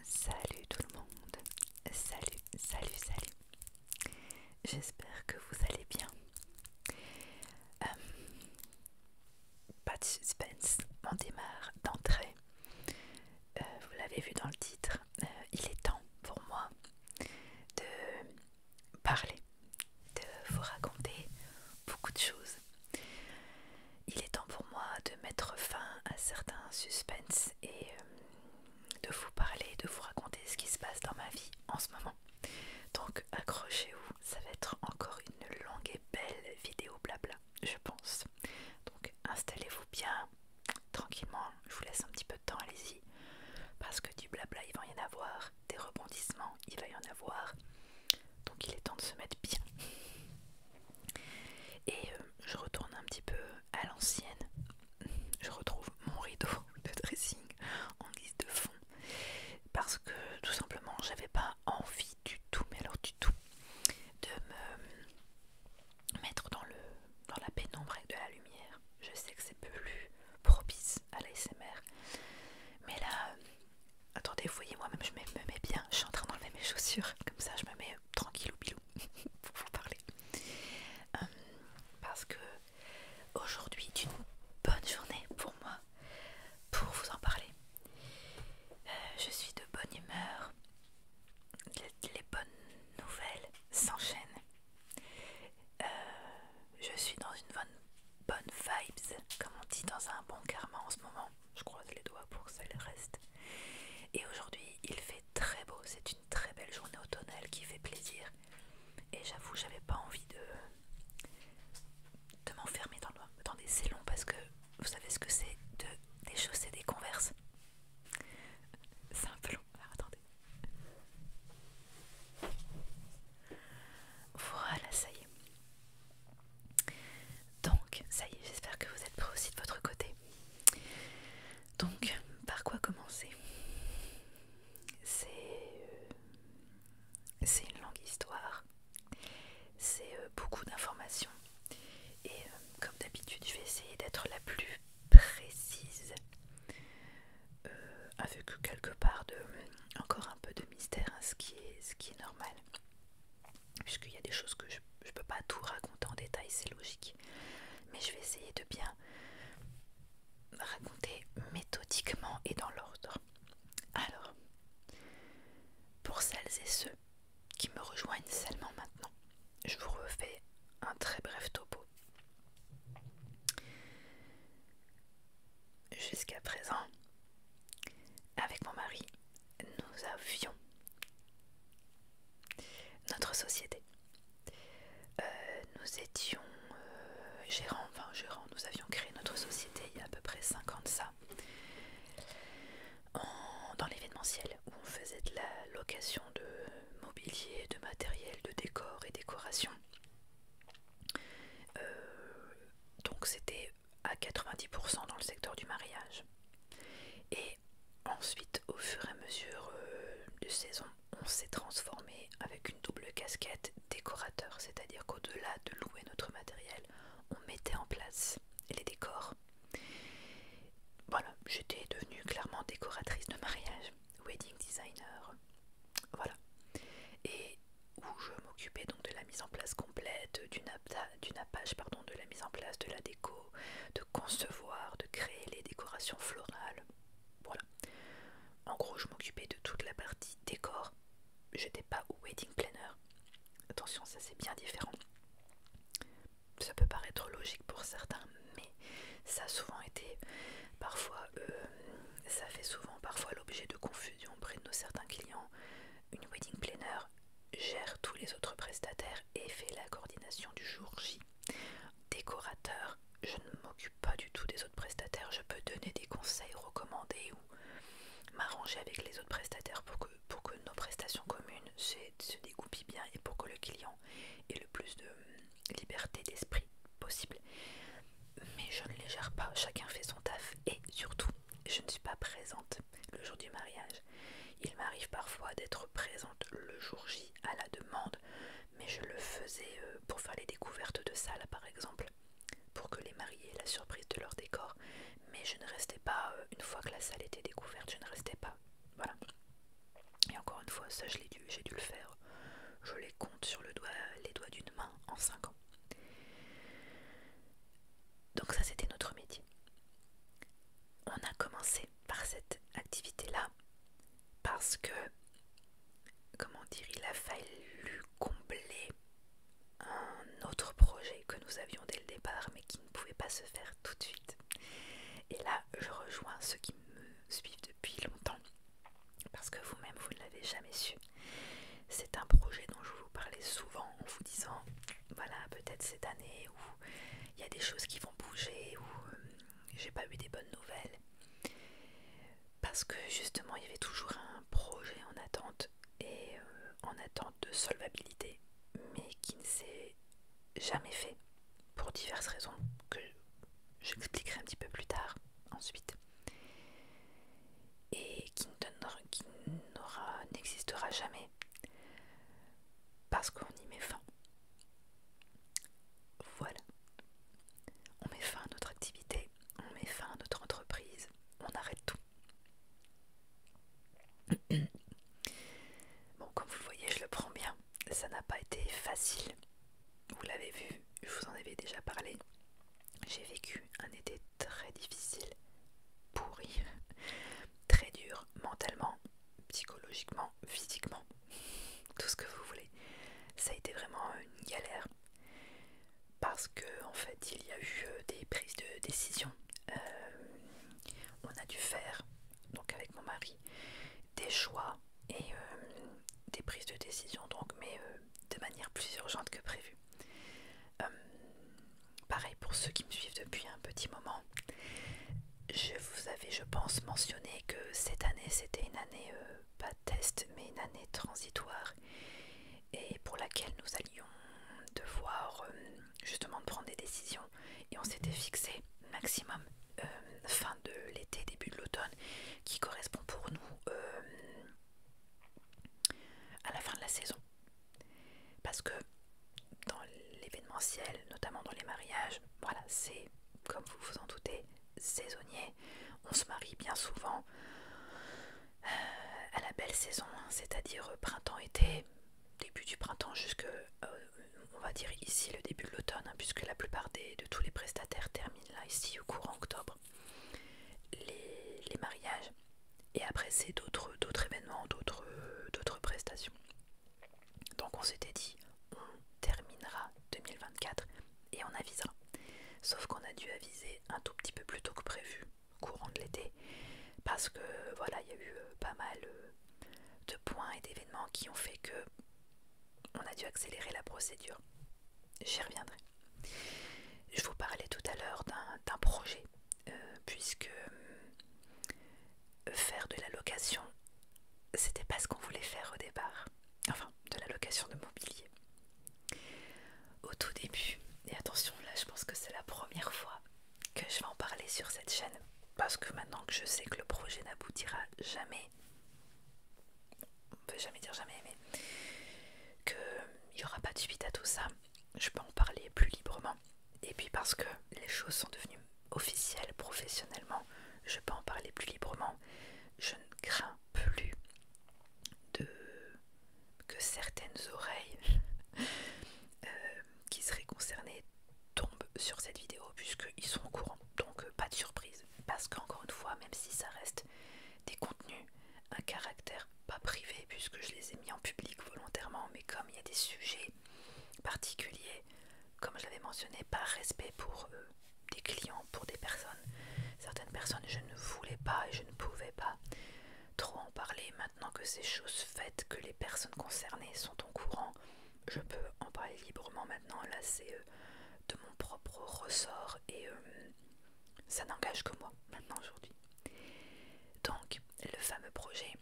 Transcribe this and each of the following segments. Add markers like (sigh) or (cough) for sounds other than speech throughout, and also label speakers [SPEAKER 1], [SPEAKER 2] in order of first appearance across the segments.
[SPEAKER 1] Salut tout le monde, salut, salut, salut. J'espère que vous allez bien. Euh, pas de suspense, on démarre d'entrée. Euh, vous l'avez vu dans le titre, euh, il est temps pour moi de parler, de vous raconter beaucoup de choses il est temps pour moi de mettre fin à certains suspens et euh, de vous parler, de vous raconter ce qui se passe dans ma vie en ce moment. Donc accrochez-vous, ça va être encore une longue et belle vidéo blabla, je pense. Donc installez-vous bien, tranquillement, je vous laisse un petit peu de temps, allez-y. Parce que du blabla, il va y en avoir, des rebondissements, il va y en avoir. Donc il est temps de se mettre bien. Et euh, je retourne un petit peu à l'ancienne. Je retrouve mon rideau de dressing en guise de fond. Parce que tout simplement, j'avais pas envie du tout, mais alors du tout, de me mettre dans, le, dans la pénombre de la lumière. Je sais que c'est plus propice à l'ASMR. Mais là, attendez, vous voyez, moi-même je me mets bien. Je suis en train d'enlever mes chaussures. Comme ça, je me mets tranquille ou (laughs) pour vous parler. Euh, parce que aujourd'hui est une bonne journée pour moi pour vous en parler. Euh, je suis de bonne humeur, les, bonnes nouvelles s'enchaînent. Euh, je suis dans une bonne, bonne vibes, comme on dit dans un bon karma en ce moment. Je croise les doigts pour ça le reste. Et aujourd'hui, il fait très beau, c'est une très belle journée automnale qui fait plaisir. Et j'avoue, j'avais pas envie de, m'enfermer dans, le, Attendez, c'est long parce que vous savez ce que c'est de, des chaussées des converses. C'est un peu long, Alors, attendez. Voilà, ça y est. Donc, ça y est, j'espère que vous êtes prêts aussi de votre côté. Donc, par quoi commencer euh, C'est une longue histoire, c'est euh, beaucoup d'informations, et euh, comme d'habitude, je vais essayer d'être la plus précise, avec quelque part de encore un peu de mystère, hein, ce, qui est, ce qui est normal, puisqu'il y a des choses que je je ne peux pas tout raconter en détail, c'est logique. Mais je vais essayer de bien raconter méthodiquement et dans l'ordre. Alors, pour celles et ceux qui me rejoignent seulement maintenant, je vous refais un très bref topo. Jusqu'à présent, avec mon mari, nous avions notre société. Euh, nous étions euh, gérants, enfin gérants, nous avions créé notre société il y a à peu près 5 ans de ça, dans l'événementiel, où on faisait de la location de mobilier, de matériel, de décor et décoration. Euh, donc c'était à 90% dans le secteur du mariage. Et ensuite, au fur et à mesure euh, de saison, on s'est transformé avec une double casquette décorateur, c'est-à-dire qu'au-delà de louer notre matériel, on mettait en place les décors. Voilà, j'étais devenue clairement décoratrice de mariage, wedding designer, voilà. Et où je m'occupais donc de la mise en place complète, d'une Apache pardon, de la mise en place de la déco, de concevoir, de créer les décorations florales. Voilà. En gros, je m'occupais de toute la partie décor. Je n'étais pas au wedding planner. Attention, ça c'est bien différent. Ça peut paraître logique pour certains, mais ça a souvent été parfois, euh, ça fait souvent parfois l'objet de confusion auprès de nos certains clients. Une wedding planner gère tous les autres prestataires et fait la coordination du jour J Décorateur, je ne m'occupe pas du tout des autres prestataires. Je peux donner des conseils, recommander ou m'arranger avec les autres prestataires pour que, pour que nos prestations communes se, découpent bien et pour que le client ait le plus de euh, liberté d'esprit possible. Mais je ne les gère pas, chacun fait son taf et surtout, je ne suis pas présente le jour du mariage. Il m'arrive parfois d'être présente le jour J à la demande, mais je le faisais euh, pour faire les découvertes de salle, par exemple, pour que les mariés aient la surprise de leur décor, mais je ne restais pas, euh, une fois que la salle était découverte, je ne restais pas. Voilà. Et encore une fois, ça j'ai dû, le faire. Je les compte sur le doigt, les doigts d'une main en 5 ans. Donc ça c'était notre métier. On a commencé par cette activité-là parce que, comment dire, il a fallu combler un autre projet que nous avions dès le départ mais qui ne pouvait pas se faire tout de suite. Et là, je rejoins ceux qui me suivent depuis longtemps parce que vous-même, vous ne l'avez jamais su. C'est un projet dont je vous parlais souvent en vous disant, voilà, peut-être cette année où il y a des choses qui vont bouger, ou j'ai pas eu des bonnes nouvelles parce que justement il y avait toujours un projet en attente et euh, en attente de solvabilité mais qui ne s'est jamais fait pour diverses raisons que je j'expliquerai un petit peu plus tard ensuite et qui n'existera jamais parce qu'on y met fin voilà. On met fin à notre activité, on met fin à notre entreprise, on arrête tout. Bon, comme vous le voyez, je le prends bien. Ça n'a pas été facile. Vous l'avez vu, je vous en avais déjà parlé. J'ai vécu un été très difficile, pourri, très dur mentalement, psychologiquement, physiquement, (laughs) tout ce que vous voulez. Ça a été vraiment une galère parce que en fait il y a eu euh, des prises de décision. Euh, on a dû faire, donc avec mon mari, des choix et euh, des prises de décision, donc, mais de manière plus urgente que prévu. pareil pour ceux qui me suivent depuis petit moment. Je vous avais, je pense, mentionné que cette année, c'était une année, pas euh, pas test, mais une année transitoire, et pour laquelle nous allions devoir euh, justement prendre des décisions. Et on s'était fixé maximum euh, fin de l'été, début de l'automne, qui correspond pour nous à la fin de la saison. Parce que dans l'événementiel, notamment dans les mariages, voilà, c'est, comme vous vous en doutez, saisonnier. On se marie bien souvent euh, à la belle saison, hein, c'est-à-dire printemps-été, début du printemps jusque, euh, on va dire ici, le début de l'automne, hein, puisque la plupart de tous les prestataires terminent là, ici, au courant octobre, les mariages. Et après, c'est d'autres événements, d'autres prestations. Donc on s'était dit, on terminera 2024 et on avisera. Sauf qu'on a dû aviser un tout petit peu plus tôt que prévu, courant de l'été, parce que voilà, il y a eu euh, pas mal euh, de points et d'événements qui ont fait que on a dû accélérer la procédure. J'y reviendrai. Je vous parlais tout à l'heure d'un projet, euh, puisque faire de la location, c'était pas ce qu'on voulait faire au départ. Enfin, de la location de mobilier. Au tout début, et attention là, je pense que c'est la première fois que je vais en parler sur cette chaîne, parce que maintenant que je sais que le projet n'aboutira jamais, on peut jamais dire jamais, mais qu'il n'y aura pas de suite à tout ça, je peux en parler plus librement. Et puis parce que les choses sont devenues officielle, professionnellement, je peux en parler plus librement. Je ne crains plus de que certaines oreilles (laughs) euh, qui seraient concernées tombent sur cette vidéo puisqu'ils sont au courant. Donc euh, pas de surprise. Parce qu'encore une fois, même si ça reste des contenus, à caractère pas privé puisque je les ai mis en public volontairement, mais comme il y a des sujets particuliers comme je l'avais mentionné, par respect pour eux des clients, pour des personnes. Certaines personnes, je ne voulais pas et je ne pouvais pas trop en parler. Maintenant que ces choses faites, que les personnes concernées sont au courant, je peux en parler librement maintenant. Là, c'est euh, de mon propre ressort et euh, ça n'engage que moi maintenant aujourd'hui. Donc, le fameux projet,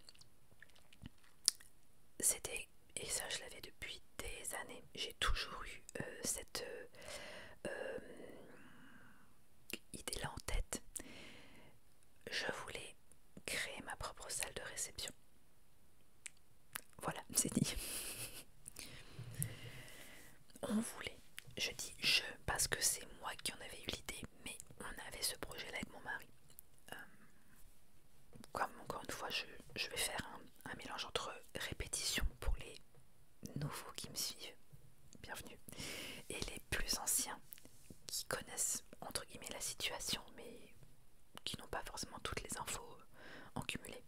[SPEAKER 1] c'était et ça je l'avais depuis des années. J'ai toujours eu euh, cette euh, euh, idée-là en tête. Je voulais créer ma propre salle de réception. Voilà, c'est dit. on voulait, je dis je parce que c'est moi qui en avais eu l'idée, mais on avait ce projet-là avec mon mari. Euh, comme encore une fois je, vais faire un, mélange entre répétition pour les nouveaux qui me suivent, bienvenue, et les plus anciens qui connaissent entre guillemets la situation mais qui n'ont pas forcément toutes les infos euh, en cumulé.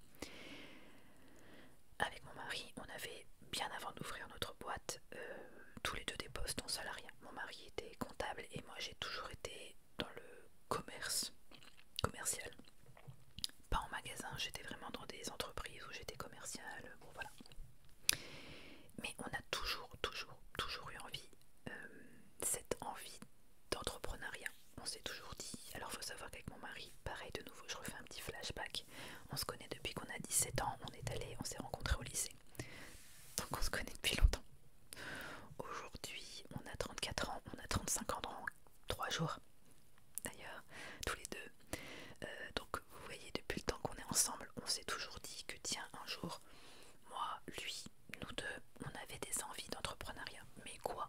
[SPEAKER 1] Avec mon mari, on avait bien avant d'ouvrir notre boîte euh, tous les deux des postes en salariat. Mon mari était comptable et moi j'ai toujours été dans le commerce commercial. Pas en magasin, j'étais vraiment dans des entreprises où j'étais commerciale, bon voilà. Mais on a toujours, toujours, toujours eu envie, euh, cette envie d'entrepreneuriat. On s'est toujours dit, alors faut savoir qu'avec mon mari, pareil de nouveau, je refais un petit flashback. On se connaît depuis qu'on a 17 ans, on est allé, on s'est rencontré au lycée. Donc on se connaît depuis longtemps. Aujourd'hui, on a 34 ans, on a 35 ans dans 3 jours, d'ailleurs, tous les deux. Euh, donc, vous voyez, depuis le temps qu'on est ensemble, on s'est toujours dit que, tiens, un jour, moi, lui, nous deux, on avait des envies d'entrepreneuriat. Mais quoi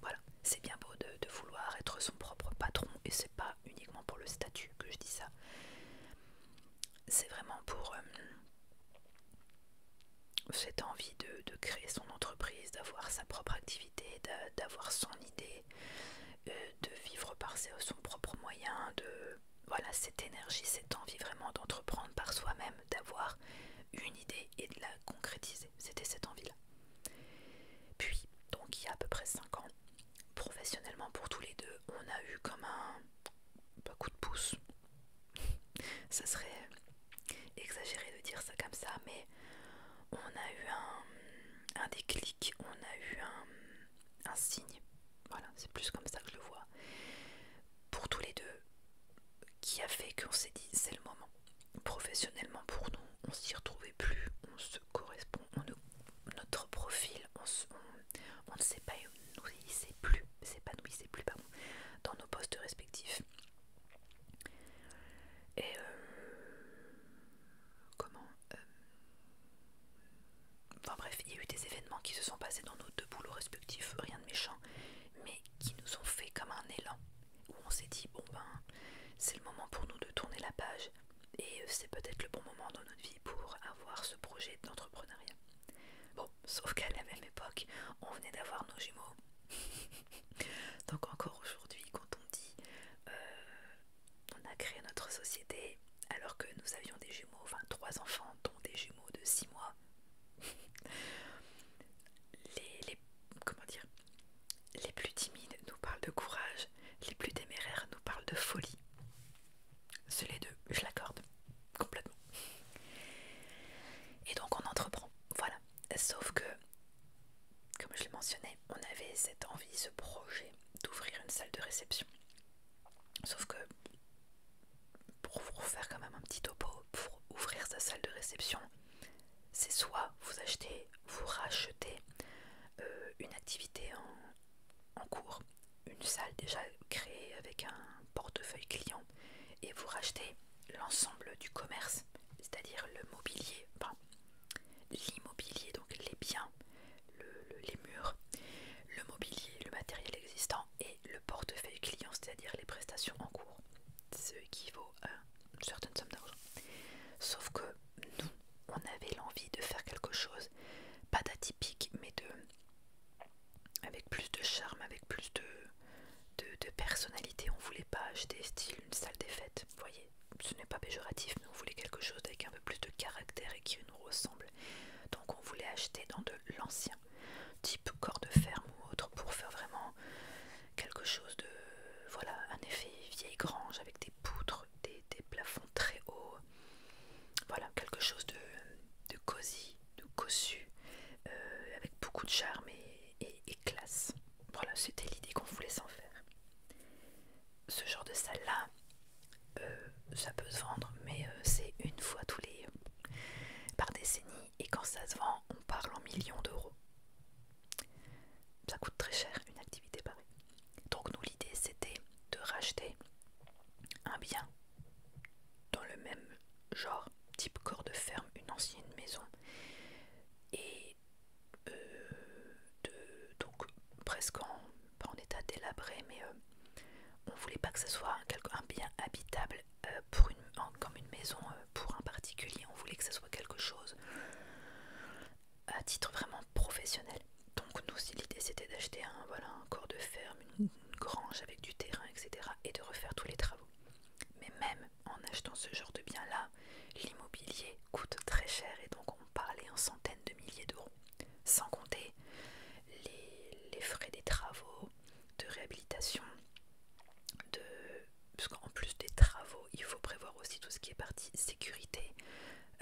[SPEAKER 1] Voilà. C'est bien beau de, vouloir être son propre patron, et c'est pas uniquement pour le statut que je dis ça. C'est vraiment pour euh, cette envie de, créer son entreprise, d'avoir sa propre activité, d'avoir son idée, euh, de vivre par son propre moyen, de voilà cette énergie, cette envie vraiment d'entreprendre par soi-même, d'avoir une idée et de la concrétiser. C'était cette envie-là. Puis, donc il y a à peu près 5 ans, professionnellement pour tous les deux, on a eu comme un coup de pouce, ça serait euh, exagéré de dire ça comme ça, mais on a eu un, déclic, on a eu un, signe, voilà, c'est plus comme ça que je le vois, pour tous les deux, qui a fait qu'on s'est dit c'est le moment. Professionnellement pour nous, on s'y retrouvait plus, on se correspond, on ne, notre profil, on, sait pas on ne s'épanouissait plus, s'épanouissait plus pardon, dans nos postes respectifs. Et euh, comment euh, Enfin bref, il y a eu des événements qui se sont passés dans nos deux boulots respectifs, rien de méchant, mais qui nous ont fait comme un élan, où on s'est dit, bon ben, c'est le moment pour nous de tourner la page, et c'est peut-être le bon moment dans notre vie pour avoir ce projet d'entrepreneuriat. Oh, sauf qu'à la même époque, on venait d'avoir nos jumeaux. (laughs) Donc encore aujourd'hui, quand on dit euh, on a créé notre société alors que nous avions des jumeaux, enfin trois enfants, dont des jumeaux de six mois, (laughs) les, comment dire, les plus timides nous parlent de courage, les plus téméraires nous parlent de folie. C'est les deux, je l'accorde complètement. Et donc on entreprend, voilà. Sauf que, comme je l'ai mentionné, on avait cette envie, ce projet d'ouvrir une salle de réception. Sauf que, pour vous faire quand même un petit topo, pour ouvrir sa salle de réception, c'est soit vous achetez, vous rachetez euh, une activité en cours, une salle déjà créée avec un portefeuille client et vous rachetez l'ensemble du commerce, c'est-à-dire le mobilier, enfin, l'immobilier, donc les biens, les murs, le mobilier, le matériel existant et le portefeuille client, c'est-à-dire les prestations en cours, ce qui vaut euh, une certaine somme d'argent. Sauf que nous, on avait l'envie de faire quelque chose, pas d'atypique, mais de avec plus de charme, avec plus de de, de personnalité, on voulait pas acheter style une salle des fêtes, voyez, ce n'est pas péjoratif, mais on voulait quelque chose avec un peu plus de caractère et qui nous ressemble. Donc on voulait acheter dans de l'ancien, type corps de ferme ou autre, pour faire vraiment quelque chose de, voilà, un effet vieille grange avec des poutres, des, plafonds très hauts, voilà, quelque chose de, cosy, de cossu, euh, avec beaucoup de charme et et, classe. Voilà, c'était l'idée qu'on voulait s'en faire. Ce genre de salle-là, euh, ça peut se vendre, mais euh, c'est une fois tous les... par décennie, et quand ça se vend, on parle en millions d'euros. Ça coûte très cher, une activité pareille. Donc nous, l'idée, c'était de racheter un bien dans le même genre, type corps de ferme, une ancienne maison et euh, donc presque en, état délabré mais euh, on voulait pas que ce soit un, bien habitable euh, pour comme une maison pour un particulier, on voulait que ça soit quelque chose à titre vraiment professionnel. Donc nous, l'idée c'était d'acheter un, voilà, un corps de ferme, une grange avec du terrain, etc. et de refaire tous les travaux. Mais même en achetant ce genre de bien-là, l'immobilier coûte très cher et donc on parlait en centaines de milliers d'euros, sans compter les, frais des travaux, de réhabilitation, de... parce qu'en plus des travaux, il faut prévoir aussi tout ce qui est partie sécurité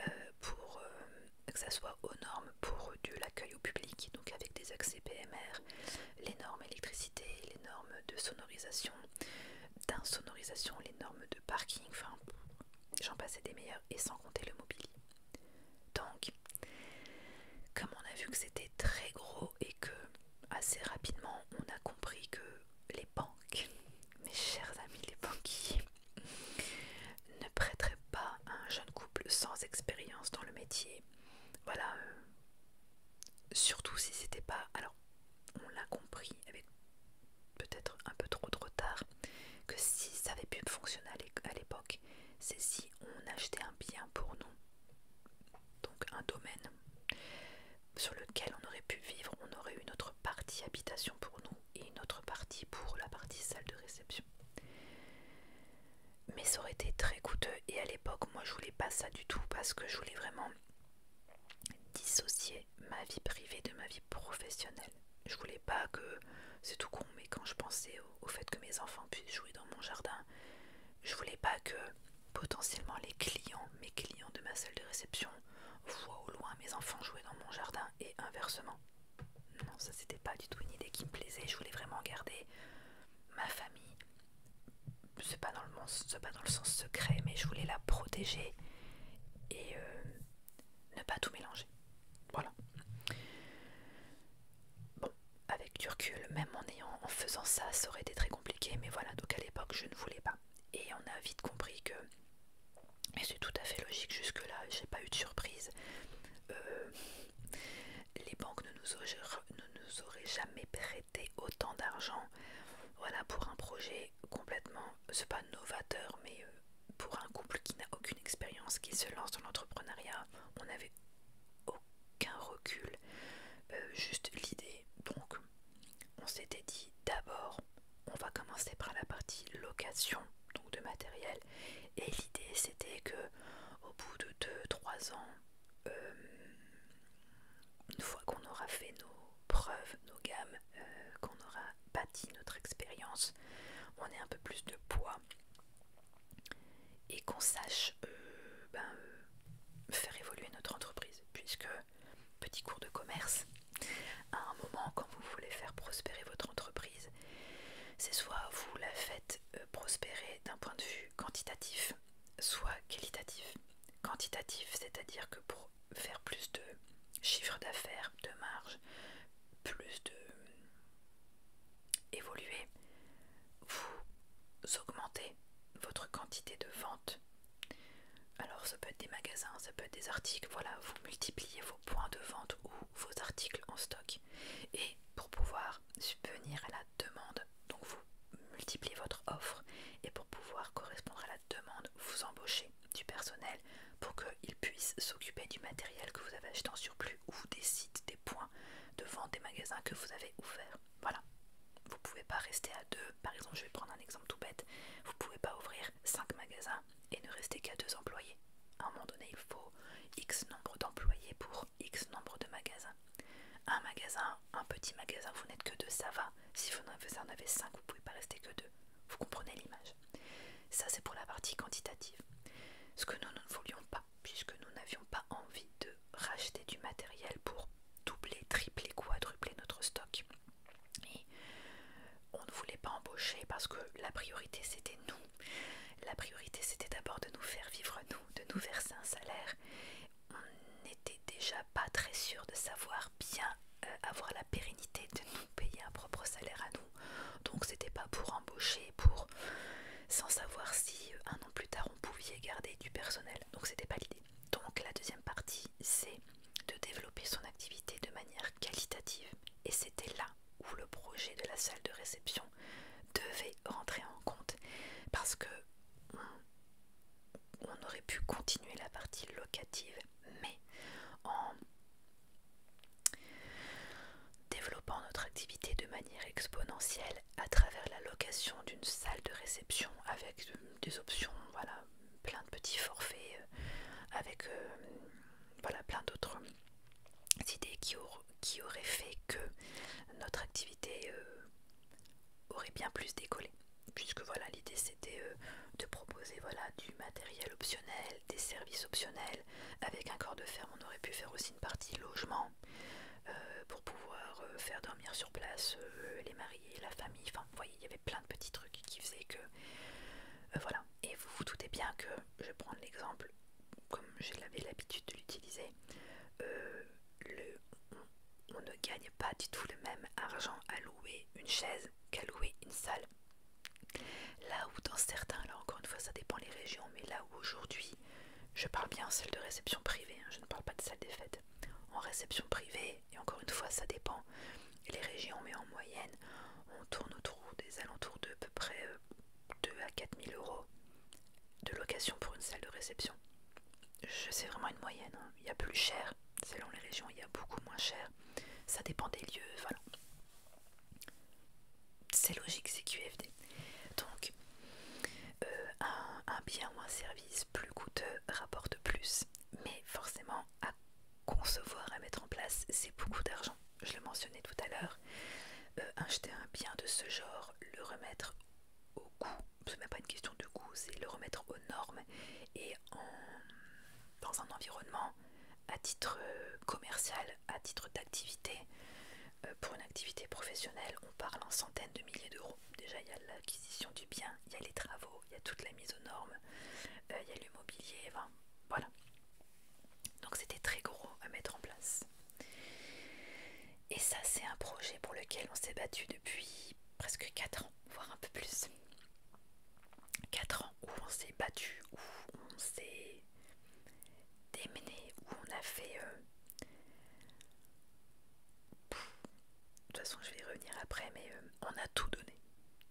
[SPEAKER 1] euh, pour euh, que ça soit aux normes pour euh, l'accueil au public, donc avec des accès PMR, les normes électricité, les normes de sonorisation, d'insonorisation, les normes de parking, enfin j'en passais des meilleurs et sans compter le mobilier. Donc, comme on a vu que c'était très gros et que assez rapidement on a compris que les banques, mes chers amis les banquiers, ne prêteraient pas un jeune couple sans expérience dans le métier. Voilà, euh, surtout si c'était pas on l'a compris avec peut-être un peu trop de retard que si ça avait pu fonctionner à l'époque, c'est si on achetait un bien pour nous, donc un domaine sur lequel on aurait pu vivre, on aurait eu notre partie habitation pour nous et une autre partie pour la partie salle de réception. Mais ça aurait été très coûteux et à l'époque, moi je voulais pas ça du tout parce que je voulais vraiment dissocier ma vie privée de ma vie professionnelle. Je voulais pas que, c'est tout con, mais quand je pensais au, fait que mes enfants puissent jouer dans mon jardin, je voulais pas que potentiellement les clients, mes clients de ma salle de réception, voient au loin mes enfants jouer dans mon jardin et inversement. Non, ça c'était pas du tout une idée qui me plaisait, je voulais vraiment garder ma famille, c'est pas, pas dans le sens secret, mais je voulais la protéger et euh, ne pas tout mélanger. Voilà. Bon, avec Turcule, même en, faisant ça, ça aurait été très compliqué, mais voilà, donc à l'époque, je ne voulais pas. Et on a vite compris que, et c'est tout à fait logique jusque-là, j'ai pas eu de surprise, euh, les banques ne nous, ne nous auraient jamais prêté autant d'argent voilà, pour un projet complètement, c'est pas novateur, mais euh, pour un couple qui n'a aucune expérience, qui se lance dans l'entrepreneuriat, on n'avait aucun recul, euh, juste l'idée. Donc, on s'était dit d'abord, on va commencer par la partie location, donc de matériel. Et l'idée, c'était que au bout de 2-3 ans, euh, une fois qu'on aura fait nos preuves, nos gammes, euh, qu'on aura bâti notre expérience, on ait un peu plus de poids et qu'on sache euh, ben, faire évoluer notre entreprise. Puisque, petit cours de commerce, à un moment, quand vous voulez faire prospérer votre entreprise, c'est soit vous la faites prospérer d'un point de vue quantitatif, soit qualitatif. Quantitatif, c'est-à-dire que pour faire plus de chiffre d'affaires, de marge, plus de évoluer, vous augmentez votre quantité de vente. Alors ça peut être des magasins, ça peut être des articles, voilà, vous multipliez vos points de vente ou vos articles en stock. Et pour pouvoir subvenir à la demande, donc vous multiplier multipliez votre offre et pour pouvoir correspondre à la demande, vous embauchez du personnel pour qu'il puisse s'occuper du matériel que vous avez acheté en surplus ou des sites, des points de vente des magasins que vous avez ouverts. Voilà. Vous pouvez pas rester à deux. Par exemple, je vais prendre un exemple tout bête. Vous pouvez pas ouvrir cinq magasins et ne rester qu'à deux employés. À un moment donné, il faut X nombre d'employés pour X nombre de magasins. Un magasin, un petit magasin, vous n'êtes que deux, ça va. Si vous en avez cinq, vous ne pouvez pas rester que deux. Vous comprenez l'image. Ça, c'est pour la partie quantitative. Ce que nous, nous ne voulions pas, puisque nous n'avions pas envie de racheter du matériel pour doubler, tripler, quadrupler notre stock. Et on ne voulait pas embaucher parce que la priorité, c'était nous. La priorité, c'était d'abord de nous faire vivre nous, de nous verser un salaire on n'était déjà pas très sûr de savoir bien euh, avoir la pérennité de nous payer un propre salaire à nous. Donc c'était pas pour embaucher, pour sans savoir si euh, un an plus tard on pouvait garder du personnel. Donc c'était pas l'idée. Donc la deuxième partie, c'est de développer son activité de manière qualitative. Et c'était là où le projet de la salle de réception devait rentrer en compte parce que on aurait pu continuer la partie locative, mais en développant notre activité de manière exponentielle à travers la location d'une salle de réception avec euh, des options, voilà, plein de petits forfaits, euh, avec euh, voilà, plein d'autres idées qui, auraient fait que notre activité aurait bien plus décollé puisque voilà l'idée c'était euh, de proposer voilà du matériel optionnel des services optionnels avec un corps de ferme on aurait pu faire aussi une partie logement euh, pour pouvoir euh, faire dormir sur place les mariés la famille enfin vous voyez il y avait plein de petits trucs qui faisaient que voilà et vous vous doutez bien que je vais l'exemple comme j'avais l'habitude de l'utiliser on, ne gagne pas du tout le même argent à louer une chaise qu'à louer une salle. Là où dans certains, là encore une fois ça dépend les régions, mais là où aujourd'hui, je parle bien en salle de réception privée, hein, je ne parle pas de salle des fêtes, en réception privée, et encore une fois ça dépend les régions, mais en moyenne, on tourne autour des alentours de à peu près 2 euh, à 4 000 euros de location pour une salle de réception. Je sais vraiment une moyenne. Hein. Il y a plus cher, selon les régions, il y a beaucoup moins cher. Ça dépend des lieux, voilà. C'est logique, c'est QFD. Donc, euh, un, bien ou un service plus coûteux rapporte plus, mais forcément, à concevoir, à mettre en place, c'est beaucoup d'argent. Je le mentionnais tout à l'heure. Euh, acheter un bien de ce genre, le remettre au goût, c'est même pas une question de goût, c'est le remettre aux normes et dans un environnement à titre euh, commercial, à titre d'activité. Euh, pour une activité professionnelle, on parle en centaines de milliers d'euros. Déjà, il y a l'acquisition du bien, il y a les travaux, il y a toute la mise aux normes, euh, il y a l'immobilier, voilà. Donc c'était très gros à mettre en place. Et ça, c'est un projet pour lequel on s'est battu depuis presque 4 voire un peu plus. 4 ans où on s'est battu, où on s'est démené, où on a fait... Euh, de toute façon, je vais y revenir après, mais euh, on a tout donné.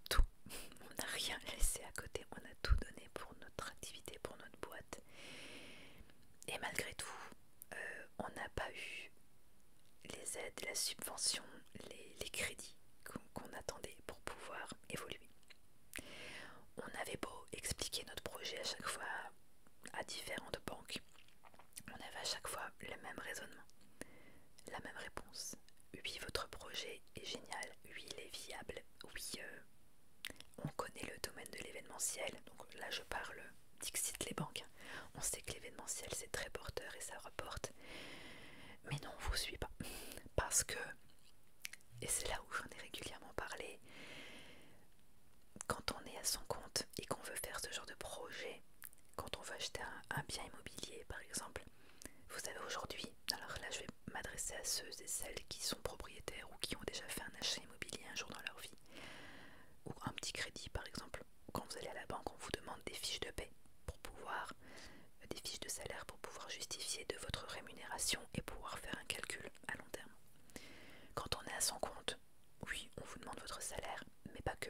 [SPEAKER 1] Tout. (laughs) On n'a rien laissé à côté. On a tout donné pour notre activité, pour notre boîte. Et malgré tout, euh, on n'a pas eu les aides, la subvention, les, crédits qu'on attendait pour pouvoir évoluer. On avait beau expliquer notre projet à chaque fois à différentes banques, on avait à chaque fois le même raisonnement, la même réponse. Oui, votre projet est génial, oui, il est viable, oui, euh, on connaît le domaine de l'événementiel, donc là je parle, dixit les banques, on sait que l'événementiel c'est très porteur et ça reporte. Mais non, on vous suit pas. Parce que, et c'est là où j'en ai régulièrement parlé, quand on est à son compte et qu'on veut faire ce genre de projet, quand on veut acheter un, un bien immobilier par exemple, vous savez aujourd'hui, alors là je vais m'adresser à ceux et celles qui sont propriétaires ou qui ont déjà fait un achat immobilier un jour dans leur vie, ou un petit crédit par exemple, quand vous allez à la banque, on vous demande des fiches de paie pour pouvoir, euh, des fiches de salaire pour pouvoir justifier de votre rémunération et pouvoir faire un calcul à long terme. Quand on est à son compte, oui, on vous demande votre salaire, mais pas que.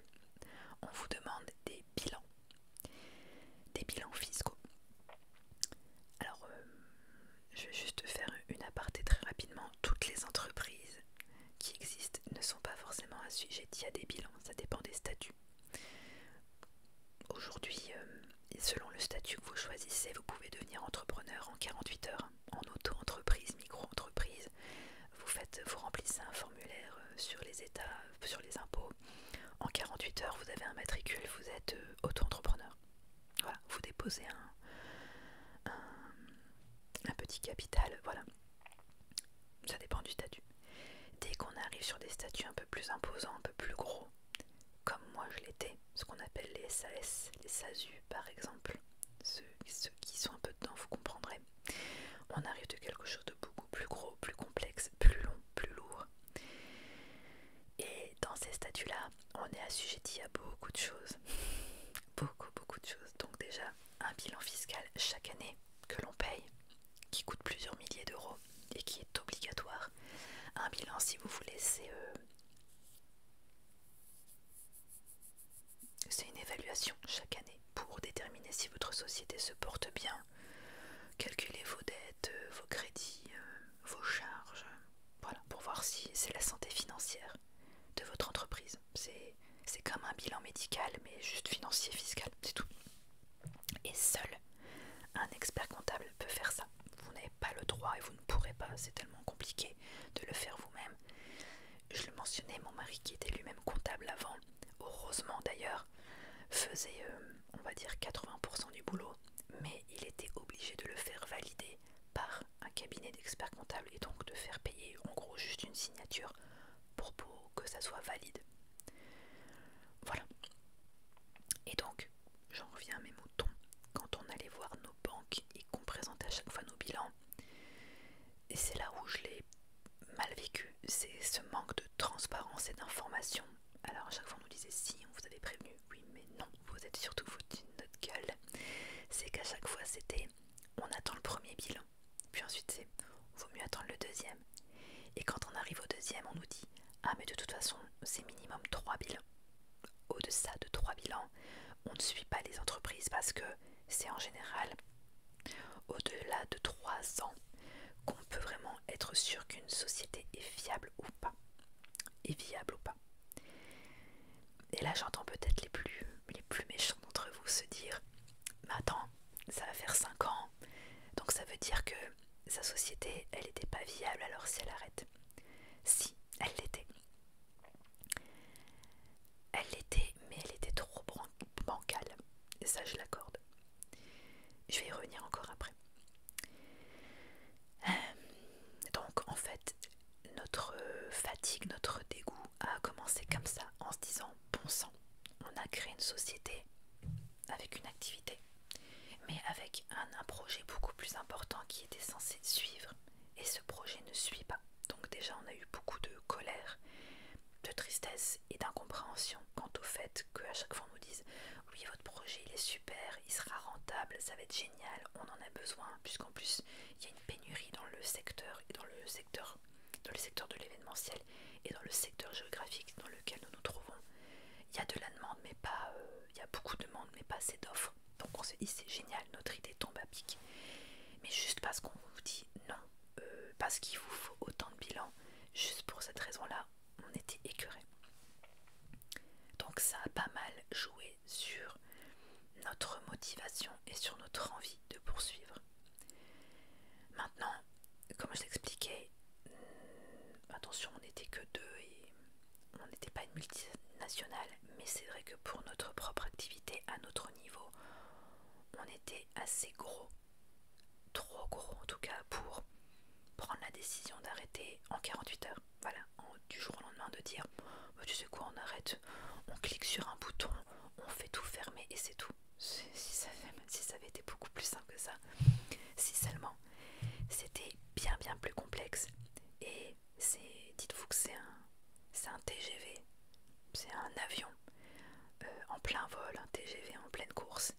[SPEAKER 1] On vous demande des bilans, des bilans fiscaux. Alors, euh, je vais juste faire une aparté très rapidement. Toutes les entreprises qui existent ne sont pas forcément assujettis à des bilans, ça dépend des statuts. Aujourd'hui, euh, selon le statut que vous choisissez, vous pouvez devenir entrepreneur en 48 heures, en auto-entreprise, micro-entreprise. Vous, remplissez un formulaire euh, sur les états, sur les impôts. En 48 heures, vous avez un matricule, vous êtes euh, auto-entrepreneur. Voilà, vous déposez un, un petit capital, voilà. Ça dépend du statut. Dès qu'on arrive sur des statuts un peu plus imposants, un peu plus gros, comme moi je l'étais, ce qu'on appelle les SAS, les SASU par exemple, ceux, qui sont un peu dedans, vous comprendrez, on arrive de quelque chose de beaucoup plus gros, plus complexe, plus long, plus lourd. Et dans ces statuts-là, on est assujetti à beaucoup de choses. (laughs) Beaucoup, beaucoup de choses. Donc déjà, un bilan fiscal chaque année que l'on paye, qui coûte plusieurs milliers d'euros et qui est obligatoire. Un bilan, si vous voulez, c'est euh, une évaluation chaque année pour déterminer si votre société se porte bien, calculer vos dettes, euh, vos crédits, euh, vos charges, voilà, pour voir si c'est la santé financière de votre entreprise. C'est c'est comme un bilan médical, mais juste financier, fiscal, c'est tout. Et seul un expert comptable peut faire ça. Vous n'avez pas le droit et vous ne pourrez pas, c'est tellement compliqué de le faire vous-même. Je le mentionnais, mon mari qui était lui-même comptable avant, heureusement d'ailleurs, faisait, euh, on va dire, 80% du boulot, mais il était obligé de le faire valider par un cabinet d'experts comptables et donc de faire payer en gros juste une signature pour que ça soit valide. Voilà. Et donc, j'en reviens à mes moutons. Quand on allait voir nos banques et qu'on présentait à chaque fois nos bilans, et c'est là où je l'ai mal vécu, c'est ce manque de transparence et d'information. Alors à chaque fois on nous disait si on vous avait prévenu, oui mais non, vous êtes surtout foutu de notre gueule. C'est qu'à chaque fois c'était on attend le premier bilan, puis ensuite c'est vaut mieux attendre le deuxième. Et quand on arrive au deuxième, on nous dit Ah mais de toute façon, c'est minimum 3 bilans. au delà de 3 bilans, on ne suit pas les entreprises parce que c'est en général au-delà de 3 ans qu'on peut vraiment être sûr qu'une société est fiable ou pas. Et viable ou pas. Et là j'entends peut-être les plus, les plus méchants d'entre vous se dire Mais attends, ça va faire 5 ans. Donc ça veut dire que sa société, elle n'était pas viable, alors si elle arrête. Si, elle l'était. Elle l'était, mais elle était trop bancale. Et ça, je l'accorde. Je vais y revenir encore après. Euh, donc, en fait, notre fatigue, notre dégoût a commencé comme ça, en se disant, bon sang, on a créé une société avec une activité, mais avec un, projet beaucoup plus important qui était censé suivre, et ce projet ne suit pas. Donc déjà, on a eu beaucoup de colère, de tristesse et d'incompréhension quant au fait qu'à chaque fois on nous dise oui votre projet il est super, il sera rentable, ça va être génial, on en a besoin, puisqu'en plus il y a une pénurie dans le secteur et dans le secteur dans le secteur de l'événementiel et dans le secteur géographique dans lequel nous nous trouvons, il y a de la demande, mais pas, euh, il y a beaucoup de demande, mais pas assez d'offres. Donc on se dit c'est génial, notre idée tombe à pic. Mais juste parce qu'on vous dit non, euh, parce qu'il vous faut autant de bilan juste pour cette raison-là, on était écœuré. Donc ça a pas mal joué sur notre motivation et sur notre envie de poursuivre. Maintenant, comme je t'expliquais, hmm, attention, on n'était que deux et on n'était pas une multinationale, mais c'est vrai que pour notre propre activité, à notre niveau, on était assez gros, trop gros en tout cas, pour prendre la décision d'arrêter en 48 heures. Voilà, du jour au lendemain de dire, bah, tu sais quoi, on arrête, on clique sur un bouton on fait tout fermer et c'est tout. Si ça, si ça avait été beaucoup plus simple que ça, si seulement c'était bien bien plus complexe. Et c'est, dites-vous que c'est un, un TGV, c'est un avion euh, en plein vol, un TGV en pleine course.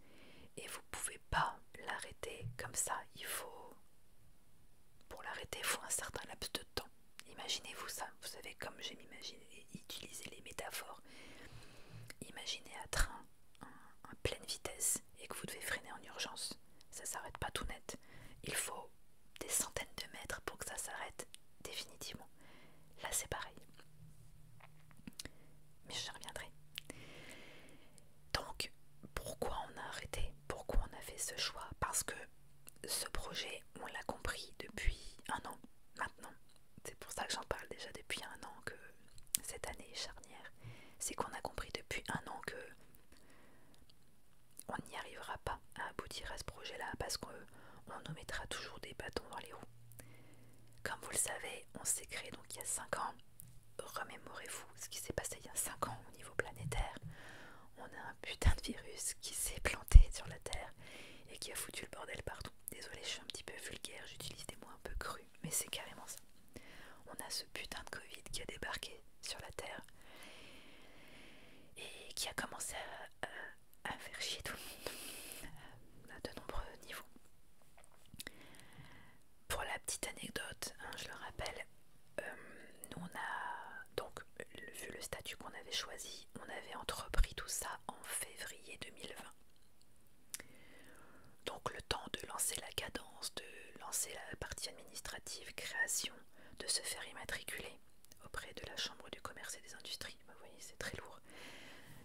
[SPEAKER 1] Et vous pouvez pas l'arrêter comme ça. Il faut, pour l'arrêter, il faut un certain laps de temps. Imaginez-vous ça. Vous savez comme je m'imagine utiliser les métaphores. Imaginez un train à pleine vitesse et que vous devez freiner en urgence. Ça s'arrête pas tout net. Il faut des centaines de mètres pour que ça s'arrête définitivement. Là c'est pareil. Mais je reviendrai. Donc pourquoi on a arrêté Pourquoi on a fait ce choix Parce que ce projet, on l'a compris depuis un an maintenant c'est pour ça que j'en parle déjà depuis un an que cette année est charnière, c'est qu'on a compris depuis un an que on n'y arrivera pas à aboutir à ce projet-là parce qu'on nous mettra toujours des bâtons dans les roues. Comme vous le savez, on s'est créé donc il y a 5 ans. Remémorez-vous ce qui s'est passé il y a cinq ans au niveau planétaire. On a un putain de virus qui s'est planté sur la Terre et qui a foutu le bordel partout. Désolée, je suis un petit peu vulgaire, j'utilise des mots un peu crus, mais c'est carrément ça. On a ce putain de Covid qui a débarqué sur la Terre et qui a commencé à, faire chier tout le monde (laughs) à de nombreux niveaux. Pour la petite anecdote, hein, je le rappelle, euh, nous on a donc vu le statut qu'on avait choisi, on avait entrepris tout ça en février 2020. Donc le temps de lancer la cadence, de lancer la partie administrative, création, de se faire immatriculer auprès de la Chambre du commerce et des industries, vous voyez c'est très lourd.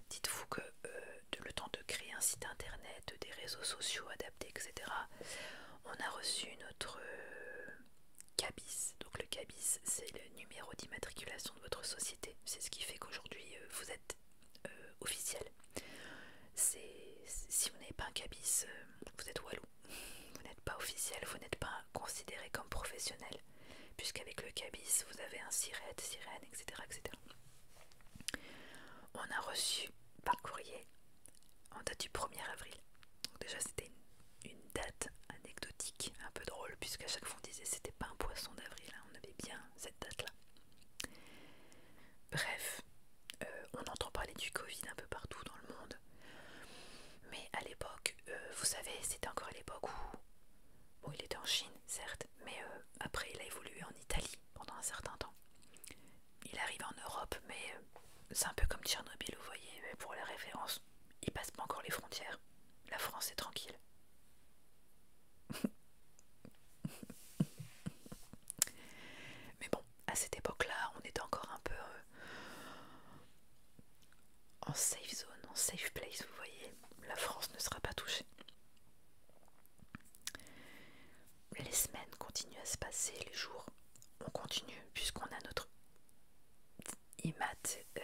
[SPEAKER 1] Dites-vous que euh, le temps de créer un site internet, des réseaux sociaux adaptés, etc., on a reçu notre euh, CABIS. Donc le CABIS, c'est le numéro d'immatriculation de votre société. C'est ce qui fait qu'aujourd'hui, euh, vous êtes euh, officiel. C'est Si vous n'avez pas un cabis, euh, vous êtes wallou. (laughs) Vous n'êtes pas officiel, vous n'êtes pas considéré comme professionnel, puisqu'avec le cabis, vous avez un sirette, sirène, etc., etc. On a reçu par courrier en date du 1er avril. déjà, c'était une, date anecdotique, un peu drôle, puisqu'à chaque fois on disait c'était pas un poisson d'avril, hein. on avait bien cette date-là. Bref, euh, on entend parler du Covid un peu partout dans le monde. Mais à l'époque, euh, vous savez, c'était encore à l'époque où... Bon, il était en Chine, certes, mais euh, après, il a évolué en Italie pendant un certain temps. Il arrive en Europe, mais c'est un peu comme Tchernobyl, vous voyez, mais pour la référence, il passe pas encore les frontières. La France est tranquille. (laughs) Mais bon, à cette époque-là, on était encore un peu euh, en safe zone, en safe place, vous voyez. La France ne sera pas touchée. Les semaines continuent à se passer, les jours, on continue puisqu'on a notre IMAT euh,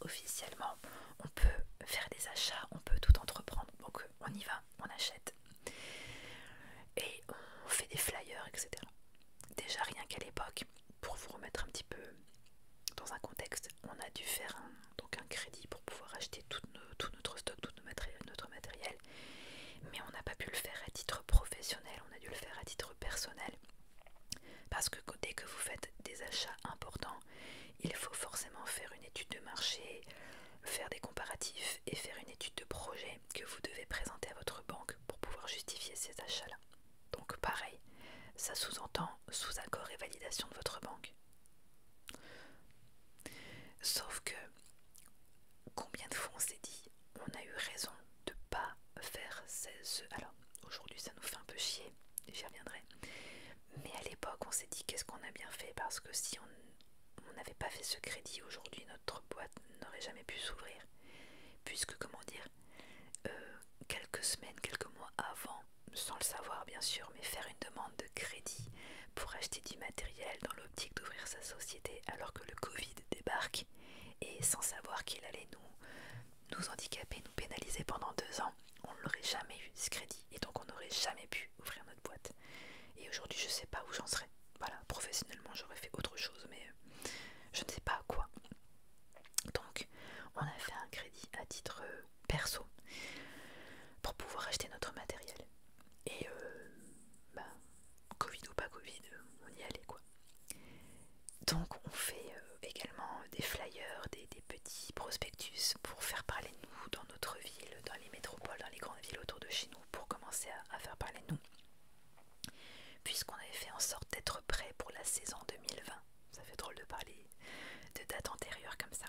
[SPEAKER 1] officiellement on peut faire des achats, on peut tout entreprendre. Donc on y va, on achète. Et on fait des flyers, etc. Déjà rien qu'à l'époque, pour vous remettre un petit peu dans un contexte, on a dû faire un, donc un crédit pour pouvoir acheter tout notre stock, tout notre matériel. Mais on n'a pas pu le faire à titre professionnel, on a dû le faire à titre personnel. Parce que dès que vous faites des achats, important, il faut forcément faire une étude de marché, faire des comparatifs et faire une étude de projet que vous devez présenter à votre banque pour pouvoir justifier ces achats-là. Donc pareil, ça sous-entend sous accord et validation de votre banque. Sauf que combien de fois on s'est dit on a eu raison de pas faire ces, Alors aujourd'hui ça nous fait un peu chier, j'y reviendrai. Mais à l'époque, on s'est dit qu'est-ce qu'on a bien fait parce que si on n'avait pas fait ce crédit aujourd'hui, notre boîte n'aurait jamais pu s'ouvrir. Puisque, comment dire, euh, quelques semaines, quelques mois avant, sans le savoir bien sûr, mais faire une demande de crédit pour acheter du matériel dans l'optique d'ouvrir sa société alors que le Covid débarque et sans savoir qu'il allait nous, nous handicaper, nous pénaliser pendant deux ans, on ne l'aurait jamais eu ce crédit et donc on n'aurait jamais pu ouvrir notre boîte. Et aujourd'hui, je sais pas où j'en serais. Voilà, professionnellement, j'aurais fait autre chose, mais euh, je ne sais pas à quoi. Donc, on a fait un crédit à titre euh, perso pour pouvoir acheter notre matériel. Et, euh, bah, Covid ou pas Covid, on y allait quoi. Donc, on fait également des flyers, des, petits prospectus pour faire parler de nous notre ville, dans les métropoles, dans les grandes villes autour de chez nous pour commencer à, faire parler nous. Puisqu'on avait fait en sorte d'être prêt pour la saison 2020. Ça fait drôle de parler de dates antérieures comme ça.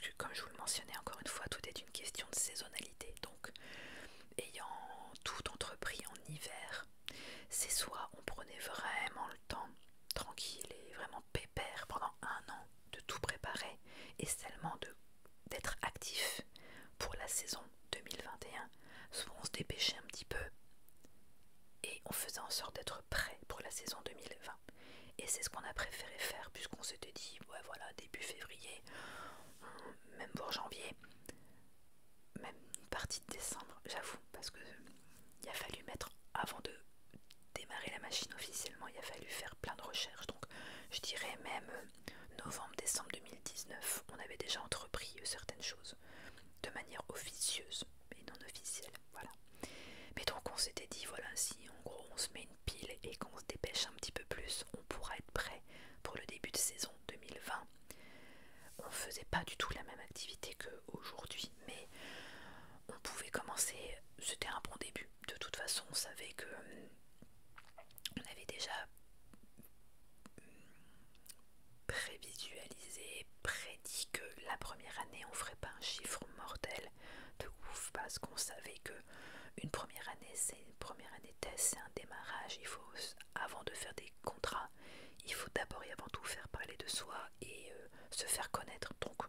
[SPEAKER 1] que comme je vous le mentionnais encore une fois, tout est une question de saisonnalité. Donc, ayant tout entrepris en hiver, c'est soit on prenait vraiment le temps tranquille et vraiment pépère pendant un an de tout préparer et seulement de d'être actif pour la saison 2021. Souvent on se dépêchait un petit peu et on faisait en sorte d'être prêt pour la saison 2020. Et c'est ce qu'on a préféré faire puisqu'on s'était dit, ouais voilà, début février, même pour janvier, même partie de décembre, j'avoue, parce que il a fallu mettre, avant de démarrer la machine officiellement, il a fallu faire plein de recherches. Donc je dirais même euh, novembre-décembre 2019, on avait déjà entrepris euh, certaines choses de manière officieuse et non officielle. Voilà. Mais donc on s'était dit, voilà, si en gros on se met une pile et qu'on se dépêche un petit peu plus, on pourra être prêt pour le début de saison 2020. On faisait pas du tout la même activité que aujourd'hui, mais on pouvait commencer, c'était un bon début. De toute façon, on savait que euh, on avait déjà prévisualisé, prédit que la première année on ferait pas un chiffre mortel de ouf parce qu'on savait que une première année c'est une première année test, c'est un démarrage, il faut avant de faire des contrats, il faut d'abord et avant tout faire parler de soi et euh, se faire connaître. Donc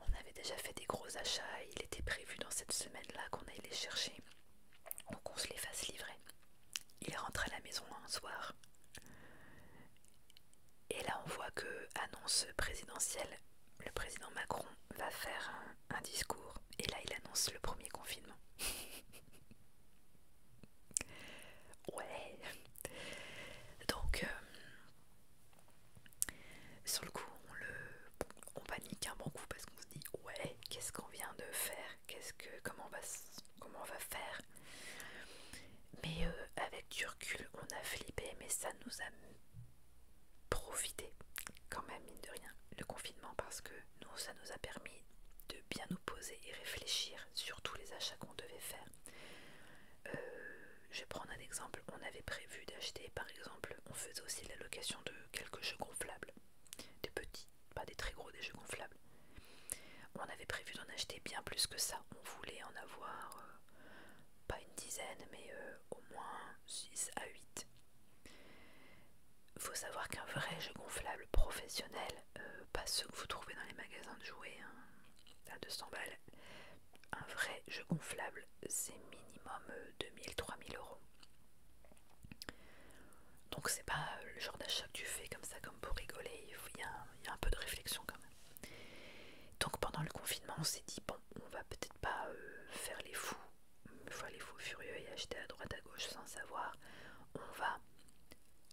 [SPEAKER 1] On avait déjà fait des gros achats il était prévu dans cette semaine-là qu'on aille les chercher. Donc on se les fasse livrer. Il rentre à la maison un soir. Et là on voit que annonce présidentielle, le président Macron va faire un, discours. Et là il annonce le premier confinement. (laughs) ouais. Donc euh, sur le coup, on, le, on panique un bon coup parce qu'on se dit ouais, qu'est-ce qu'on vient de faire Qu'est-ce que comment on va comment on va faire Mais euh, avec du on a flippé, mais ça nous a profité quand même mine de rien le confinement parce que nous ça nous a permis de bien nous poser et réfléchir sur tous les achats qu'on devait faire. Euh, je vais prendre un exemple. On avait prévu d'acheter par exemple on faisait aussi l'allocation de quelques jeux gonflables. Des petits, pas des très gros, des jeux gonflables. On avait prévu d'en acheter bien plus que ça. On voulait en avoir euh, pas une dizaine, mais euh, au moins 6 à 8. Faut savoir qu'un vrai jeu gonflable professionnel, euh, pas ceux que vous trouvez dans les magasins de jouets ça hein, à 200 balles, un vrai jeu gonflable, c'est minimum 2000-3000 euh, euros. Donc c'est pas euh, le genre d'achat que tu fais comme ça, comme pour rigoler, il y, a, il y a un peu de réflexion quand même. Donc pendant le confinement, on s'est dit, bon, on va peut-être pas euh, faire les fous, les fous furieux et acheter à droite à gauche sans savoir. On va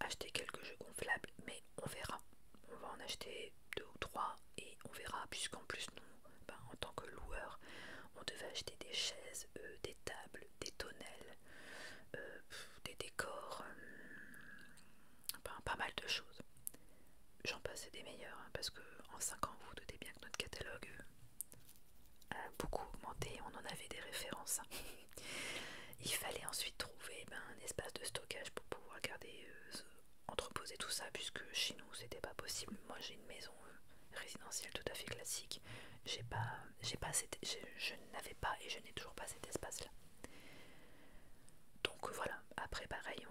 [SPEAKER 1] acheter quelques jeux gonflables, mais on verra. On va en acheter deux ou trois et on verra, puisqu'en plus, nous, ben, en tant que loueur, on devait acheter des chaises, euh, des tables, des tonnelles, euh, des décors, euh, ben, pas mal de choses. J'en passe des meilleurs, hein, parce que en 5 ans, vous vous doutez bien que notre catalogue a beaucoup augmenté, on en avait des références. Hein. Il fallait ensuite trouver ben, un espace de stockage pour pouvoir garder entreposer tout ça puisque chez nous c'était pas possible. Moi j'ai une maison euh, résidentielle tout à fait classique. J'ai pas, j'ai pas cette, je n'avais pas et je n'ai toujours pas cet espace-là. Donc voilà. Après pareil,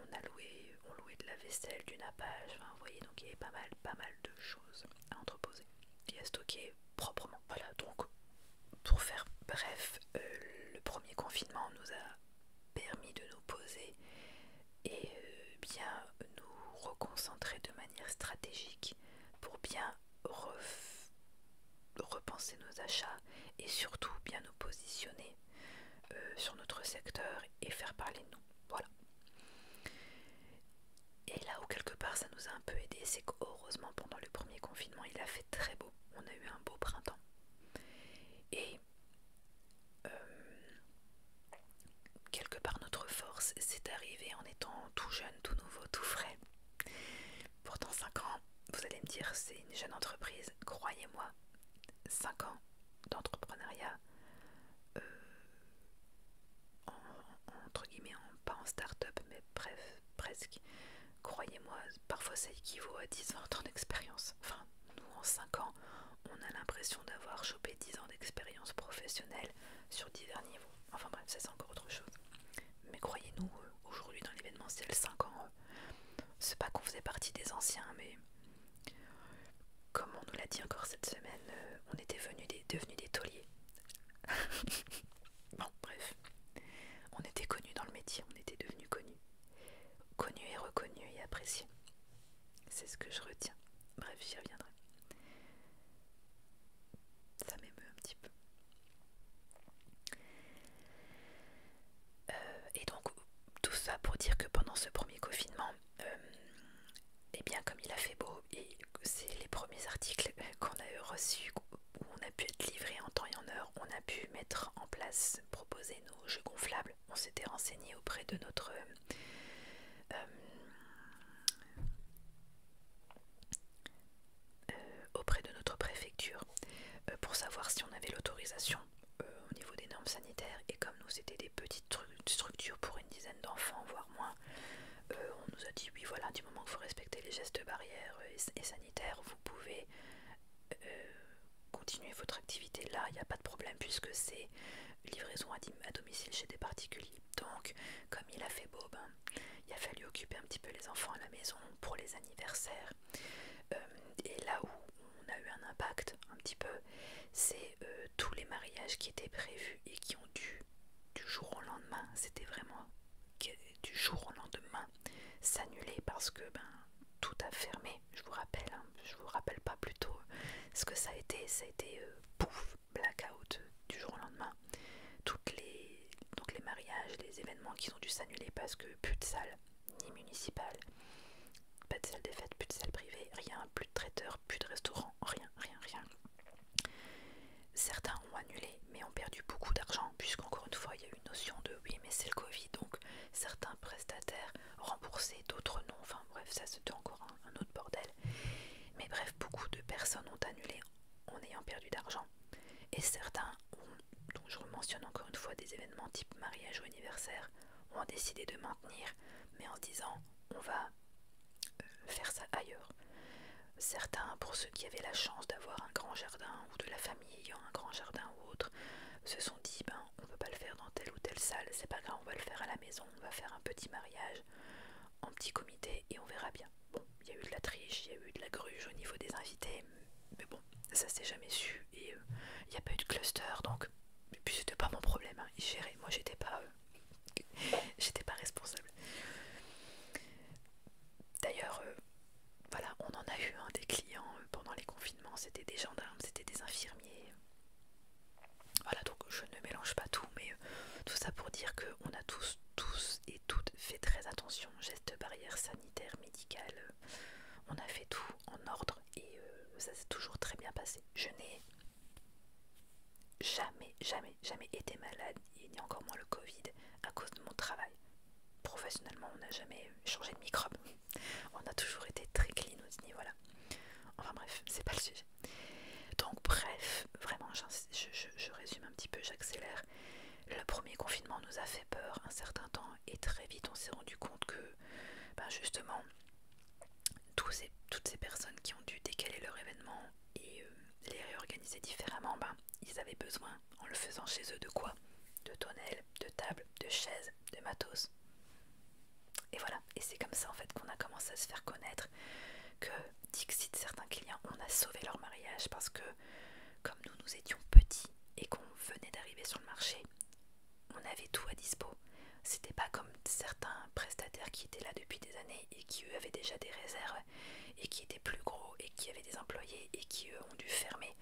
[SPEAKER 1] on, a loué, on louait de la vaisselle, du nappage. Enfin, vous voyez, donc il y avait pas mal, pas mal de choses à entreposer et à stocker proprement. Voilà. Donc pour faire bref, euh, le premier confinement nous a permis de nous poser et euh, bien nous reconcentrer de manière stratégique pour bien repenser nos achats et surtout bien nous positionner euh, sur notre secteur et faire parler de nous. Voilà. Et là où quelque part ça nous a un peu aidé, c'est qu'heureusement pendant le premier confinement il a fait très beau. On a eu un beau printemps. Et euh, quelque part notre force c'est arrivé en étant tout jeune, tout nouveau, tout frais. Pourtant 5 ans, vous allez me dire c'est une jeune entreprise, croyez-moi, 5 ans d'entrepreneuriat, euh, entre guillemets, pas en start-up, mais bref, presque, croyez-moi, parfois ça équivaut à 10-20 ans d'expérience. Enfin, nous en 5 ans, on a l'impression d'avoir 10 ans d'expérience professionnelle sur divers niveaux. Enfin bref, ça c'est encore autre chose. Mais croyez-nous, euh, aujourd'hui dans l'événement l'événementiel 5 ans, euh, c'est pas qu'on faisait partie des anciens, mais comme on nous l'a dit encore cette semaine, euh, on était devenus des tauliers. (laughs) bon, bref. On était connus dans le métier, on était devenus connus. Connus et reconnus et appréciés. C'est ce que je retiens. Bref, j'y reviendrai. Ça m'émeut un petit peu. Euh, et donc, tout ça pour dire que pendant ce premier confinement, et euh, eh bien comme il a fait beau, et c'est les premiers articles (laughs) qu'on a reçus, où on a pu être livrés en temps et en heure, on a pu mettre en place, proposer nos jeux gonflables. On s'était renseigné auprès de notre euh, euh, auprès de notre préfecture euh, pour savoir si on avait l'autorisation euh, au niveau des normes sanitaires et comme nous c'était des petites structures pour une dizaine d'enfants voire moins on nous a dit oui voilà du moment que vous respectez les gestes barrières et, sanitaires vous pouvez continuer votre activité là il n'y a pas de problème puisque c'est livraison à, domicile chez des particuliers. Donc, comme il a fait beau, ben, il a fallu occuper un petit peu les enfants à la maison pour les anniversaires. Euh, et là où on a eu un impact un petit peu, c'est euh, tous les mariages qui étaient prévus et qui ont dû du jour au lendemain, c'était vraiment du jour au lendemain s'annuler parce que ben tout a fermé, je vous rappelle. Hein je vous rappelle pas plutôt euh, ce que ça a été, ça a été euh, pouf, blackout euh, du jour au lendemain. Toutes les, donc les mariages, les événements qui ont dû s'annuler parce que plus de salle, ni municipale, pas de salle des fêtes, plus de salle privée, rien, plus de traiteurs, plus de restaurants, rien, rien, rien. Certains ont annulé mais ont perdu beaucoup d'argent puisqu'encore une fois il y a eu une notion de oui mais c'est le Covid donc certains prestataires rembourser d'autres non, enfin bref, ça c'était encore un, autre bordel. Mais bref, beaucoup de personnes ont annulé en ayant perdu d'argent. Et certains, ont, dont je mentionne encore une fois des événements type mariage ou anniversaire, ont décidé de maintenir, mais en disant on va euh, faire ça ailleurs. Certains, pour ceux qui avaient la chance d'avoir un grand jardin ou de la famille ayant un grand jardin ou autre, se sont dit ben on ne peut pas le faire dans telle ou telle salle, c'est pas grave, on va le faire à la maison, on va faire un petit mariage en petit comité et on verra bien. Bon, il y a eu de la triche, il y a eu de la gruge au niveau des invités, mais bon, ça s'est jamais su et euh, il n'y a pas eu de cluster donc. Et puis c'était pas mon problème, hein, ils moi j'étais pas. Euh, (laughs) j'étais pas responsable. D'ailleurs, euh, voilà, on en a eu un hein, des clients pendant les confinements, c'était des gendarmes, c'était des infirmiers, voilà, donc je ne mélange pas tout, mais euh, tout ça pour dire qu'on a tous, tous et toutes fait très attention, gestes barrières sanitaires, médicales, on a fait tout en ordre et euh, ça s'est toujours très bien passé. Je n'ai jamais, jamais, jamais été malade, ni encore moins le Covid, à cause de mon travail. Professionnellement, on n'a jamais changé de microbe. (laughs) On a toujours été très clean au niveau voilà. Enfin bref, c'est pas le sujet. Donc bref, vraiment, je, résume un petit peu, j'accélère. Le premier confinement nous a fait peur un certain temps et très vite on s'est rendu compte que, ben, justement, toutes ces personnes qui ont dû décaler leur événement et euh, les réorganiser différemment, ben, ils avaient besoin, en le faisant chez eux, de quoi De tonnelles, de tables, de chaises, de matos. Et voilà, et c'est comme ça en fait qu'on a commencé à se faire connaître, que Dixit, certains clients, on a sauvé leur mariage parce que comme nous nous étions petits et qu'on venait d'arriver sur le marché, on avait tout à dispo. C'était pas comme certains prestataires qui étaient là depuis des années et qui eux avaient déjà des réserves et qui étaient plus gros et qui avaient des employés et qui eux ont dû fermer.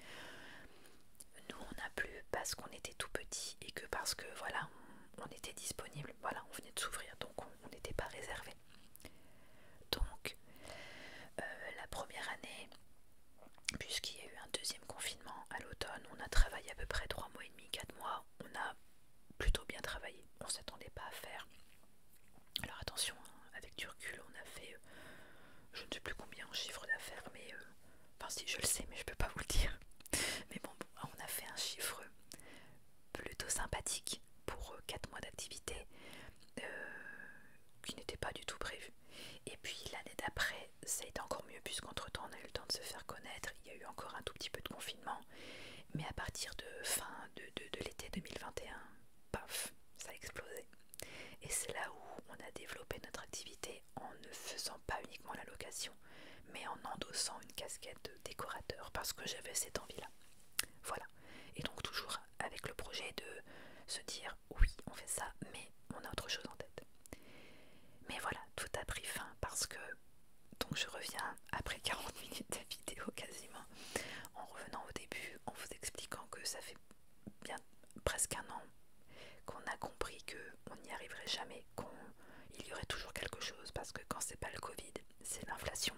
[SPEAKER 1] Nous on n'a plus parce qu'on était tout petits et que parce que voilà on était disponible, voilà, on venait de s'ouvrir, donc on n'était pas réservé. Donc, euh, la première année, puisqu'il y a eu un deuxième confinement à l'automne, on a travaillé à peu près 3 mois et demi, 4 mois, on a plutôt bien travaillé, on ne s'attendait pas à faire. Alors attention, hein, avec du on a fait, euh, je ne sais plus combien en chiffre d'affaires, mais... Euh, enfin si, je le sais, mais je peux pas vous le dire. (laughs) Mais on a fait un chiffre plutôt sympathique pour 4 euh, mois d'activité euh, qui n'était pas du tout prévu. Et puis l'année d'après, ça a été encore mieux puisqu'entre-temps on a eu le temps de se faire connaître, il y a eu encore un tout petit peu de confinement, mais à partir de fin de, de l'été 2021, paf, ça a explosé. Et c'est là où on a développé notre activité en ne faisant pas uniquement la location mais en endossant une casquette de décorateur parce que j'avais cette envie-là. Voilà. Et donc toujours avec le projet de se dire oui, on fait ça, mais on a autre chose en tête. Mais voilà, tout a pris fin parce que donc je reviens après 40 (laughs) minutes de vidéo quasiment, en revenant au début, en vous expliquant que ça fait bien presque un an qu'on a compris que on n'y arriverait jamais qu'il y aurait toujours quelque chose parce que quand c'est pas le Covid, c'est l'inflation,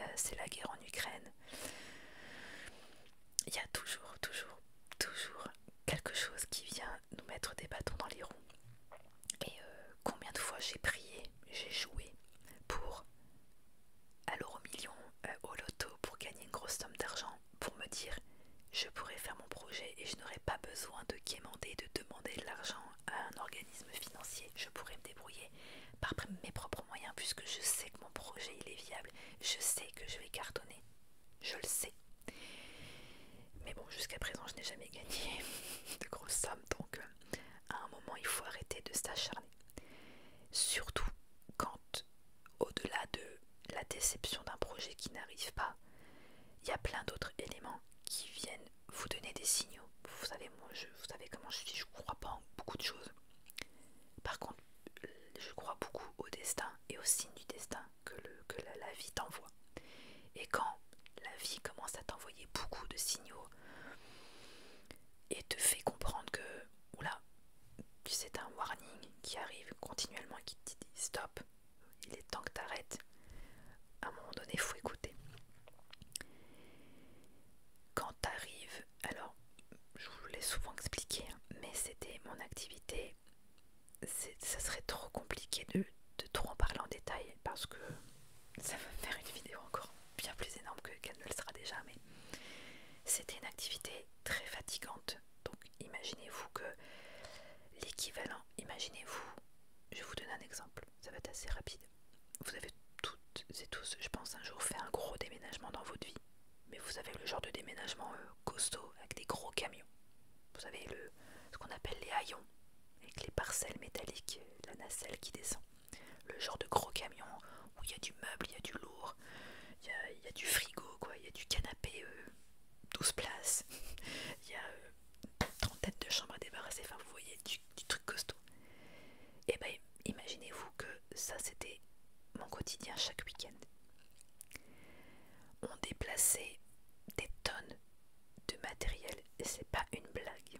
[SPEAKER 1] euh, c'est la guerre en Ukraine. Il y a toujours, toujours, toujours quelque chose qui vient nous mettre des bâtons dans les roues. Et euh, combien de fois j'ai prié, j'ai joué pour à au million, euh, au loto, pour gagner une grosse somme d'argent, pour me dire je pourrais faire mon projet et je n'aurais pas besoin de quémander, de demander de l'argent, un organisme financier, je pourrais me débrouiller par mes propres moyens puisque je sais que mon projet il est viable, je sais que je vais cartonner, je le sais. Mais bon, jusqu'à présent, je n'ai jamais gagné (laughs) de grosses sommes, donc euh, à un moment, il faut arrêter de s'acharner. Surtout quand, au-delà de la déception d'un projet qui n'arrive pas, il y a plein d'autres éléments qui viennent vous donner des signaux. Vous savez, moi, je, vous savez comment je suis, je ne crois pas en beaucoup de choses. Par contre, je crois beaucoup au destin et au signe du destin que, la, vie t'envoie. Et quand la vie commence à t'envoyer beaucoup de signaux et te fait comprendre que, oula, c'est un warning qui arrive continuellement qui te dit stop, il est temps que t'arrêtes. À un moment donné, faut écouter. Quand arrives, alors je vous l'ai souvent expliqué, hein, mais c'était mon activité. Ça serait trop compliqué de, trop en parler en détail parce que ça va faire une vidéo encore bien plus énorme qu'elle ne le sera déjà, mais c'était une activité très fatigante. Donc imaginez-vous que l'équivalent, imaginez-vous, je vous donne un exemple ça va être assez rapide. Vous avez toutes et tous, je pense, un jour fait un gros déménagement dans votre vie. Mais vous avez le genre de déménagement euh, costaud avec des gros camions. Vous avez le, ce qu'on appelle les haillons, avec les parcelles métalliques, euh, la nacelle qui descend. Le genre de gros camion où il y a du meuble, il y a du lourd, il y a, du frigo, quoi, il y a du canapé 12 euh, places, (laughs) il y a en tête de chambre à débarrasser, enfin vous voyez, du, truc costaud. Et eh ben imaginez-vous que ça c'était mon quotidien chaque week-end. On déplaçait des tonnes de matériel et c'est pas une blague.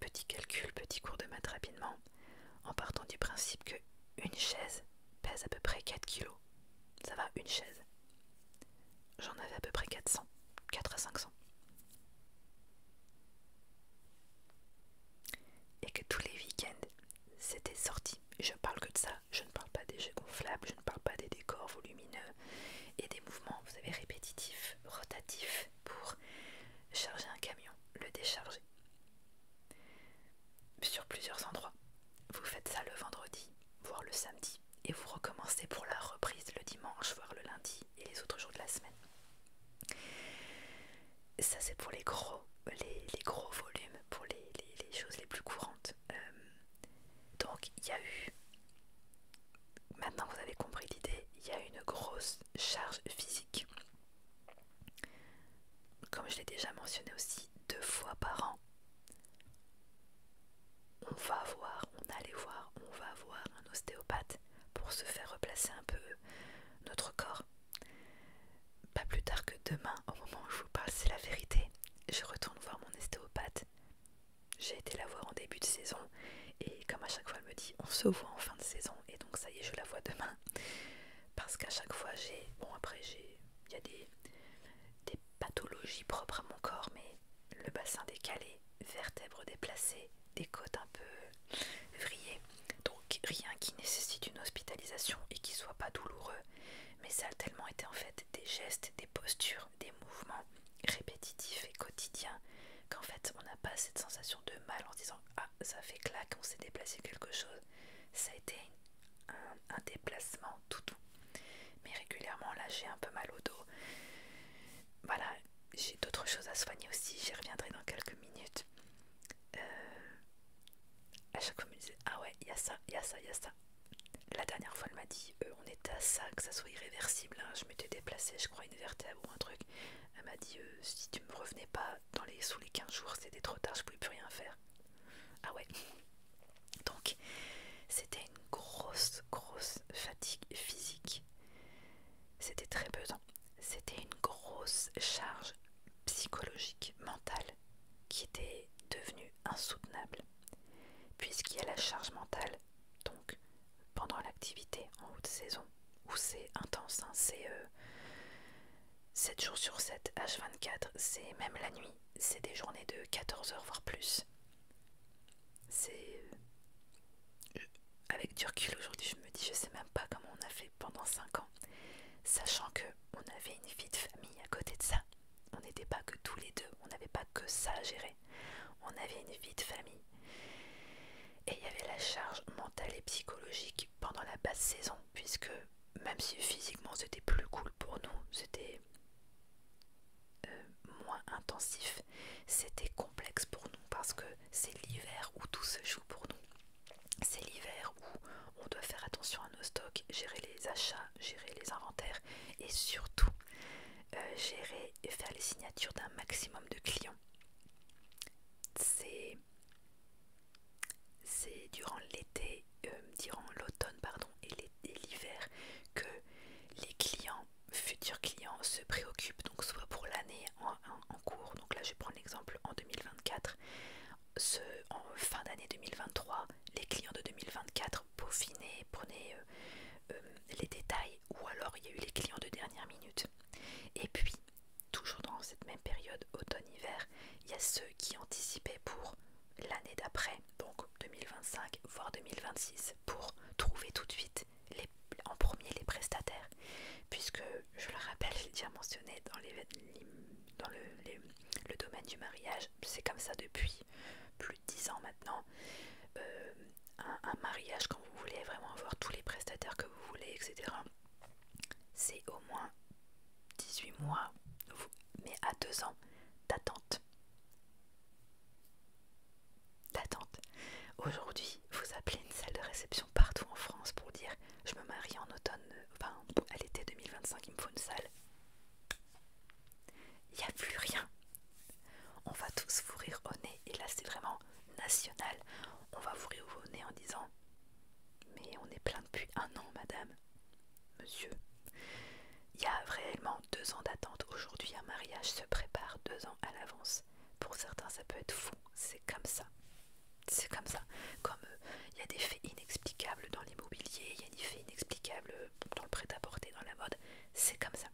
[SPEAKER 1] Petit calcul, petit cours de maths rapidement, en partant du principe que une chaise pèse à peu près 4 kilos. Ça va, une chaise j'en avais à peu près 400, 4 à 500. Et que tous les week-ends, c'était sorti. Je parle que de ça, je ne parle pas des jeux gonflables, je ne parle pas des décors volumineux et des mouvements, vous savez, répétitifs, rotatifs, pour charger un camion, le décharger. Sur plusieurs endroits. Vous faites ça le vendredi, voire le samedi, et vous recommencez pour la reprise le dimanche, voire le lundi et les autres jours de la semaine. Ça c'est pour les gros, les, gros volumes, pour les, choses les plus courantes. Euh, donc il y a eu, maintenant vous avez compris l'idée, il y a une grosse charge physique. Comme je l'ai déjà mentionné aussi, deux fois par an, on va voir, on allait voir, on va voir un ostéopathe pour se faire replacer un peu notre corps. Pas plus tard que demain, au moment où je vous parle, c'est la vérité. Je retourne voir mon ostéopathe. J'ai été la voir en début de saison et comme à chaque fois elle me dit on se voit en fin de saison et donc ça y est je la vois demain parce qu'à chaque fois j'ai bon après j'ai il y a des, des pathologies propres à mon corps mais le bassin décalé, vertèbres déplacées, des côtes un peu vrillées. Donc rien qui nécessite une hospitalisation et qui soit pas douloureux. Mais ça a tellement été en fait des gestes, des postures, des mouvements répétitifs et quotidiens qu'en fait on n'a pas cette sensation de mal en disant ah ça fait claque, on s'est déplacé quelque chose. Ça a été un, déplacement tout, tout mais régulièrement, là, j'ai un peu mal au dos. Voilà, j'ai d'autres choses à soigner aussi, j'y reviendrai dans quelques minutes. Euh, à chaque fois, elle me disait, Ah ouais, il y a ça, il y a ça, il y a ça. La dernière fois, elle m'a dit euh, On était à ça, que ça soit irréversible. Hein. Je m'étais déplacée, je crois, une vertèbre ou un truc. Elle m'a dit euh, Si tu me revenais pas dans les, sous les 15 jours, c'était trop tard, je pouvais plus rien faire. Ah ouais. Donc, c'était une grosse, grosse fatigue physique. C'était très pesant. C'était une grosse charge psychologique, mentale, qui était devenue insoutenable. Puisqu'il y a la charge mentale, donc pendant l'activité en haute saison, où c'est intense, hein, c'est 7 euh, jours sur 7, H24, c'est même la nuit, c'est des journées de 14 heures voire plus, c'est. Euh, avec du aujourd'hui, je me dis, je sais même pas comment on a fait pendant 5 ans, sachant que on avait une vie de famille à côté de ça. On n'était pas que tous les deux, on n'avait pas que ça à gérer. On avait une vie de famille. Et il y avait la charge mentale et psychologique pendant la basse saison, puisque même si physiquement c'était plus cool pour nous, c'était euh, moins intensif, c'était complexe pour nous parce que c'est l'hiver où tout se joue pour nous. C'est l'hiver où on doit faire attention à nos stocks, gérer les achats, gérer les inventaires et surtout euh, gérer et faire les signatures d'un maximum de clients. C'est durant l'été, euh, durant l'automne pardon et l'hiver que les clients futurs clients se préoccupent donc soit pour l'année en, cours, donc là je prends l'exemple en 2024, ce, en fin d'année 2023, les clients de 2024 peaufinaient, prenez euh, euh, les détails, ou alors il y a eu les clients de dernière minute. Et puis, toujours dans cette même période, automne-hiver, il y a ceux qui anticipaient pour l'année d'après, donc 2025, voire 2026, pour trouver tout de suite en premier les prestataires, puisque je le rappelle, l'ai déjà mentionné dans, les, dans le, domaine du mariage, c'est comme ça depuis plus de 10 ans maintenant. Euh, un, un mariage, quand vous voulez vraiment avoir tous les prestataires que vous voulez, etc., c'est au moins 18 mois, mais à 2 ans d'attente. D'attente. Aujourd'hui, vous appelez une salle de réception partout en France pour dire je me marie en automne, enfin à l'été 2025, il me faut une salle. Il n'y a plus rien. On va tous vous rire au nez, et là c'est vraiment national. On va vous rire au nez en disant Mais on est plein depuis un an, madame, monsieur. Il y a réellement deux ans d'attente. Aujourd'hui, un mariage se prépare deux ans à l'avance. Pour certains, ça peut être fou. C'est comme ça. C'est comme ça. Comme euh, il y a des faits inexplicables dans l'immobilier, il y a des faits inexplicables euh, dans le prêt-à-porter, dans la mode. C'est comme ça.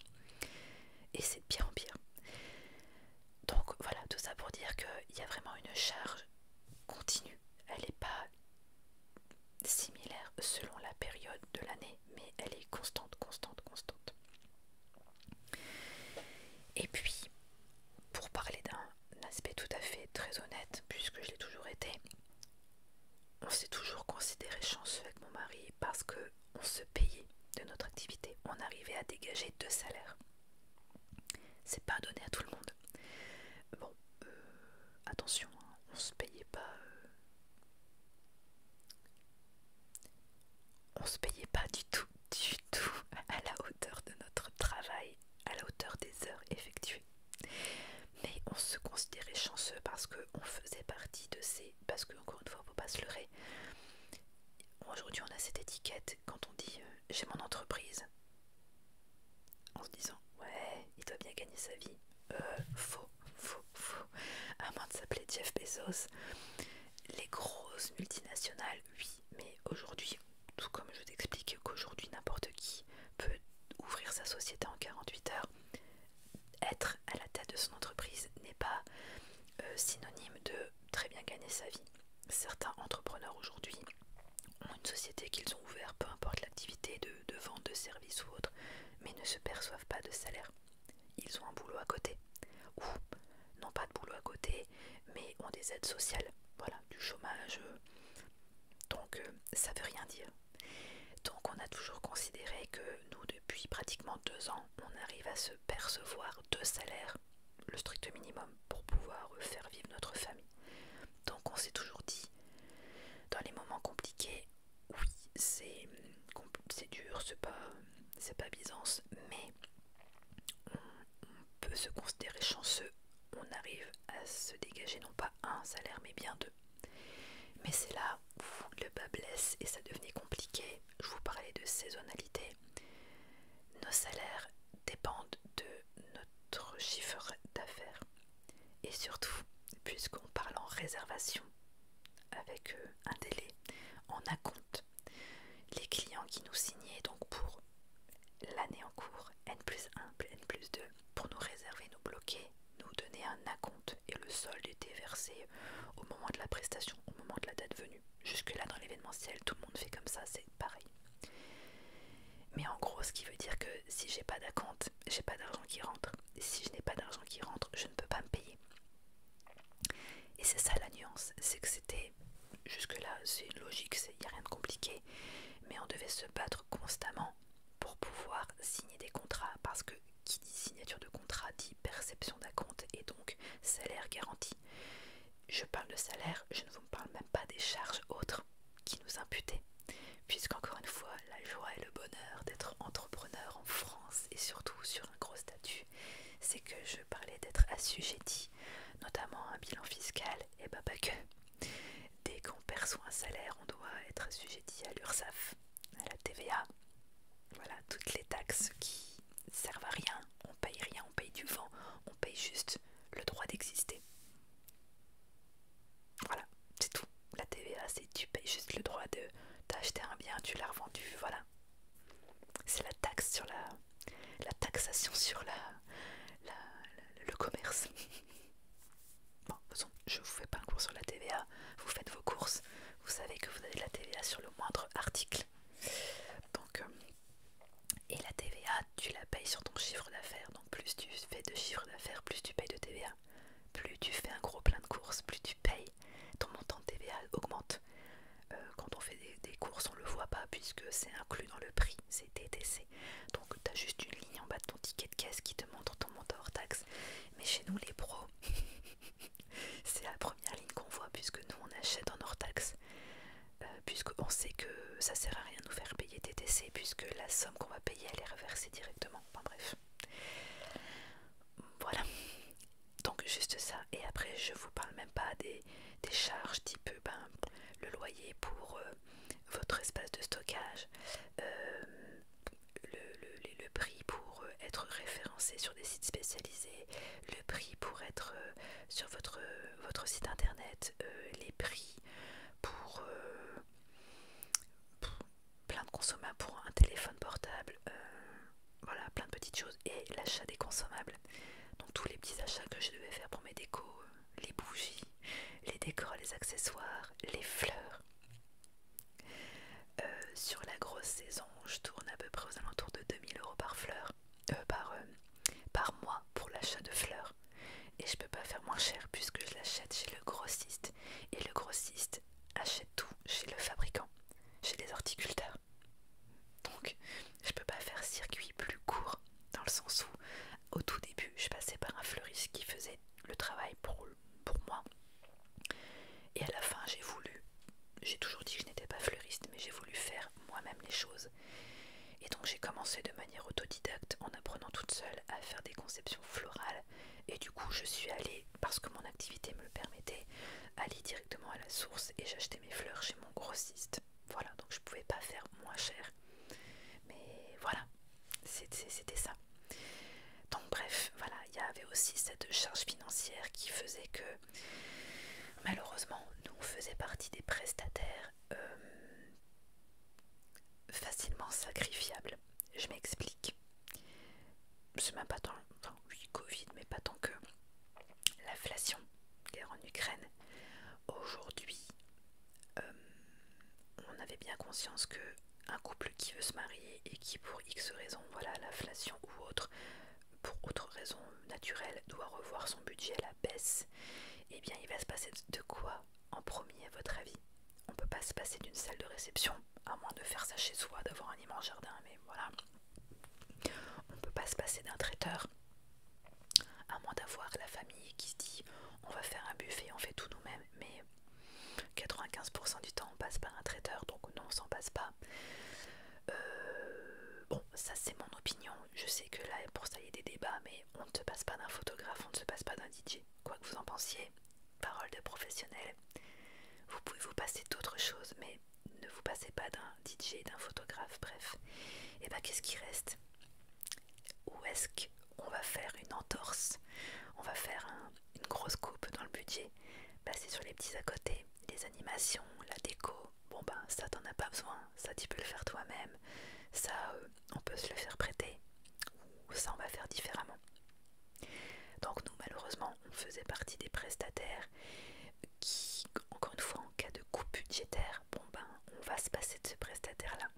[SPEAKER 1] Et c'est de pire en pire. Donc voilà, tout ça pour dire qu'il y a vraiment une charge continue. Elle n'est pas similaire selon la période de l'année mais elle est constante, constante, constante. Et puis, pour parler d'un aspect tout à fait très honnête, puisque je l'ai toujours été, on s'est toujours considéré chanceux avec mon mari parce que on se payait de notre activité, on arrivait à dégager deux salaires. C'est pas donné à tout le monde. Bon, euh, attention, hein, on se payait pas euh, on se payait pas du tout, du tout à la hauteur de notre travail, à la hauteur des heures effectuées. Mais on se considérait chanceux parce qu'on faisait partie de ces. Parce que, encore une fois, faut pas se leurrer. Aujourd'hui, on a cette étiquette quand on dit euh, j'ai mon entreprise en se disant ouais, il doit bien gagner sa vie. Euh, faux fou, à Avant de s'appeler Jeff Bezos, les grosses multinationales, oui, mais aujourd'hui, tout comme je vous t'explique qu'aujourd'hui n'importe qui peut ouvrir sa société en 48 heures, être à la tête de son entreprise n'est pas euh, synonyme de très bien gagner sa vie. Certains entrepreneurs aujourd'hui ont une société qu'ils ont ouverte, peu importe l'activité de, de vente de services ou autre, mais ne se perçoivent pas de salaire ils ont un boulot à côté. Ou non pas de boulot à côté, mais ont des aides sociales. Voilà, du chômage. Donc euh, ça veut rien dire. Donc on a toujours considéré que nous, depuis pratiquement deux ans, on arrive à se percevoir deux salaires, le strict minimum, pour pouvoir euh, faire vivre notre famille. Donc on s'est toujours dit, dans les moments compliqués, oui, c'est dur, c'est pas, pas Byzance, mais on, peut se considérer chanceux, on arrive à se dégager non pas un salaire, mais bien deux. Mais c'est là où le bas blesse et ça devenait compliqué. Je vous parlais de saisonnalité. Nos salaires dépendent de notre chiffre d'affaires. Et surtout, puisqu'on parle en réservation, avec euh, un délai en acompte. Les clients qui nous signaient donc pour l'année en cours, N plus 1, N plus 2, pour nous réserver, nous bloquer, nous donner un acompte et le solde était versé au moment de la prestation, au moment de la date venue. Jusque-là, dans l'événementiel, tout le monde fait comme ça, c'est pareil. Mais en gros, ce qui veut dire que si j'ai pas d'acompte, j'ai pas d'argent qui rentre. si je n'ai pas d'argent qui rentre, je ne peux pas me payer. Et c'est ça la nuance, c'est que c'était jusque-là, c'est une logique, il n'y a rien de compliqué, mais on devait se battre constamment pour pouvoir signer des contrats, parce que qui dit signature de contrat dit perception d'un compte et donc salaire garanti. Je parle de salaire, je ne vous parle même pas des charges autres qui nous imputaient, puisqu'encore une fois, la joie et le bonheur d'être entrepreneur en France et surtout sur un gros statut c'est que je parlais d'être assujetti, notamment à un bilan fiscal, et bah pas que. Dès qu'on perçoit un salaire, on doit être assujetti à l'URSSAF, à la TVA, voilà, toutes les taxes qui servent à rien, on paye rien, on paye du vent, on paye juste le droit d'exister. Voilà, c'est tout. La TVA, c'est tu payes juste le droit de t'acheter un bien, tu l'as revendu, voilà. C'est la taxe sur la, la taxation sur la, le commerce. (laughs) bon, je vous fais pas un cours sur la TVA. Vous faites vos courses. Vous savez que vous avez la TVA sur le moindre article. Donc, euh, et la TVA, tu la payes sur ton chiffre d'affaires. Donc, plus tu fais de chiffre d'affaires, plus tu payes de TVA. Plus tu fais un gros plein de courses, plus tu payes ton montant de TVA augmente. Euh, quand on fait des, courses, on le voit pas puisque c'est inclus dans le prix, c'est TTC. Donc t'as juste une ligne en bas de ton ticket de caisse qui te montre ton montant hors taxe. Mais chez nous, les pros, (laughs) c'est la première ligne qu'on voit puisque nous on achète en hors taxe. Euh, puisque on sait que ça sert à rien de nous faire payer TTC, puisque la somme qu'on va payer elle est reversée directement. Enfin bref, voilà donc juste ça et après je vous parle même pas des, charges type ben, le loyer pour euh, votre espace de stockage euh, le, prix pour euh, être référencé sur des sites spécialisés le prix pour être sur votre, site internet les prix pour, plein de consommateurs pour un téléphone portable voilà, plein de petites choses et l'achat des consommables. Donc tous les petits achats que je devais faire pour mes décos, euh, les bougies, les décors, les accessoires, les fleurs. Euh, sur la grosse saison, je tourne à peu près aux alentours de 2000 euros par fleur, euh, par, par mois pour l'achat de fleurs. Et je peux pas faire moins cher puisque je l'achète chez le grossiste. Et le grossiste achète tout chez le fabricant, chez les horticulteurs. Donc, je peux pas faire circuit plus court, dans le sens où, au tout début, je passais par un fleuriste qui faisait le travail pour, pour moi. Et à la fin, j'ai voulu, j'ai toujours dit que je n'étais pas fleuriste, mais j'ai voulu faire moi-même les choses. Et donc, j'ai commencé de manière autodidacte en apprenant toute seule à faire des conceptions florales. Et du coup, je suis allée, parce que mon activité me le permettait, aller directement à la source et j'achetais mes fleurs chez mon grossiste. Voilà, donc je pouvais pas faire moins cher. Mais voilà, c'était ça. Donc bref, voilà, il y avait aussi cette charge financière qui faisait que malheureusement nous faisions partie des prestataires euh, facilement sacrifiables. Je m'explique c'est même pas tant, enfin oui, Covid, mais pas tant que l'inflation, guerre en Ukraine, aujourd'hui, euh, on avait bien conscience que un couple qui veut se marier et qui pour X raisons, voilà, l'inflation ou autre, pour autre raison naturelle, doit revoir son budget à la baisse, eh bien il va se passer de quoi en premier à votre avis On peut pas se passer d'une salle de réception, à moins de faire ça chez soi, d'avoir un immense jardin, mais voilà. On ne peut pas se passer d'un traiteur, à moins d'avoir la famille qui se dit on va faire un buffet, on fait tout nous-mêmes, mais 95% du temps on passe par un traiteur, donc non, on s'en passe pas. Euh, bon, ça c'est mon opinion, je sais que là pour ça y a des débats, mais on ne se passe pas d'un photographe, on ne se passe pas d'un DJ, quoi que vous en pensiez, parole de professionnel. Vous pouvez vous passer d'autres choses, mais ne vous passez pas d'un DJ, d'un photographe, bref, et eh bien qu'est-ce qui reste Où est-ce qu'on va faire une entorse On va faire une grosse coupe dans le budget Passer sur les petits à côté, les animations, la déco. Bon ben ça t'en as pas besoin, ça tu peux le faire toi-même, ça euh, on peut se le faire prêter, ou ça on va faire différemment. Donc nous malheureusement on faisait partie des prestataires qui, encore une fois, en cas de coupe budgétaire, bon ben, on va se passer de ce prestataire-là.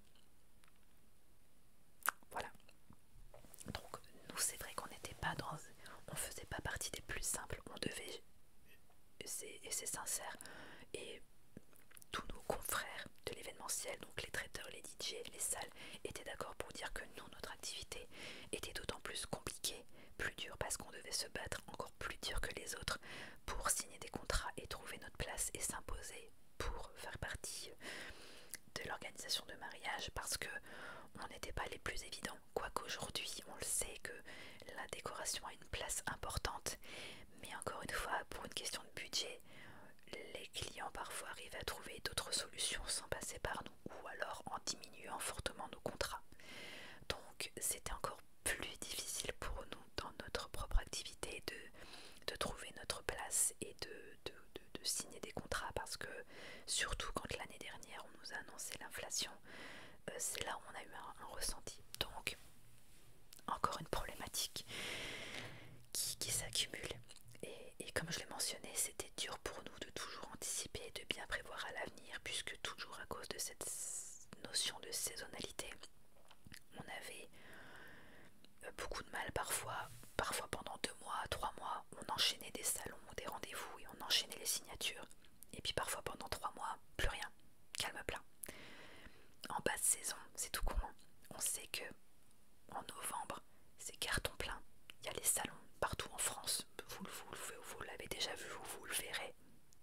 [SPEAKER 1] Voilà. Donc, nous, c'est vrai qu'on n'était pas dans... On faisait pas partie des plus simples. On devait... Et c'est sincère. Et tous nos confrères de l'événementiel, donc les traiteurs, les DJ, les salles, étaient d'accord pour dire que nous, notre activité était d'autant plus compliquée plus dur parce qu'on devait se battre encore plus dur que les autres pour signer des contrats et trouver notre place et s'imposer pour faire partie de l'organisation de mariage parce que on n'était pas les plus évidents. qu'aujourd'hui on le sait que la décoration a une place importante, mais encore une fois, pour une question de budget, les clients parfois arrivent à trouver d'autres solutions sans passer par ou alors en diminuant fortement nos contrats. Donc c'était encore plus difficile pour nous dans notre propre activité de, trouver notre place et de, signer des contrats parce que surtout quand l'année dernière on nous a annoncé l'inflation, euh, c'est là où on a eu un, ressenti. Donc encore une problématique qui, s'accumule. Et, et comme je l'ai mentionné, c'était dur pour nous de toujours anticiper et de bien prévoir à l'avenir puisque toujours à cause de cette notion de saisonnalité, on avait euh, beaucoup de mal parfois, parfois pendant deux mois, trois mois, on enchaînait des salons, des rendez-vous et on enchaînait les signatures. Et puis parfois pendant trois mois, plus rien, calme plein. En de saison, c'est tout courant hein. On sait que en novembre, c'est carton plein. Il y a les salons partout en France. Vous, vous, vous, vous l'avez déjà vu, vous le verrez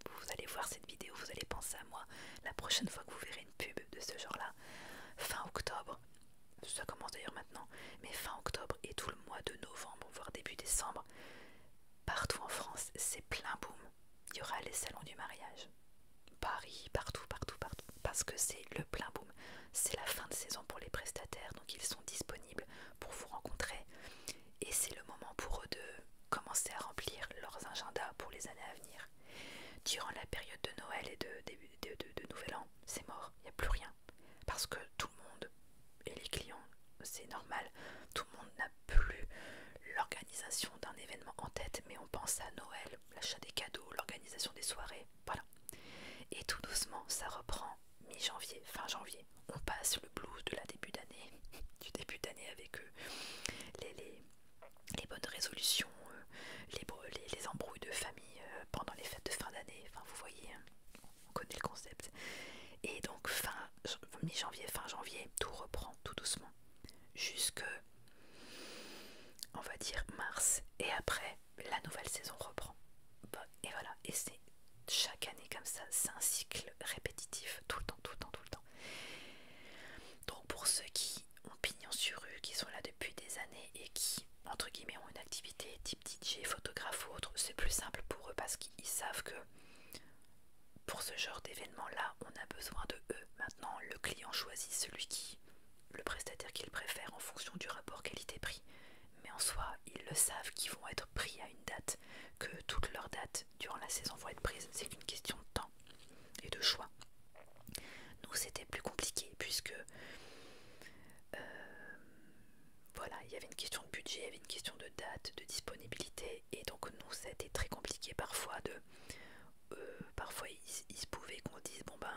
[SPEAKER 1] vous allez voir cette vidéo, vous allez penser à moi la prochaine fois que vous verrez une pub de ce genre-là. Fin octobre, ça commence d'ailleurs maintenant, mais fin octobre et tout le mois de novembre, voire début décembre, partout en France, c'est plein boom. Il y aura les salons du mariage. Paris, partout, partout, partout. Parce que c'est le plein boom. C'est la fin de saison pour les prestataires, donc ils sont disponibles pour vous rencontrer et c'est le moment pour eux de commencer à remplir leurs agendas pour les années à venir. Durant la période de Noël et de, Nouvel An, c'est mort, il n'y a plus rien. Parce que tout le monde, et les clients, c'est normal, tout le monde n'a plus l'organisation d'un événement en tête, mais on pense à Noël, l'achat des cadeaux, l'organisation des soirées, voilà. Et tout doucement, ça reprend mi-janvier, fin janvier, on passe le blues de la début d'année, (laughs) du début d'année avec euh, les, bonnes résolutions, euh, les, les, les embrouilles de famille euh, pendant les fêtes de fin d'année, enfin vous voyez, hein, on connaît le concept. Et donc fin mi-janvier, fin janvier, tout reprend tout doucement, jusque on va dire mars, et après la nouvelle saison reprend et voilà. Et c'est chaque année comme ça, c'est un cycle répétitif, tout le temps, tout le temps, tout le temps. Donc pour ceux qui ont pignon sur eux, qui sont là depuis des années et qui, entre guillemets, ont une activité type DJ, photographe ou autre, c'est plus simple pour eux parce qu'ils savent que pour ce genre d'événement-là, on a besoin de eux. Maintenant, le client choisit celui qui, le prestataire qu'il préfère en fonction du rapport qualité-prix. Mais en soi, ils le savent qu'ils vont être pris à date, que toutes leurs dates durant la saison vont être prises, c'est qu'une question de temps et de choix. Nous c'était plus compliqué puisque euh, voilà, il y avait une question de budget, il y avait une question de date, de disponibilité, et donc nous c'était très compliqué parfois de euh, parfois il, se pouvait qu'on dise bon ben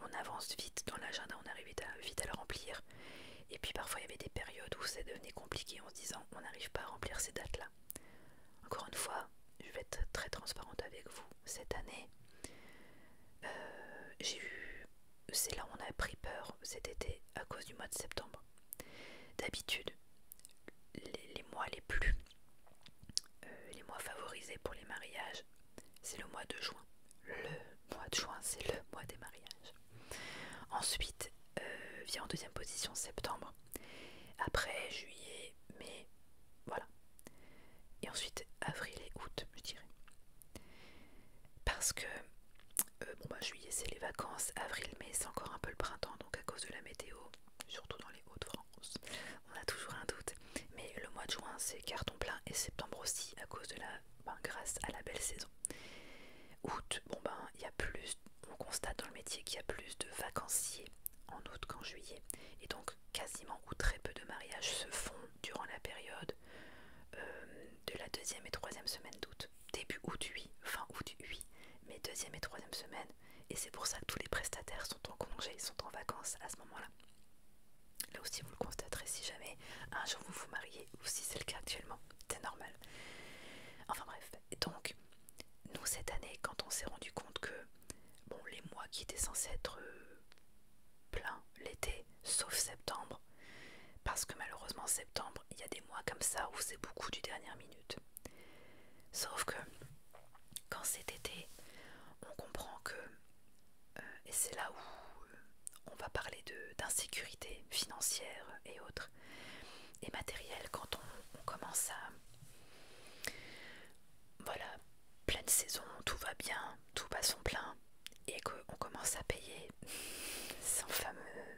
[SPEAKER 1] on avance vite dans l'agenda, on arrive à, vite à le remplir et puis parfois il y avait des périodes où ça devenait compliqué en se disant on n'arrive pas à remplir ces dates-là. Encore une fois, je vais être très transparente avec vous. Cette année, euh, j'ai eu. C'est là où on a pris peur cet été à cause du mois de septembre. D'habitude, les, mois les plus. Euh, les mois favorisés pour les mariages, c'est le mois de juin. Le mois de juin, c'est le mois des mariages. Ensuite euh, vient en deuxième position septembre. Après juillet, mai, voilà. Et ensuite avril et août, je dirais. Parce que euh, bon bah, juillet c'est les vacances, avril, mai c'est encore un peu le printemps, donc à cause de la météo, surtout dans les Hauts-de-France, on a toujours un doute. Mais le mois de juin c'est carton plein et septembre aussi à cause de la ben, grâce à la belle saison. Août, bon ben, il y a plus, on constate dans le métier qu'il y a plus de vacanciers en août qu'en juillet. Et donc quasiment ou très peu de mariages se font durant la période euh, de la deuxième et troisième semaine d'août. Début août, 8, fin août, 8, mais deuxième et troisième semaine. Et c'est pour ça que tous les prestataires sont en congé, sont en vacances à ce moment-là. Là aussi, vous le constaterez si jamais un jour vous vous mariez, ou si c'est le cas actuellement, c'est normal. Enfin bref, donc, nous, cette année, quand on s'est rendu compte que bon, les mois qui étaient censés être euh, pleins l'été, sauf septembre, parce que malheureusement, septembre, il y a des mois comme ça où c'est beaucoup du dernière minute. Sauf que quand c'est été, on comprend que, euh, et c'est là où euh, on va parler d'insécurité financière et autres et matériel, quand on, commence à... Voilà, pleine saison, tout va bien, tout va son plein, et qu'on commence à payer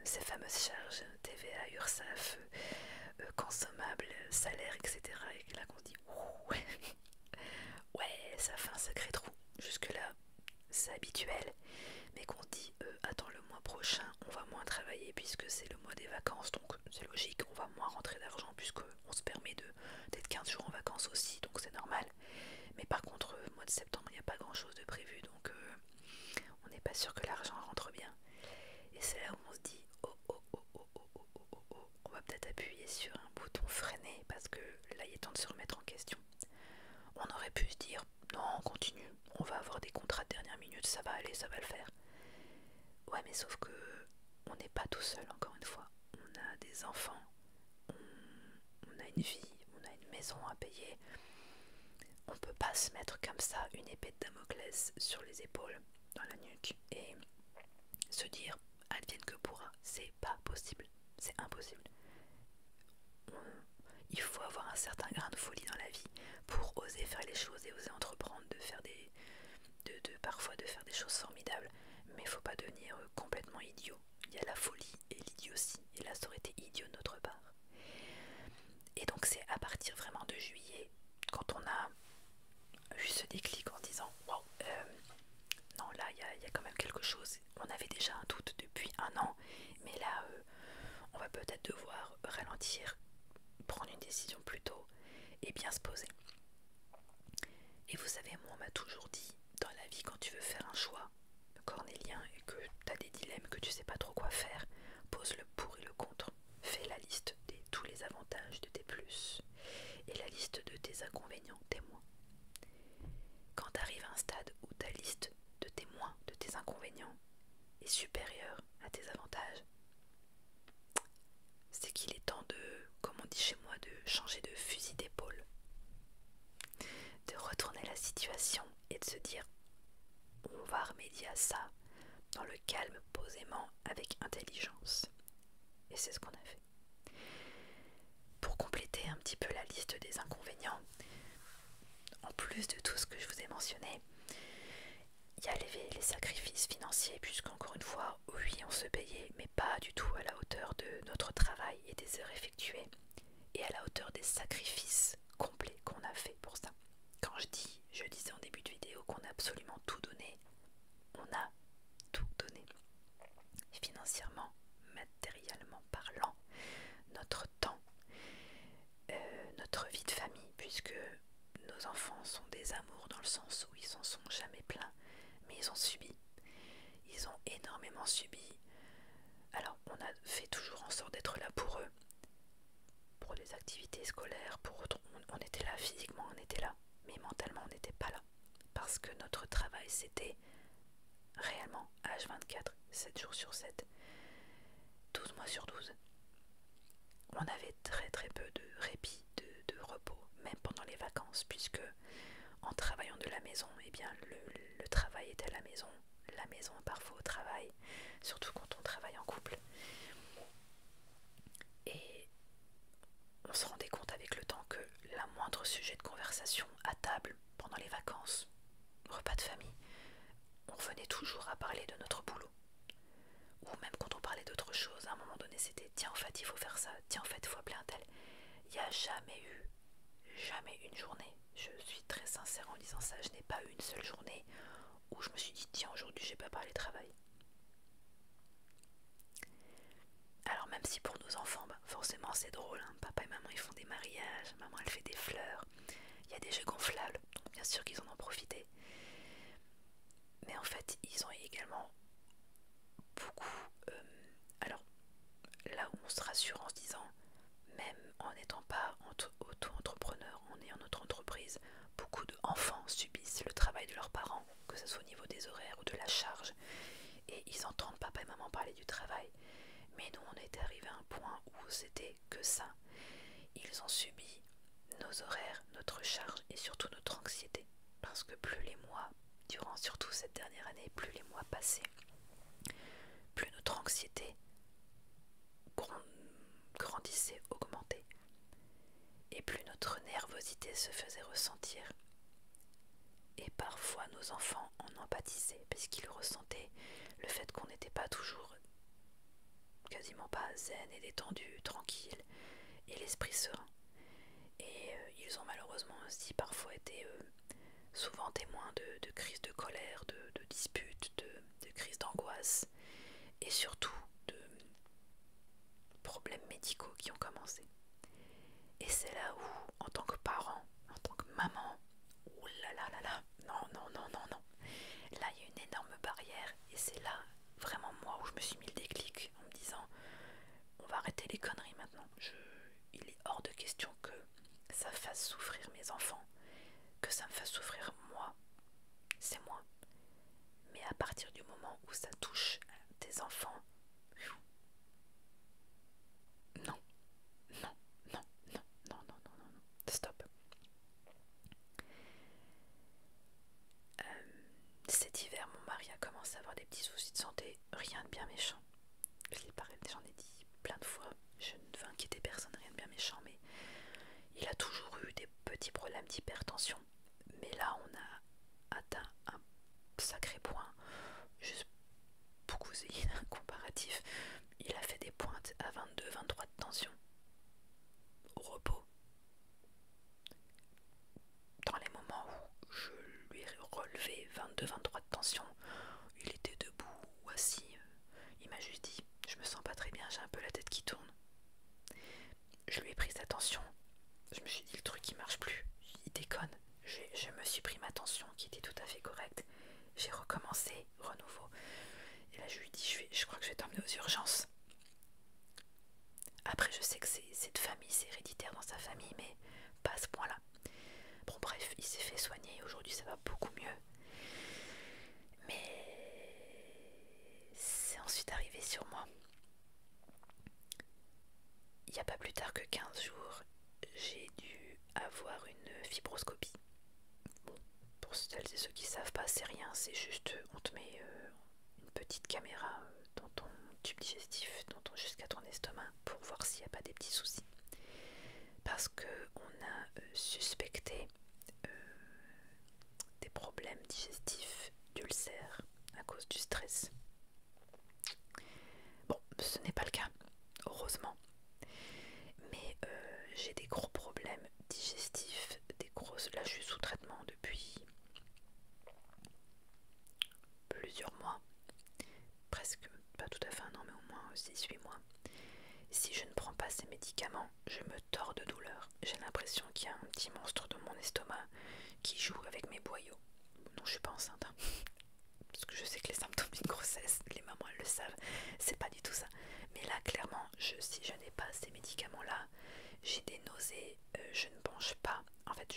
[SPEAKER 1] ces, fameuses charges, TVA, URSAF, euh, consommables, salaires, etc. Et là qu'on dit, (laughs) ouais, ça fait un sacré trou. Jusque-là, c'est habituel mais qu'on dit attends le mois prochain on va moins travailler puisque c'est le mois des vacances donc c'est logique on va moins rentrer d'argent puisqu'on se permet d'être 15 jours en vacances aussi donc c'est normal mais par contre mois de septembre il n'y a pas grand chose de prévu donc on n'est pas sûr que l'argent rentre bien et c'est là où on se dit oh oh oh oh oh oh oh on va peut-être appuyer sur un bouton freiner parce que là il est temps de se remettre en question on aurait pu se dire non, continue, on va avoir des contrats de dernière minute, ça va aller, ça va le faire. Ouais, mais sauf que on n'est pas tout seul, encore une fois. On a des enfants, on, a une vie, on a une maison à payer. On peut pas se mettre comme ça une épée de Damoclès sur les épaules, dans la nuque, et se dire advienne que pourra. C'est pas possible, c'est impossible il faut avoir un certain grain de folie dans la vie pour oser faire les choses et oser entreprendre de faire des de, parfois de faire des choses formidables mais faut pas devenir complètement idiot il y a la folie et l'idiotie et la ça aurait été idiot notre part et donc c'est à partir vraiment de juillet quand on a vu ce déclic en disant waouh euh, non là il y a quand même quelque chose on avait déjà un doute depuis un an mais là, euh, on va peut-être devoir ralentir, prendre une décision plus tôt et bien se poser. Et vous savez, moi, on m'a toujours dit, dans la vie, quand tu veux faire un choix cornélien et que tu as des dilemmes, que tu sais pas trop quoi faire, pose le pour et le contre. Fais la liste de tous les avantages de tes plus et la liste de tes inconvénients, tes moins. Quand tu arrives à un stade où ta liste de tes moins, de tes inconvénients, est supérieure à tes avantages, c'est qu'il est temps de, comme on dit chez moi, de changer de fusil d'épaule, de retourner la situation et de se dire on va remédier à ça dans le calme, posément, avec intelligence. Et c'est ce qu'on a fait. Pour compléter un petit peu la liste des inconvénients, en plus de tout ce que je vous ai mentionné, il y a les, sacrifices financiers, puisqu'encore une fois, oui, on se payait, mais pas du tout à la hauteur de notre travail et des heures effectuées, et à la hauteur des sacrifices complets qu'on a fait pour ça. Quand je dis, je disais en début de vidéo qu'on a absolument tout donné, on a tout donné. Financièrement, matériellement parlant, notre temps, euh, notre vie de famille, puisque nos enfants sont des amours dans le sens où ils s'en sont jamais pleins. mais ils ont subi. Ils ont énormément subi. Alors, on a fait toujours en sorte d'être là pour eux, pour des activités scolaires, pour on était là physiquement, on était là, mais mentalement, on n'était pas là, parce que notre travail, c'était réellement H24, 7 jours sur 7, 12 mois sur 12 on avait très très peu de répit, de, repos, même pendant les vacances, puisque en travaillant de la maison, eh bien, le, travail était à la maison, la maison parfois au travail, surtout quand on travaille en couple. Et on se rendait compte avec le temps que la moindre sujet de conversation à table pendant les vacances, repas de famille, on venait toujours à parler de notre boulot. Ou même quand on parlait d'autre chose, à un moment donné, c'était tiens, en fait, il faut faire ça, tiens, en fait, il faut appeler un tel. Il n'y a jamais eu, jamais une journée. Je suis très sincère en disant ça, je n'ai pas eu une seule journée où je me suis dit tiens, aujourd'hui, je j'ai pas parlé travail. Alors, même si pour nos enfants, bah, forcément, c'est drôle, hein. papa et maman, ils font des mariages, maman, elle fait des fleurs, il y a des jeux gonflables, donc bien sûr qu'ils en ont profité. Mais en fait, ils ont également beaucoup. Euh, alors, là où on se rassure en se disant, même en n'étant pas auto-entrepreneur, on est en notre entreprise, beaucoup d'enfants subissent le travail de leurs parents, que ce soit au niveau des horaires ou de la charge. Et ils entendent papa et maman parler du travail. Mais nous, on est arrivé à un point où c'était que ça. Ils ont subi nos horaires, notre charge et surtout notre anxiété. Parce que plus les mois, durant surtout cette dernière année, plus les mois passaient, plus notre anxiété grandissait, augmentait. Et plus notre nervosité se faisait ressentir. Et parfois nos enfants en empathisaient parce qu'ils ressentaient le fait qu'on n'était pas toujours quasiment pas zen et détendu, tranquille et l'esprit serein. Et euh, ils ont malheureusement aussi parfois été euh, souvent témoins de, crises de colère, de, disputes, de, crises d'angoisse et surtout de problèmes médicaux qui ont commencé. Et c'est là où, en tant que parent, en tant que maman, oulala, la la non, non, non, non, non. Là, il y a une énorme barrière et c'est là vraiment moi où je me suis mis le déclic en me disant on va arrêter les conneries maintenant. il est hors de question que ça fasse souffrir mes enfants, que ça me fasse souffrir moi. C'est moi. Mais à partir du moment où ça touche tes enfants, Non non, non, non, non, non, non, non, non, stop. Euh, cet hiver, mon mari a commencé à avoir des petits soucis de santé, rien de bien méchant. J'en ai dit plein de fois, je ne veux inquiéter personne, rien de bien méchant, mais il a toujours eu des petits problèmes d'hypertension. Mais là, on a atteint un sacré point. Juste pour que vous ayez un comparatif, il a fait des pointes à 22-23 de tension au repos, dans les moments où je lui ai relevé 22-23 de tension, il était debout ou assis. Euh, il m'a juste dit Je me sens pas très bien, j'ai un peu la tête qui tourne. Je lui ai pris sa tension. Je me suis dit Le truc qui marche plus, il déconne. je me suis pris ma tension qui était tout à fait correcte. J'ai recommencé renouveau. Et là, je lui dis, je, je crois que je vais t'emmener aux urgences. Après, je sais que c'est cette famille, c'est héréditaire dans sa famille, mais pas à ce point-là. Bon, bref, il s'est fait soigner, aujourd'hui ça va beaucoup mieux. Mais c'est ensuite arrivé sur moi. Il n'y a pas plus tard que 15 jours, j'ai dû avoir une fibroscopie. Bon, pour celles et ceux qui savent pas, c'est rien, c'est juste euh, on te met euh, une petite caméra euh, dans ton tube digestif, dans jusqu'à ton estomac, pour voir s'il n'y a pas des petits soucis. Parce que on a suspecté des problèmes digestifs d'ulcères à cause du stress. Bon, ce n'est pas le cas, heureusement. Mais j'ai des gros problèmes digestifs, Là, je suis sous traitement depuis plusieurs mois, presque pas tout à fait non mais au moins 6-8 mois. Si je ne prends pas ces médicaments, je me tords de douleur. J'ai l'impression qu'il y a un petit monstre dans mon estomac qui joue avec mes boyaux. Non, je suis pas enceinte. Hein. Parce que je sais que les symptômes d'une grossesse, les mamans le savent, c'est pas du tout ça. Mais là, clairement, si je n'ai pas ces médicaments-là, j'ai des nausées, euh, je ne mange pas. En fait,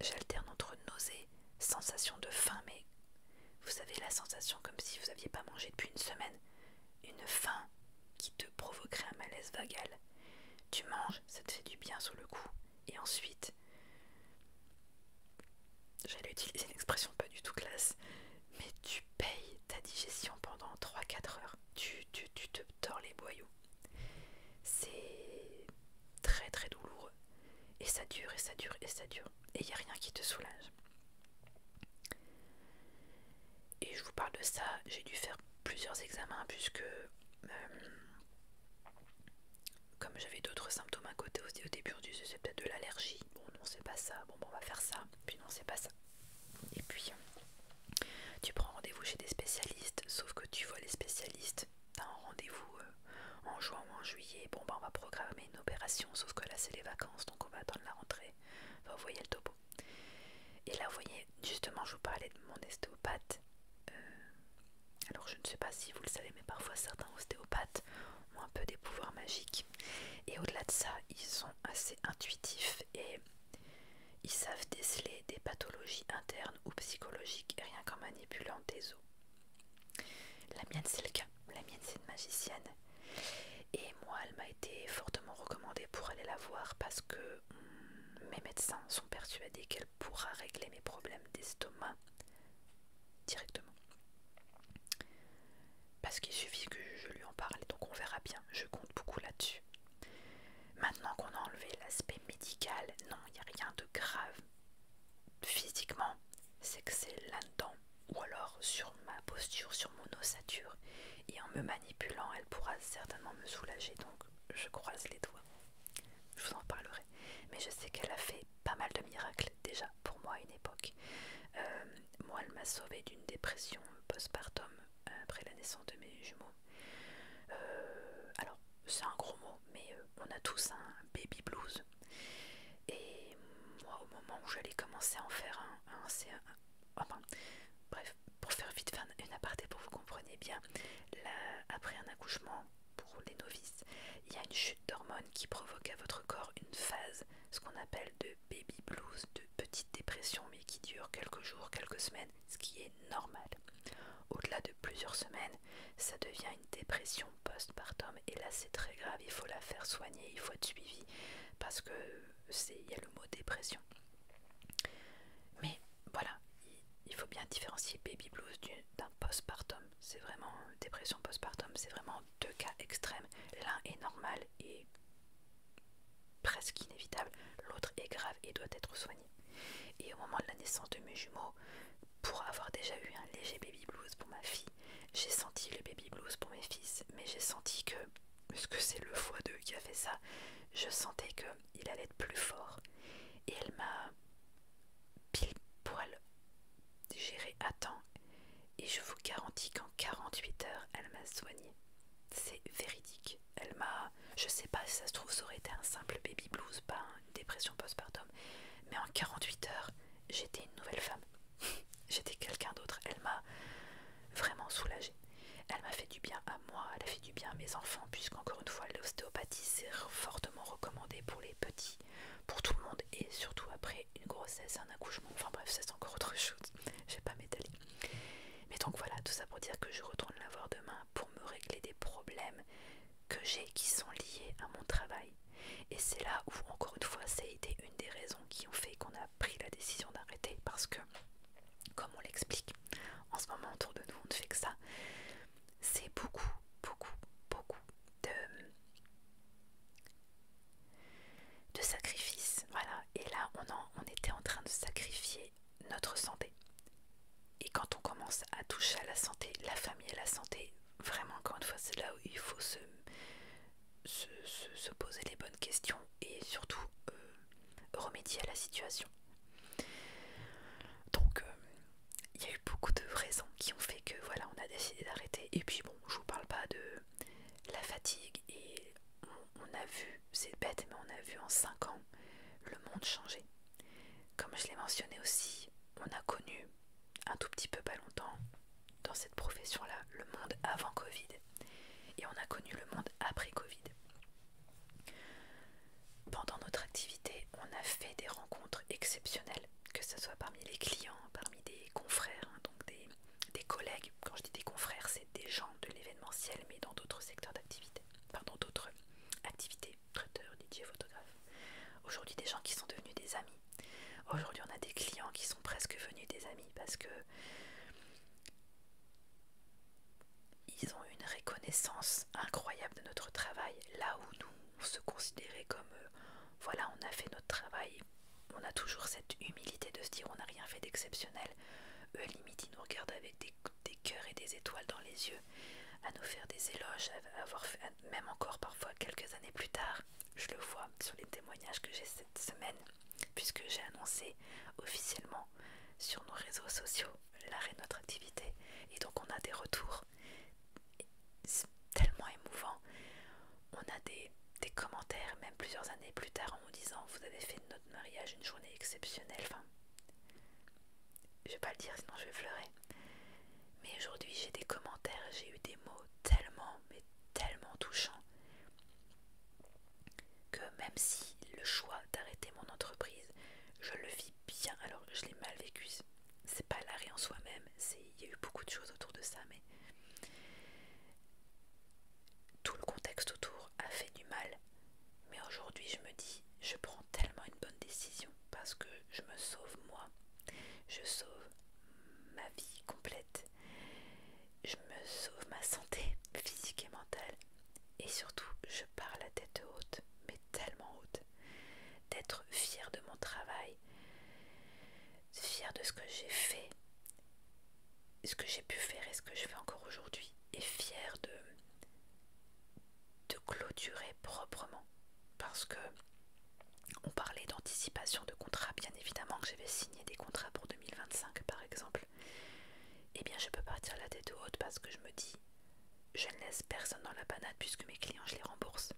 [SPEAKER 1] j'alterne entre nausées, sensation de faim, mais vous savez, la sensation comme si vous n'aviez pas mangé depuis une semaine, une faim qui te provoquerait un malaise vagal. Tu manges, ça te fait du bien sur le coup, et ensuite, j'allais utiliser une expression pas du tout classe, mais tu payes ta digestion pendant 3-4 heures tu, tu, te tords les boyaux. C'est très très douloureux. Et ça dure, et ça dure, et ça dure. Et il n'y a rien qui te soulage. Et je vous parle de ça, j'ai dû faire plusieurs examens puisque euh, comme j'avais d'autres symptômes à côté au début du c'est peut-être de l'allergie. Bon non c'est pas ça, bon, bon on va faire ça, puis non c'est pas ça. Et puis, tu prends rendez-vous chez des spécialistes, sauf que tu vois les spécialistes, t'as un rendez-vous euh, en juin ou en juillet, bon bah on va programmer une opération, sauf que là c'est les vacances, donc on va attendre la rentrée. Enfin, vous voyez le topo. Et là, vous voyez, justement, je vous parlais de mon ostéopathe. Euh, alors, je ne sais pas si vous le savez, mais parfois certains ostéopathes ont un peu des pouvoirs magiques. Et au-delà de ça, ils sont assez intuitifs et ils savent déceler des pathologies internes ou psychologiques rien qu'en manipulant des os. La mienne c'est le cas, la mienne c'est une magicienne. Et moi elle m'a été fortement recommandée pour aller la voir parce que hmm, mes médecins sont persuadés qu'elle pourra régler mes problèmes d'estomac directement parce qu'il suffit que je lui en parle, donc on verra bien, je compte beaucoup là-dessus. Maintenant qu'on a enlevé l'aspect médical, non, il n'y a rien de grave physiquement, c'est que c'est là-dedans, ou alors sur ma posture, sur mon ossature, et en me manipulant, elle pourra certainement me soulager, donc je croise les doigts. Je vous en parlerai, mais je sais qu'elle a fait pas mal de miracles déjà pour moi à une époque. Euh, moi, elle m'a sauvée d'une dépression postpartum après la naissance de mes jumeaux. Euh, alors, c'est un gros mot, mais euh, on a tous un baby blues. Et moi, au moment où j'allais commencer à en faire un, un, enfin, bref, pour faire vite faire une aparté pour vous compreniez bien, là, après un accouchement, pour les novices, il y a une chute d'hormones qui provoque à votre corps une phase, ce qu'on appelle de baby blues, de petite dépression, mais qui dure quelques jours, quelques semaines, ce qui est normal. Au-delà de plusieurs semaines, ça devient une dépression postpartum, et là c'est très grave, il faut la faire soigner, il faut être suivi, parce que il y a le mot dépression. Mais voilà, il faut bien différencier baby blues d'un postpartum. C'est vraiment dépression postpartum, c'est vraiment deux cas extrêmes. L'un est normal et presque inévitable, l'autre est grave et doit être soigné. Et au moment de la naissance de mes jumeaux, pour avoir déjà eu un léger baby blues pour ma fille, j'ai senti le baby blues pour mes fils, mais j'ai senti que, parce que c'est le foie d'eux qui a fait ça, je sentais qu'il allait être plus fort. Et elle m'a pile poil géré à temps, et je vous garantis qu'en 48 heures, elle m'a soigné. C'est véridique. Elle m'a. Je sais pas si ça se trouve, ça aurait été un simple baby blues, pas une dépression postpartum. Mais en 48 heures, j'étais une nouvelle femme. (laughs) j'étais quelqu'un d'autre. Elle m'a vraiment soulagée. Elle m'a fait du bien à moi, elle a fait du bien à mes enfants, puisqu'encore une fois, l'ostéopathie, c'est fortement recommandé pour les petits, pour tout le monde, et surtout après une grossesse, un accouchement. Enfin bref, c'est encore autre chose. (laughs) J'ai pas m'étaler. Mais donc voilà, tout ça pour dire que je retourne la voir demain pour me régler des problèmes que j'ai qui sont liés à mon travail. Et c'est là où, encore une fois, c'est été une des raisons qui ont fait qu'on a pris la décision d'arrêter parce que, comme on l'explique, en ce moment autour de nous, on ne fait que ça. C'est beaucoup, beaucoup, beaucoup de, de sacrifices, voilà, et là on, on était en train de sacrifier notre santé. Et quand on commence à toucher à la santé, la famille et la santé, vraiment encore une fois c'est là où il faut se, se, poser les bonnes questions et surtout euh, remédier à la situation. Donc euh, il y a eu beaucoup de raisons qui ont fait que voilà on a décidé d'arrêter. Et puis bon, je vous parle pas de la fatigue et on a vu c'est bête, mais on a vu en 5 ans le monde changer. Comme je l'ai mentionné aussi, on a connu un tout petit peu pas longtemps dans cette profession-là le monde avant Covid et on a connu le monde après Covid. Pendant notre activité, on a fait des rencontres exceptionnelles, que ce soit parmi les clients, parmi des confrères, hein, donc des, des collègues, quand je dis des confrères, c'est des gens de l'événementiel, mais dans d'autres secteurs d'activité, pardon, d'autres activités, traiteurs, DJ, photographes. Aujourd'hui, des gens qui sont devenus des amis. Aujourd'hui, on a des clients qui sont presque venus des amis parce que ils ont une reconnaissance incroyable de notre travail, là où nous on se considérait comme euh, voilà, on a fait notre travail. On a toujours cette humilité de se dire on n'a rien fait d'exceptionnel. Eux, limite, ils nous regardent avec des, cœurs et des étoiles dans les yeux, à nous faire des éloges, avoir fait, même encore parfois quelques années plus tard. Je le vois sur les témoignages que j'ai cette semaine, puisque j'ai annoncé officiellement sur nos réseaux sociaux l'arrêt de notre activité. Et donc on a des retours tellement émouvants. On a des, commentaires, même plusieurs années plus tard, en nous disant Vous avez fait mariage une journée exceptionnelle. Enfin, je vais pas le dire sinon je vais fleurer. Mais aujourd'hui j'ai des commentaires, j'ai eu des mots tellement, mais tellement touchants que même si le choix d'arrêter mon entreprise, je le vis bien. Alors que je l'ai mal vécu. C'est pas l'arrêt en soi-même. Il y a eu beaucoup de choses autour de ça, mais tout le contexte autour a fait du mal, mais aujourd'hui je me dis, je prends tellement une bonne décision parce que je me sauve moi, je sauve ma vie complète, je me sauve ma santé physique et mentale, et surtout je pars la tête haute, mais tellement haute, d'être fière de mon travail, fière de ce que j'ai fait ce que j'ai pu faire et ce que je fais encore aujourd'hui est fier de, de clôturer proprement parce que on parlait d'anticipation de contrats, bien évidemment que j'avais signé des contrats pour 2025 par exemple. Eh bien je peux partir la tête haute parce que je me dis je ne laisse personne dans la panade puisque mes clients je les rembourse.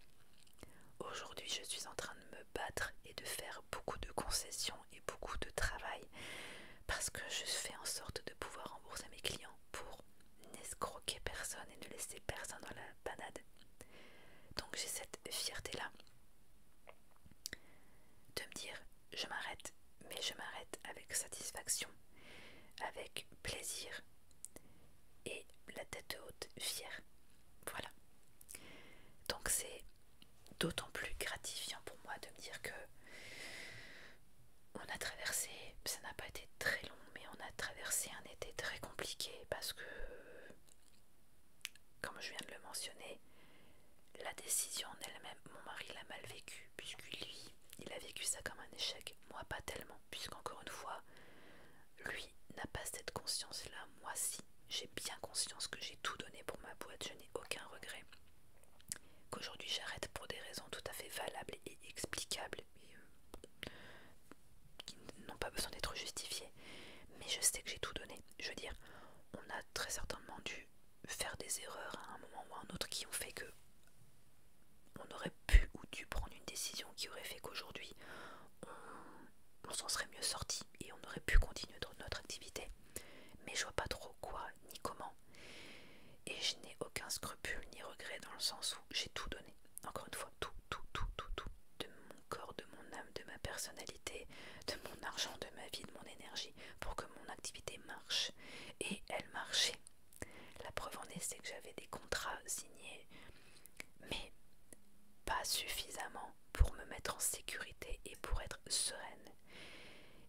[SPEAKER 1] Aujourd'hui je suis en train de me battre et de faire beaucoup de concessions et beaucoup de travail parce que je fais en sorte de pouvoir rembourser mes clients pour n'escroquer personne et ne laisser personne dans la banade Donc j'ai cette fierté-là de me dire je m'arrête, mais je m'arrête avec satisfaction, avec plaisir et la tête haute, fière. Voilà. Donc c'est d'autant plus gratifiant pour moi de me dire que on a traversé, ça n'a pas été très long, mais on a traversé un été très compliqué parce que, comme je viens de le mentionner, la décision en elle-même, mon mari l'a mal vécu, puisque lui, il a vécu ça comme un échec, moi pas tellement, puisqu'encore une fois, lui n'a pas cette conscience-là, moi si. J'ai bien conscience que j'ai tout donné pour ma boîte, je n'ai aucun regret qu'aujourd'hui j'arrête pour des raisons tout à fait valables et explicables, euh, qui n'ont pas besoin d'être justifiées. Mais je sais que j'ai tout donné. Je veux dire, on a très certainement dû faire des erreurs à un moment ou à un autre qui ont fait que on aurait pu ou dû prendre une décision qui aurait fait qu'aujourd'hui on, s'en serait mieux sorti et on aurait pu continuer notre activité. Mais je vois pas trop quoi ni comment. Et je n'ai aucun scrupule ni regret dans le sens où j'ai tout donné. Encore une fois, tout, tout, tout, tout, tout. De mon corps, de mon âme, de ma personnalité, de mon argent, de ma vie, de mon énergie, pour que mon activité marche. Et elle marchait. La preuve en est, c'est que j'avais des contrats signés, mais pas suffisamment pour me mettre en sécurité et pour être sereine.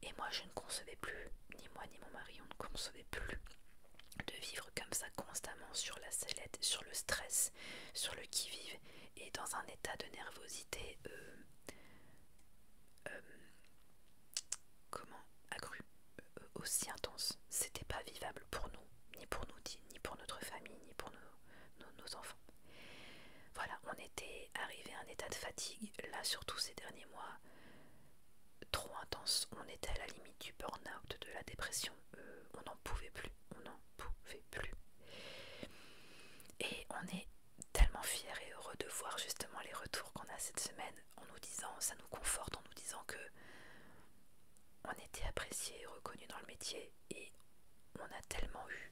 [SPEAKER 1] Et moi, je ne concevais plus, ni moi ni mon mari, on ne concevait plus de vivre comme ça constamment sur la sellette, sur le stress, sur le qui-vive et dans un état de nervosité euh, euh, comment accru euh, aussi intense. C'était pas vivable pour nous, ni pour nous, ni pour notre famille, ni pour nos enfants. Voilà, on était arriver arrivé à un état de fatigue, là surtout ces derniers mois, trop intense. On était à la limite du burn-out, de la dépression. Euh, on n'en pouvait plus, on n'en pouvait plus. Et on est tellement fiers et heureux de voir justement les retours qu'on a cette semaine en nous disant, ça nous conforte en nous disant que on était apprécié et reconnu dans le métier et on a tellement eu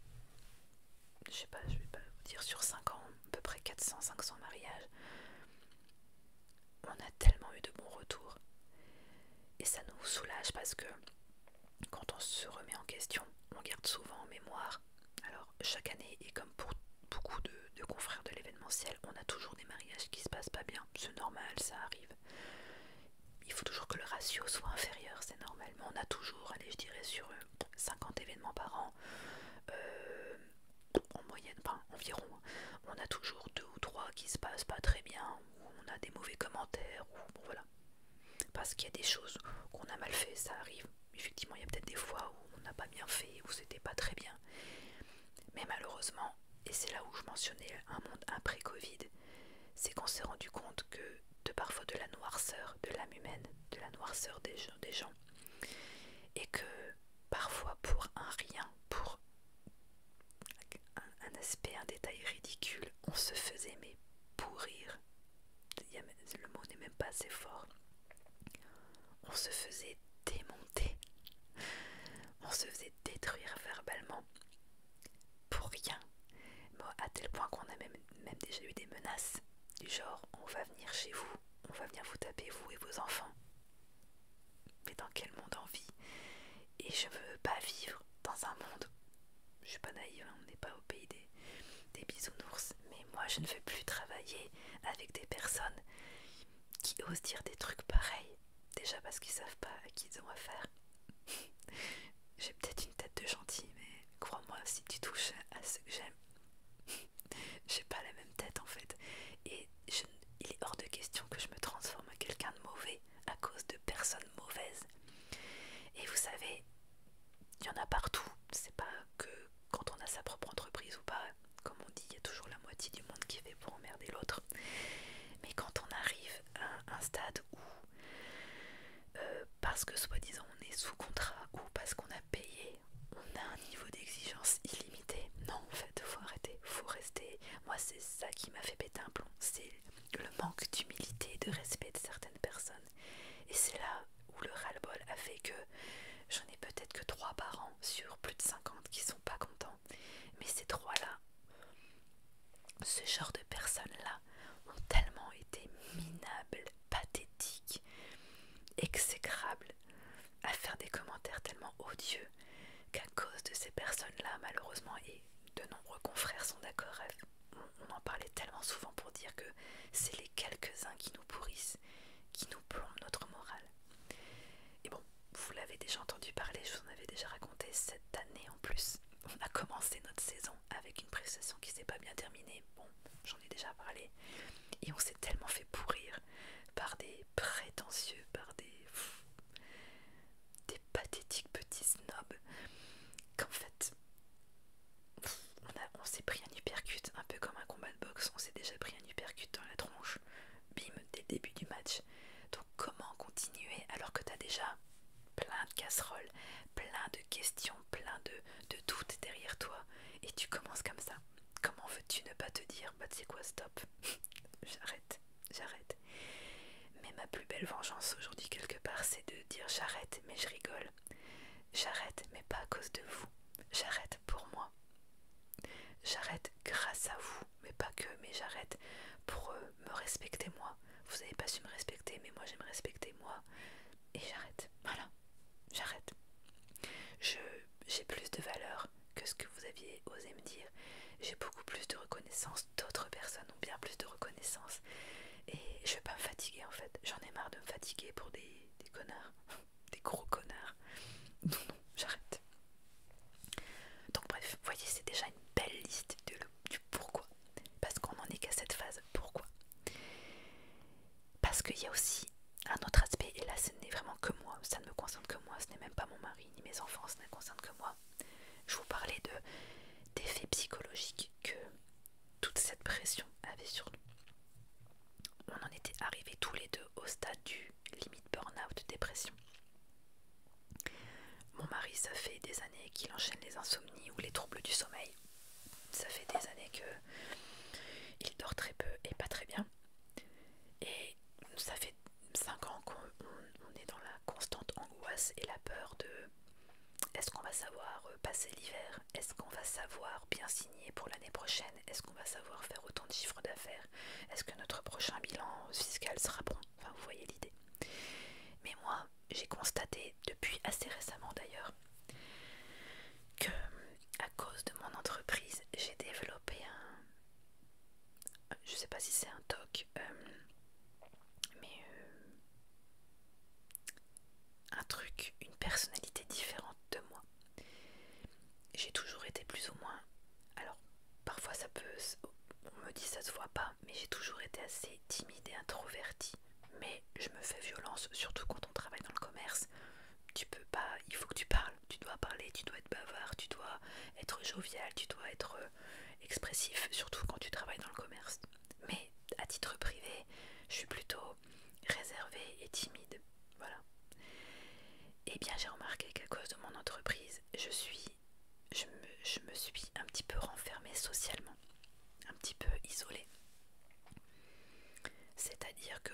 [SPEAKER 1] je sais pas, je vais pas vous dire sur 5 ans, à peu près 400-500 mariages, on a tellement eu de bons retours. Et ça nous soulage parce que quand on se remet en question, on garde souvent en mémoire. Alors chaque année, et comme pour beaucoup de, confrères de l'événementiel, on a toujours des mariages qui se passent pas bien. C'est normal, ça arrive. Il faut toujours que le ratio soit inférieur, c'est normal. Mais on a toujours, allez, je dirais sur 50 événements par an, euh, en moyenne, enfin environ, on a toujours deux ou trois qui se passent pas très bien, ou on a des mauvais commentaires, ou voilà. Parce qu'il y a des choses qu'on a mal fait, ça arrive. Effectivement, il y a peut-être des fois où on n'a pas bien fait, où c'était pas très bien. Mais malheureusement, et c'est là où je mentionnais un monde après Covid, c'est qu'on s'est rendu compte que de parfois de la noirceur de l'âme humaine, de la noirceur des gens et que parfois pour un rien, pour un, aspect, un détail ridicule, on se faisait mais pourrir. le mot n'est même pas assez fort. On se faisait démonter, on se faisait détruire verbalement pour rien. à tel point qu'on a même déjà eu des menaces du genre on va venir chez vous on va venir vous taper, vous et vos enfants. Mais dans quel monde on vit Et je veux pas vivre dans un monde. Je suis pas naïve, hein, on n'est pas au pays des, des bisounours. Mais moi, je ne veux plus travailler avec des personnes qui osent dire des trucs pareils. Déjà parce qu'ils savent pas à qui ils ont affaire. (laughs) J'ai peut-être une tête de gentil, mais crois-moi, si tu touches à ce que j'aime, (laughs) j'ai pas la même tête en fait. Et il est hors de question que je me transforme en quelqu'un de mauvais à cause de personnes mauvaises. Et vous savez, il y en a partout. C'est pas que quand on a sa propre entreprise ou pas. Comme on dit, il y a toujours la moitié du monde qui fait pour emmerder l'autre. Mais quand on arrive à un stade où, euh, parce que soi-disant on est sous contrat ou parce qu'on a payer on a un niveau d'exigence illimité. Non, en fait, faut arrêter, faut rester. Moi, c'est ça qui m'a fait péter un plomb. C'est le manque d'humilité et de respect de certaines personnes. Et c'est là où le ras-le-bol a fait que j'en ai peut-être que trois par an sur plus de 50 qui sont pas contents. Mais ces trois-là, ce genre de personnes-là, ont tellement été minables, pathétiques, exécrables à faire des commentaires tellement odieux qu'à cause de ces personnes-là, malheureusement, et de nombreux confrères sont d'accord, on, on en parlait tellement souvent pour dire que c'est les quelques-uns qui nous pourrissent, qui nous plombent notre morale. Et bon, vous l'avez déjà entendu parler, je vous en avais déjà raconté cette année en plus. On a commencé notre saison avec une prestation qui s'est pas bien terminée. Bon, j'en ai déjà parlé. Et on s'est tellement fait pourrir par des prétentieux, par des. des pathétiques petits snobs, qu'en fait. on, s'est pris un hypercute, un peu comme un combat de boxe, on s'est déjà pris un hypercute dans la tronche, bim, dès le début du match. Donc comment continuer alors que t'as déjà plein de casseroles, plein de questions, plein de, de doutes derrière toi, et tu commences comme ça Comment veux-tu ne pas te dire, bah tu sais quoi, stop, (laughs) j'arrête, j'arrête. Mais ma plus belle vengeance aujourd'hui quelque part, c'est de dire j'arrête, mais je rigole. J'arrête, mais pas à cause de vous. J'arrête pour moi. J'arrête grâce à vous, mais pas que, mais j'arrête pour euh, me respecter moi. Vous n'avez pas su me respecter, mais moi j'aime respecter moi. Et j'arrête. Voilà j'arrête. J'ai plus de valeur que ce que vous aviez osé me dire. J'ai beaucoup plus de reconnaissance. D'autres personnes ont bien plus de reconnaissance. Et je vais pas me fatiguer en fait. J'en ai marre de me fatiguer pour des, connards. (laughs) des gros connards. Non, j'arrête. Donc bref, vous voyez, c'est déjà une belle liste de du pourquoi. Parce qu'on en est qu'à cette phase. Pourquoi parce qu'il y a aussi un autre aspect, et là ce n'est vraiment que moi, ça ne me concerne que moi, ce n'est même pas mon mari ni mes enfants, ça ne concerne que moi. Je vous parlais de, psychologiques que toute cette pression avait sur nous. On en était arrivés tous les deux au stade du limite burn-out, dépression. Mon mari, ça fait des années qu'il enchaîne les insomnies ou les troubles du sommeil. Ça fait des années que il dort très peu et pas très bien. Et ça fait 5 ans qu'on est dans la constante angoisse et la peur de est-ce qu'on va savoir euh, passer l'hiver Est-ce qu'on va savoir bien signer pour l'année prochaine Est-ce qu'on va savoir faire autant de chiffres d'affaires Est-ce que notre prochain bilan fiscal sera bon Enfin, vous voyez l'idée. Mais moi, j'ai constaté depuis assez récemment d'ailleurs que à cause de mon entreprise, j'ai développé un. Je sais pas si c'est un TOC, euh, mais euh, un truc, une personnalité différente de moi. J'ai toujours été plus ou moins. Alors, parfois ça peut. On me dit ça se voit pas, mais j'ai toujours été assez timide et introvertie. Mais je me fais violence, surtout quand on travaille dans le commerce tu peux pas, il faut que tu parles, tu dois parler, tu dois être bavard, tu dois être jovial, tu dois être euh, expressif, surtout quand tu travailles dans le commerce. Mais à titre privé, je suis plutôt réservée et timide. Voilà. Et eh bien j'ai remarqué qu'à cause de mon entreprise, je suis je me suis un petit peu renfermée socialement, un petit peu isolée. C'est-à-dire que,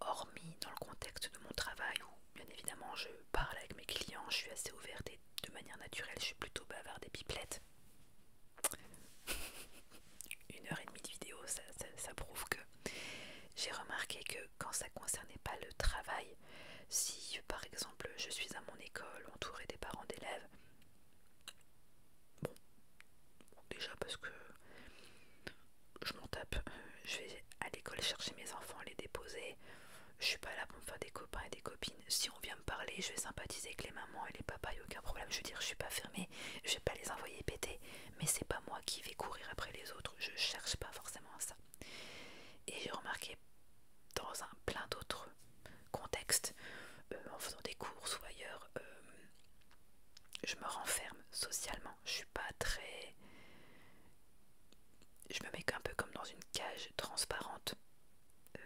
[SPEAKER 1] hormis dans le contexte de mon travail, où bien évidemment je parle avec mes clients, je suis assez ouverte et de manière naturelle, je suis plutôt bavarde et pipelette. (laughs) Une heure et demie de vidéo, ça, prouve que j'ai remarqué que quand ça concernait pas le travail, si par exemple je suis à mon école entourée des parents d'élèves, bon, déjà parce que je m'en tape. Euh, je vais à l'école chercher mes enfants, les déposer. Je suis pas là pour me faire des copains et des copines. Si on vient me parler, je vais sympathiser avec les mamans et les papas, y a aucun problème. Je veux dire, je suis pas fermée, je vais pas les envoyer péter. Mais c'est pas moi qui vais courir après les autres. Je cherche pas forcément à ça. Et j'ai remarqué dans un plein d'autres contextes, euh, en faisant des courses ou ailleurs, euh, je me renferme socialement. Je suis pas très. Je me mets un peu comme dans une cage transparente, euh,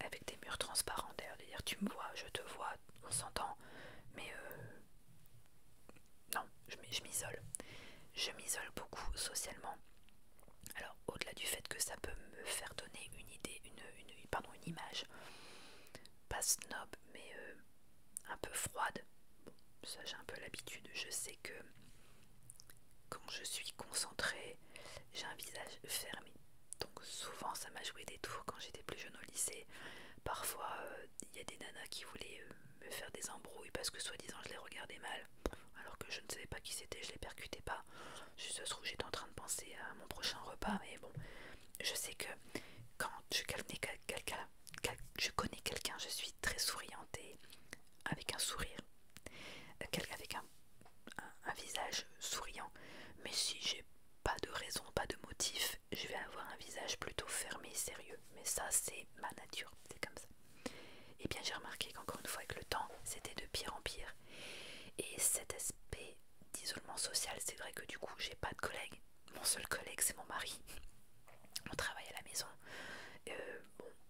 [SPEAKER 1] avec des murs transparents d'ailleurs. Dire tu me vois, je te vois, on s'entend, mais euh, non, je m'isole. Je m'isole beaucoup socialement. Alors au-delà du fait que ça peut me faire donner une idée, pardon, une image pas snob, mais euh, un peu froide. ça j'ai un peu l'habitude. Je sais que quand je suis concentrée, j'ai un visage fermé. Donc souvent ça m'a joué des tours quand j'étais plus jeune au lycée. Parfois euh, il y a des nanas qui voulaient euh, me faire des embrouilles parce que soi-disant je les regardais mal. Alors que je ne savais pas qui c'était, je les percutais pas. Je se où j'étais en train de penser à mon prochain repas, mais bon, je sais que quand je calmais quelqu'un, je connais quelqu'un, je suis très souriante et avec un sourire, euh, quelqu'un avec un, visage souriant. Mais si j'ai pas de raison, pas de motif, je vais avoir un visage plutôt fermé sérieux. Mais ça, c'est ma nature, c'est comme ça. Et eh bien, j'ai remarqué qu'encore une fois, avec le temps, c'était de pire en pire. Et cet aspect d'isolement social, c'est vrai que du coup, j'ai pas de collègues mon seul collègue c'est mon mari. On travaille à la maison. Euh,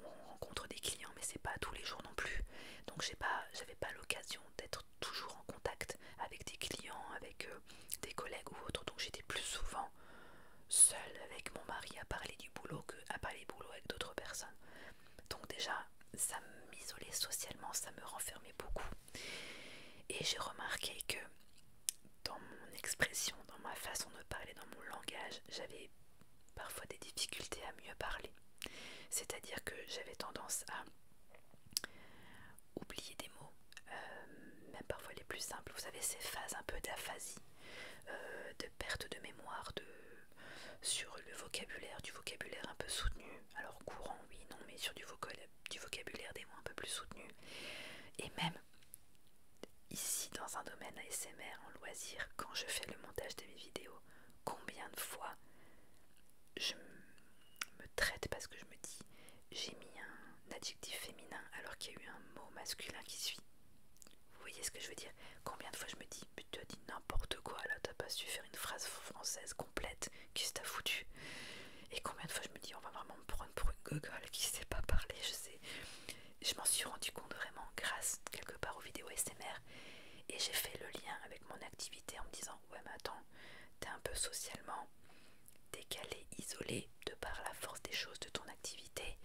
[SPEAKER 1] on rencontre des clients, mais c'est pas tous les jours non plus. Donc j'ai pas, j'avais pas l'occasion d'être toujours en contact avec des clients, avec euh, des collègues ou autres. Donc j'étais plus souvent seule avec mon mari à parler du boulot que à parler boulot avec d'autres personnes. Donc déjà, ça m'isolait socialement, ça me renfermait beaucoup. Et j'ai remarqué que dans mon expression, dans ma façon de parler, dans mon langage, j'avais parfois des difficultés à mieux parler. C'est-à-dire que j'avais tendance à oublier des mots, euh, même parfois les plus simples. Vous savez, ces phases un peu d'aphasie, euh, de perte de mémoire, de sur le vocabulaire, du vocabulaire un peu soutenu, alors courant oui, non, mais sur du, du vocabulaire des mots un peu plus soutenus Et même ici dans un domaine ASMR en loisir, quand je fais le montage de mes vidéos, combien de fois je me traite parce que je me dis j'ai mis un adjectif féminin alors qu'il y a eu un mot masculin qui suit. Vous voyez ce que je veux dire Combien de fois je me dis putain, dit n'importe quoi là, t'as pas su faire une phrase française complète, qu'est-ce que t'as foutu et combien de fois je me dis, on va vraiment me prendre pour une google qui sait pas parler, je sais. Je m'en suis rendu compte vraiment grâce quelque part aux vidéos SMR. Et j'ai fait le lien avec mon activité en me disant, ouais mais attends, t'es un peu socialement décalé, isolé de par la force des choses de ton activité.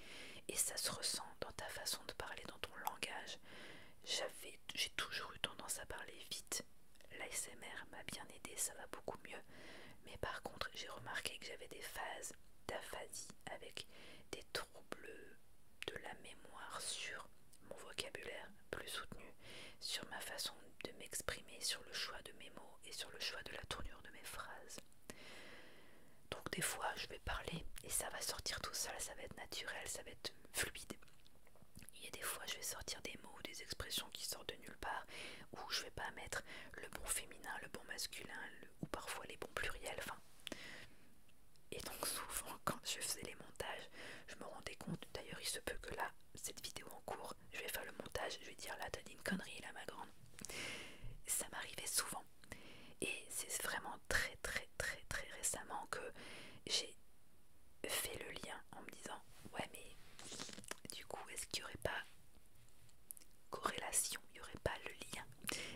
[SPEAKER 1] Et ça se ressent dans ta façon de parler, dans ton langage. J'ai toujours eu tendance à parler vite. L'ASMR m'a bien aidé, ça va beaucoup mieux. Mais par contre, j'ai remarqué que j'avais des phases d'aphasie avec des troubles de la mémoire sur mon vocabulaire plus soutenu, sur ma façon de m'exprimer, sur le choix de mes mots et sur le choix de la tournure de mes phrases. Donc des fois, je vais parler et ça va sortir tout seul, ça va être naturel, ça va être fluide. Il y a des fois, je vais sortir des mots ou des expressions qui sortent de nulle part, où je vais pas mettre le bon féminin, le bon masculin, ou parfois les bons pluriels. enfin... Et donc souvent (laughs) quand je faisais les montages, je me rendais compte, d'ailleurs il se peut que là, cette vidéo en cours, je vais faire le montage, je vais dire là t'as dit une connerie là ma grande. Ça m'arrivait souvent. Et c'est vraiment très très très très récemment que j'ai fait le lien en me disant ouais mais du coup, est-ce qu'il n'y aurait pas corrélation, il n'y aurait pas le lien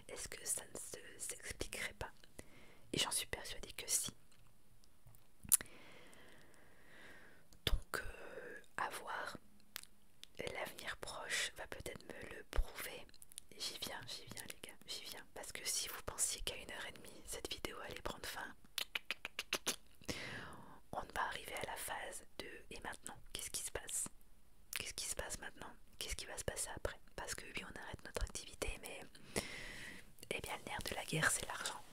[SPEAKER 1] Est-ce que ça ne s'expliquerait pas Et j'en suis persuadée que si. Donc, euh, à voir. L'avenir proche va peut-être me le prouver. J'y viens, j'y viens les gars, j'y viens. Parce que si vous pensiez qu'à une heure et demie, cette vidéo allait prendre fin, on va arriver à la phase de et maintenant, qu'est-ce qui se passe Qu'est-ce qui se passe maintenant Qu'est-ce qui va se passer après Parce que oui, on arrête notre activité, mais eh bien, le nerf de la guerre, c'est l'argent.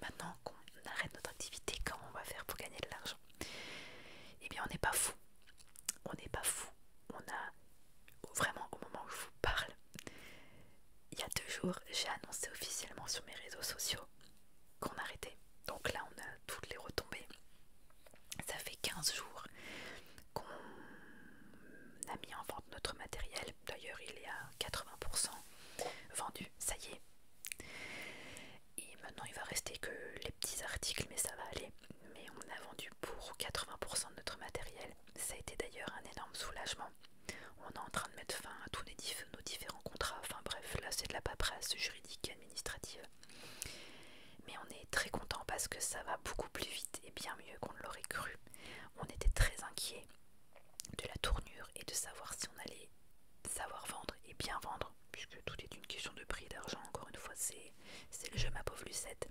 [SPEAKER 1] Maintenant qu'on arrête notre activité, comment on va faire pour gagner de l'argent Eh bien, on n'est pas fou. On n'est pas fou. On a vraiment au moment où je vous parle, il y a deux jours, j'ai annoncé officiellement sur mes réseaux sociaux qu'on arrêtait. Donc là, on a toutes les retombées. Ça fait 15 jours qu'on a mis en vente notre matériel. D'ailleurs, il est à 80% vendu. Ça y est. Et maintenant, il va rester que les petits articles, mais ça va aller. Mais on a vendu pour 80% de notre matériel. Ça a été d'ailleurs un énorme soulagement. On est en train de mettre fin à tous les différents nos différents contrats, enfin bref, là c'est de la paperasse juridique et administrative. Mais on est très content parce que ça va beaucoup plus vite et bien mieux qu'on ne l'aurait cru. On était très inquiets de la tournure et de savoir si on allait savoir vendre et bien vendre, puisque tout est une question de prix d'argent, encore une fois, c'est le jeu ma pauvre Lucette.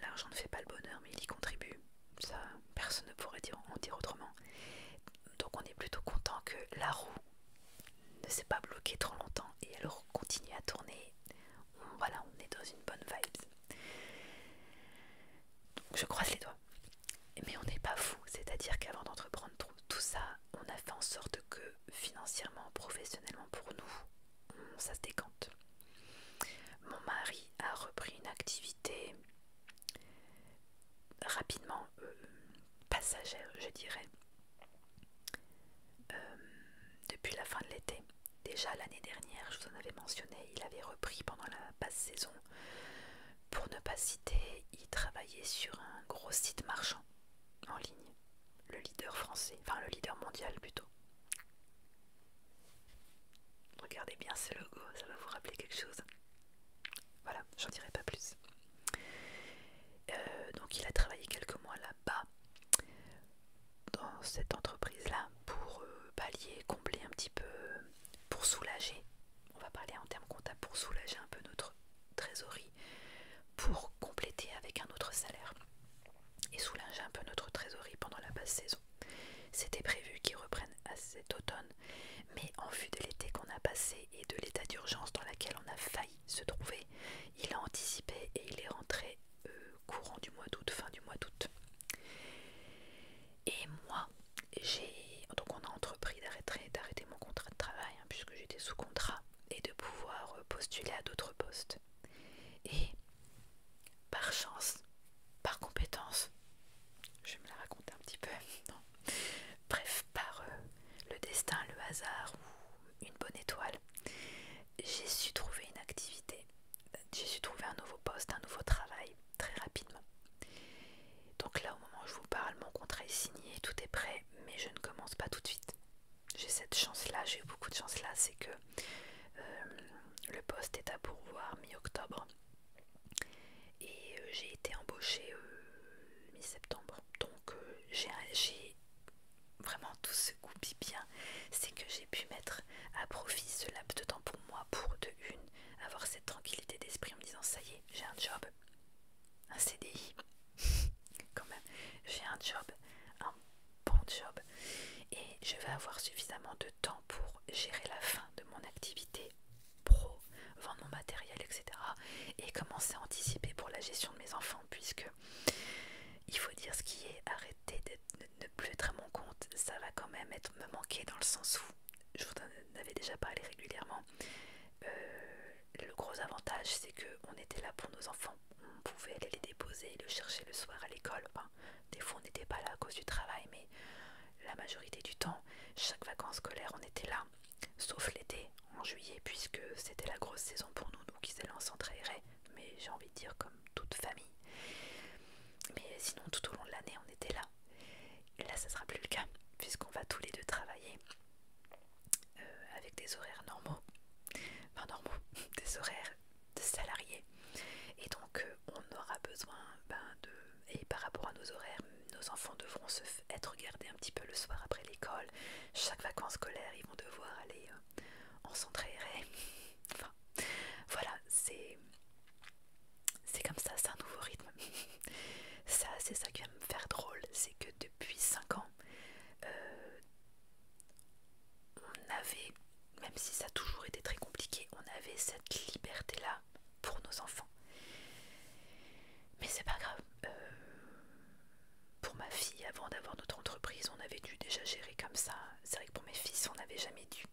[SPEAKER 1] L'argent ne fait pas le bonheur, mais il y contribue. Ça, personne ne pourrait en dire autrement. Donc on est plutôt content que la roue ne s'est pas bloqué trop longtemps et elle continue à tourner. Voilà, on est dans une bonne vibes je croise les doigts. Mais on n'est pas fou, c'est-à-dire qu'avant d'entreprendre tout ça, on a fait en sorte que financièrement, professionnellement pour nous, ça se décante. Mon mari a repris une activité rapidement. Euh, passagère, je dirais, euh, depuis la fin de l'été. Déjà l'année dernière, je vous en avais mentionné, il avait repris pendant la basse saison. Pour ne pas citer, il travaillait sur un gros site marchand en ligne, le leader français, enfin le leader mondial plutôt. Regardez bien ce logo, ça va vous rappeler quelque chose. Voilà, j'en dirai pas plus. Euh, donc il a travaillé quelques mois là-bas, dans cette entreprise-là, pour euh, pallier, combler un petit peu, pour soulager, on va parler en termes comptables, pour soulager un peu notre trésorerie, pour compléter avec un autre salaire et soulager un peu notre trésorerie pendant la basse saison. C'était prévu qu'ils reprenne à cet automne, mais en vue de l'été qu'on a passé et de l'état d'urgence dans lequel on a failli se trouver, il a anticipé et il est rentré euh, courant du mois d'août, fin du mois d'août. Et moi, j'ai donc on a entrepris d'arrêter d'arrêter mon contrat de travail hein, puisque j'étais sous contrat et de pouvoir euh, postuler à d'autres postes. Et par chance, par compétence, je vais me la raconter un petit peu, (laughs) Bref, par le destin, le hasard ou une bonne étoile, j'ai su trouver une activité, j'ai su trouver un nouveau poste, un nouveau travail très rapidement. Donc là, au moment où je vous parle, mon contrat est signé, tout est prêt, mais je ne commence pas tout de suite. J'ai cette chance-là, j'ai eu beaucoup de chance-là, c'est que euh, le poste est à pourvoir mi-octobre et euh, j'ai été embauchée euh, mi-septembre que j'ai vraiment tout ce goût bien, c'est que j'ai pu mettre à profit ce laps de temps pour moi, pour de une, avoir cette tranquillité d'esprit en me disant ça y est, j'ai un job, un CDI, (laughs) quand même, j'ai un job, un bon job, et je vais avoir suffisamment de temps pour gérer la fin de mon activité pro vendre mon matériel, etc. Et commencer à anticiper pour la gestion de mes enfants, puisque il faut dire ce qui est, arrêté de ne plus être à mon compte, ça va quand même être me manquer dans le sens où, je vous en avais déjà parlé régulièrement, euh, le gros avantage c'est que on était là pour nos enfants, on pouvait aller les déposer, et les chercher le soir à l'école, des fois on n'était pas là à cause du travail, mais la majorité du temps, chaque vacances scolaires on était là, sauf l'été en juillet puisque c'était la grosse saison pour nous, nous qui en s'entrairer, mais j'ai envie de dire comme toute famille. Mais sinon tout au long de l'année on était là. Et là ça sera plus le cas puisqu'on va tous les deux travailler euh, avec des horaires normaux, enfin normaux, (laughs) des horaires de salariés. Et donc euh, on aura besoin ben, de... Et par rapport à nos horaires, nos enfants devront se être gardés un petit peu le soir après l'école. Chaque vacances scolaires, ils vont devoir aller euh, en centre (laughs) enfin, voilà, c'est comme ça, c'est un nouveau rythme. (laughs) ça, c'est ça qui va me faire drôle, c'est que depuis 5 ans, euh, on avait, même si ça a toujours été très compliqué, on avait cette liberté-là pour nos enfants. Mais c'est pas grave. Euh, pour ma fille, avant d'avoir notre entreprise, on avait dû déjà gérer comme ça. C'est vrai que pour mes fils, on n'avait jamais dû.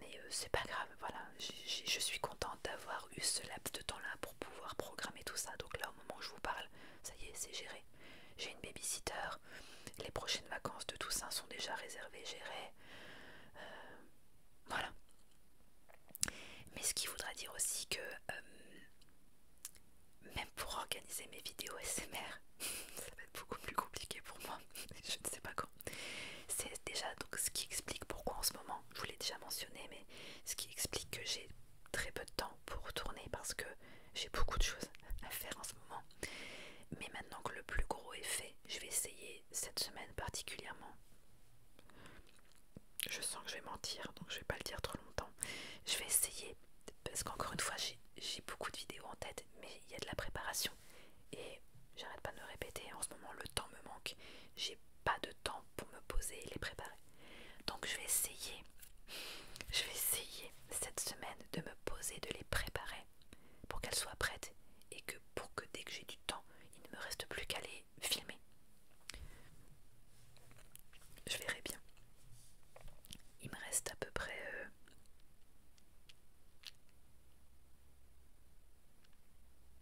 [SPEAKER 1] Mais euh, c'est pas grave, voilà. je suis contente d'avoir eu ce laps de temps-là pour pouvoir programmer tout ça. Donc là, au moment où je vous parle, ça y est, c'est géré. J'ai une babysitter. Les prochaines vacances de Toussaint sont déjà réservées, gérées. Euh, voilà. Mais ce qui voudra dire aussi que même pour organiser mes vidéos SMR, (laughs) ça va être beaucoup plus compliqué pour moi, (laughs) je ne sais pas quand. C'est déjà donc ce qui explique pourquoi en ce moment, je vous l'ai déjà mentionné, mais ce qui explique que j'ai très peu de temps pour tourner parce que j'ai beaucoup de choses à faire en ce moment. Mais maintenant que le plus gros est fait, je vais essayer cette semaine particulièrement je sens que je vais mentir, donc je vais pas le dire trop longtemps. Je vais essayer, parce qu'encore une fois, j'ai beaucoup de vidéos en tête, mais il y a de la préparation. Et j'arrête pas de me répéter, en ce moment, le temps me manque. J'ai pas de temps pour me poser et les préparer. Donc je vais essayer, je vais essayer cette semaine de me poser, de les préparer pour qu'elles soient prêtes et que pour que dès que j'ai du temps, il ne me reste plus qu'à les filmé. Je verrai bien. Il me reste à peu près... Euh,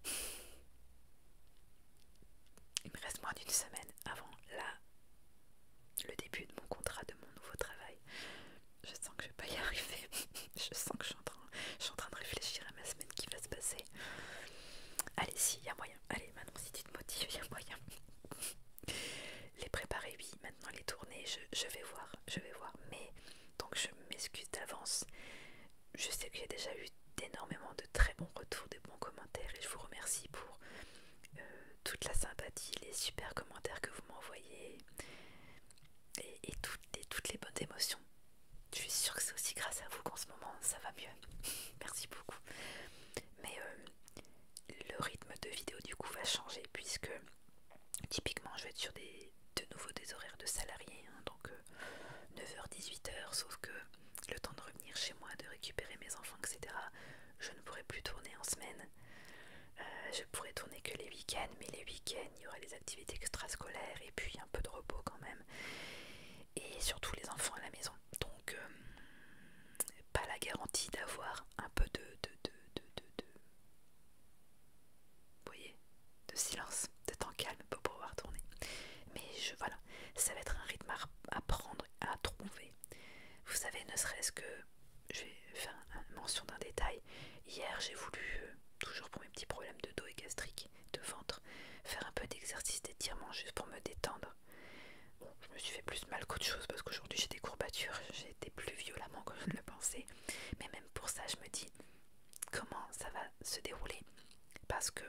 [SPEAKER 1] (laughs) il me reste moins d'une semaine avant la... le début de mon contrat de mon nouveau travail. Je sens que je vais pas y (laughs) arriver. je sens que je suis, en train, je suis en train de réfléchir à ma semaine qui va se passer. Allez, si, il y a moyen Allez, maintenant si tu te motives, il y a moyen. les préparer, oui. Maintenant, les tourner, je, vais voir. Je vais voir. Mais donc, je m'excuse d'avance. Je sais que j'ai déjà eu énormément de très bons retours, de bons commentaires. Et je vous remercie pour euh, toute la sympathie, les super commentaires que vous m'envoyez. Et, toutes, et toutes les bonnes émotions. Je suis sûre que c'est aussi grâce à vous qu'en ce moment ça va mieux. (laughs) Merci beaucoup. Mais euh, le rythme de vidéo du coup va changer puisque typiquement je vais être sur de nouveau des horaires de salariés, hein, donc 9h-18h, euh, sauf que le temps de revenir chez moi, de récupérer mes enfants, etc., je ne pourrai plus tourner en semaine. Euh, je pourrai tourner que les week-ends, mais les week-ends, il y aura des activités extrascolaires et puis un peu de repos quand même. Et surtout les enfants à la maison donc euh, pas la garantie d'avoir un peu de, voyez de silence, de en calme pour pouvoir tourner. Mais je, voilà, ça va être un rythme à, prendre, à trouver. Vous savez, ne serait-ce que, je vais faire mention d'un détail, hier j'ai voulu, euh, toujours pour mes petits problèmes de dos et gastrique, de ventre, faire un peu d'exercice d'étirement juste pour me détendre. Bon, je me suis fait plus mal qu'autre chose parce qu'aujourd'hui j'ai des courbatures, j'ai été plus violemment que je ne le pensais. Mais même pour ça, je me dis comment ça va se dérouler parce que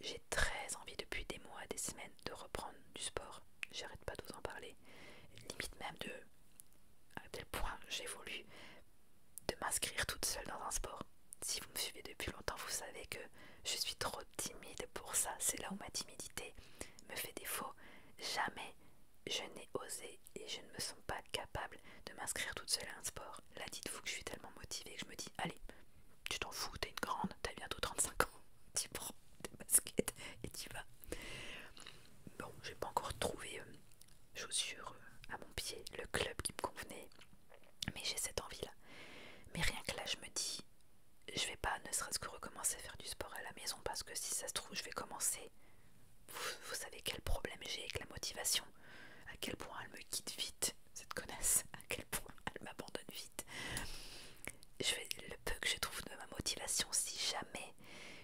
[SPEAKER 1] j'ai très envie depuis des mois, des semaines de reprendre du sport. J'arrête pas de vous en parler. Limite même de à quel point j'ai voulu de m'inscrire toute seule dans un sport. Si vous me suivez depuis longtemps, vous savez que je suis trop timide pour ça. C'est là où ma timidité me fait défaut. Jamais je n'ai osé et je ne me sens pas capable de m'inscrire toute seule à un sport. Là, dites-vous que je suis tellement motivée que je me dis Allez, tu t'en fous, t'es une grande, t'as bientôt 35 ans, (laughs) tu prends des baskets et tu vas. Bon, j'ai pas encore trouvé euh, chaussures euh, à mon pied, le club qui me convenait, mais j'ai cette envie là. Mais rien que là, je me dis je vais pas ne serait-ce que recommencer à faire du sport à la maison parce que si ça se trouve, je vais commencer. Vous, savez quel problème j'ai avec la motivation, à quel point elle me quitte vite, cette connasse, à quel point elle m'abandonne vite. Je vais, le peu que je trouve de ma motivation, si jamais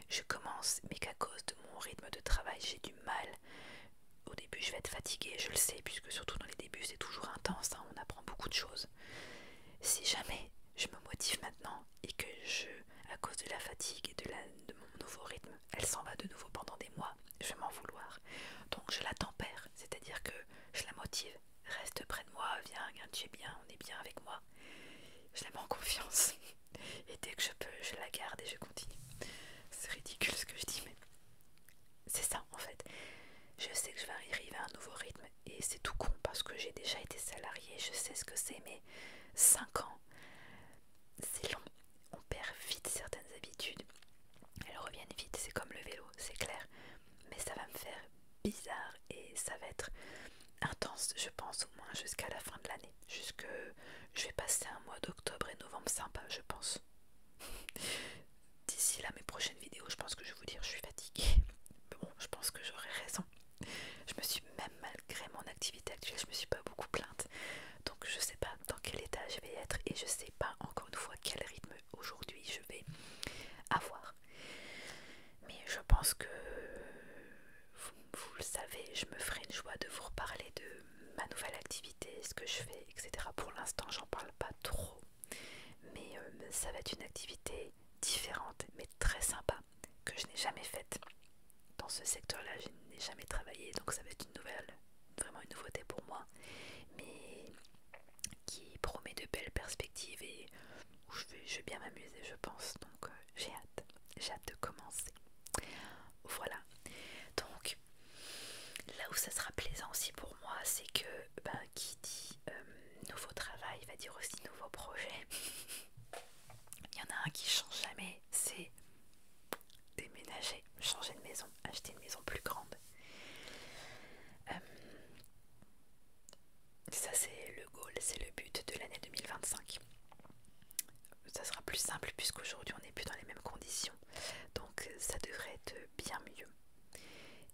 [SPEAKER 1] je commence, mais qu'à cause de mon rythme de travail, j'ai du mal. Au début, je vais être fatiguée, je le sais, puisque surtout dans les débuts, c'est toujours intense, hein, on apprend beaucoup de choses. Si jamais je me motive maintenant et que je, à cause de la fatigue et de, la, de mon nouveau rythme, elle s'en va de nouveau pendant des mois, je vais m'en vouloir. Donc je la tempère, c'est-à-dire que je la motive. Reste près de moi, viens, tu es bien, on est bien avec moi. Je la mets en confiance. (laughs) Et dès que je peux, je la garde et je continue. C'est ridicule ce que je dis, mais c'est ça en fait. Je sais que je vais arriver à un nouveau rythme et c'est tout con parce que j'ai déjà été salariée, je sais ce que c'est, mais 5 ans, c'est long. On perd vite certaines habitudes. Elles reviennent vite, c'est comme le vélo, c'est clair. Mais ça va me faire bizarre et ça va être intense, je pense, au moins jusqu'à la fin de l'année. Jusque je vais passer un mois d'octobre et novembre sympa, je pense d'ici là mes prochaines vidéos, je pense que je vais vous dire je suis fatiguée. Mais bon, je pense que j'aurai raison. Je me suis même malgré mon activité actuelle, je me suis pas beaucoup plainte. Donc je sais pas dans quel état je vais être et je sais pas encore une fois quel rythme aujourd'hui je vais avoir. Mais je pense que vous, vous le savez, je me ferai une joie de vous reparler de ma nouvelle activité, ce que je fais, etc. Pour l'instant, j'en parle pas trop euh, mais ça va être une activité différente, mais très sympa, que je n'ai jamais faite. Dans ce secteur-là, je n'ai jamais travaillé, donc ça va être une nouvelle, vraiment une nouveauté pour moi, mais qui promet de belles perspectives et où je vais, bien m'amuser, je pense. Donc euh, j'ai hâte, j'ai hâte de commencer. Voilà. Donc là où ça sera plaisant aussi pour moi, c'est que ben, qui dit euh, nouveau travail, va dire aussi nouveau projet. (laughs) Il y en a un qui change jamais, c'est déménager, changer de maison, acheter une maison plus grande. Euh, ça c'est le goal, c'est le but de l'année 2025. Ça sera plus simple puisqu'aujourd'hui on n'est plus dans les mêmes conditions. Donc ça devrait être bien mieux.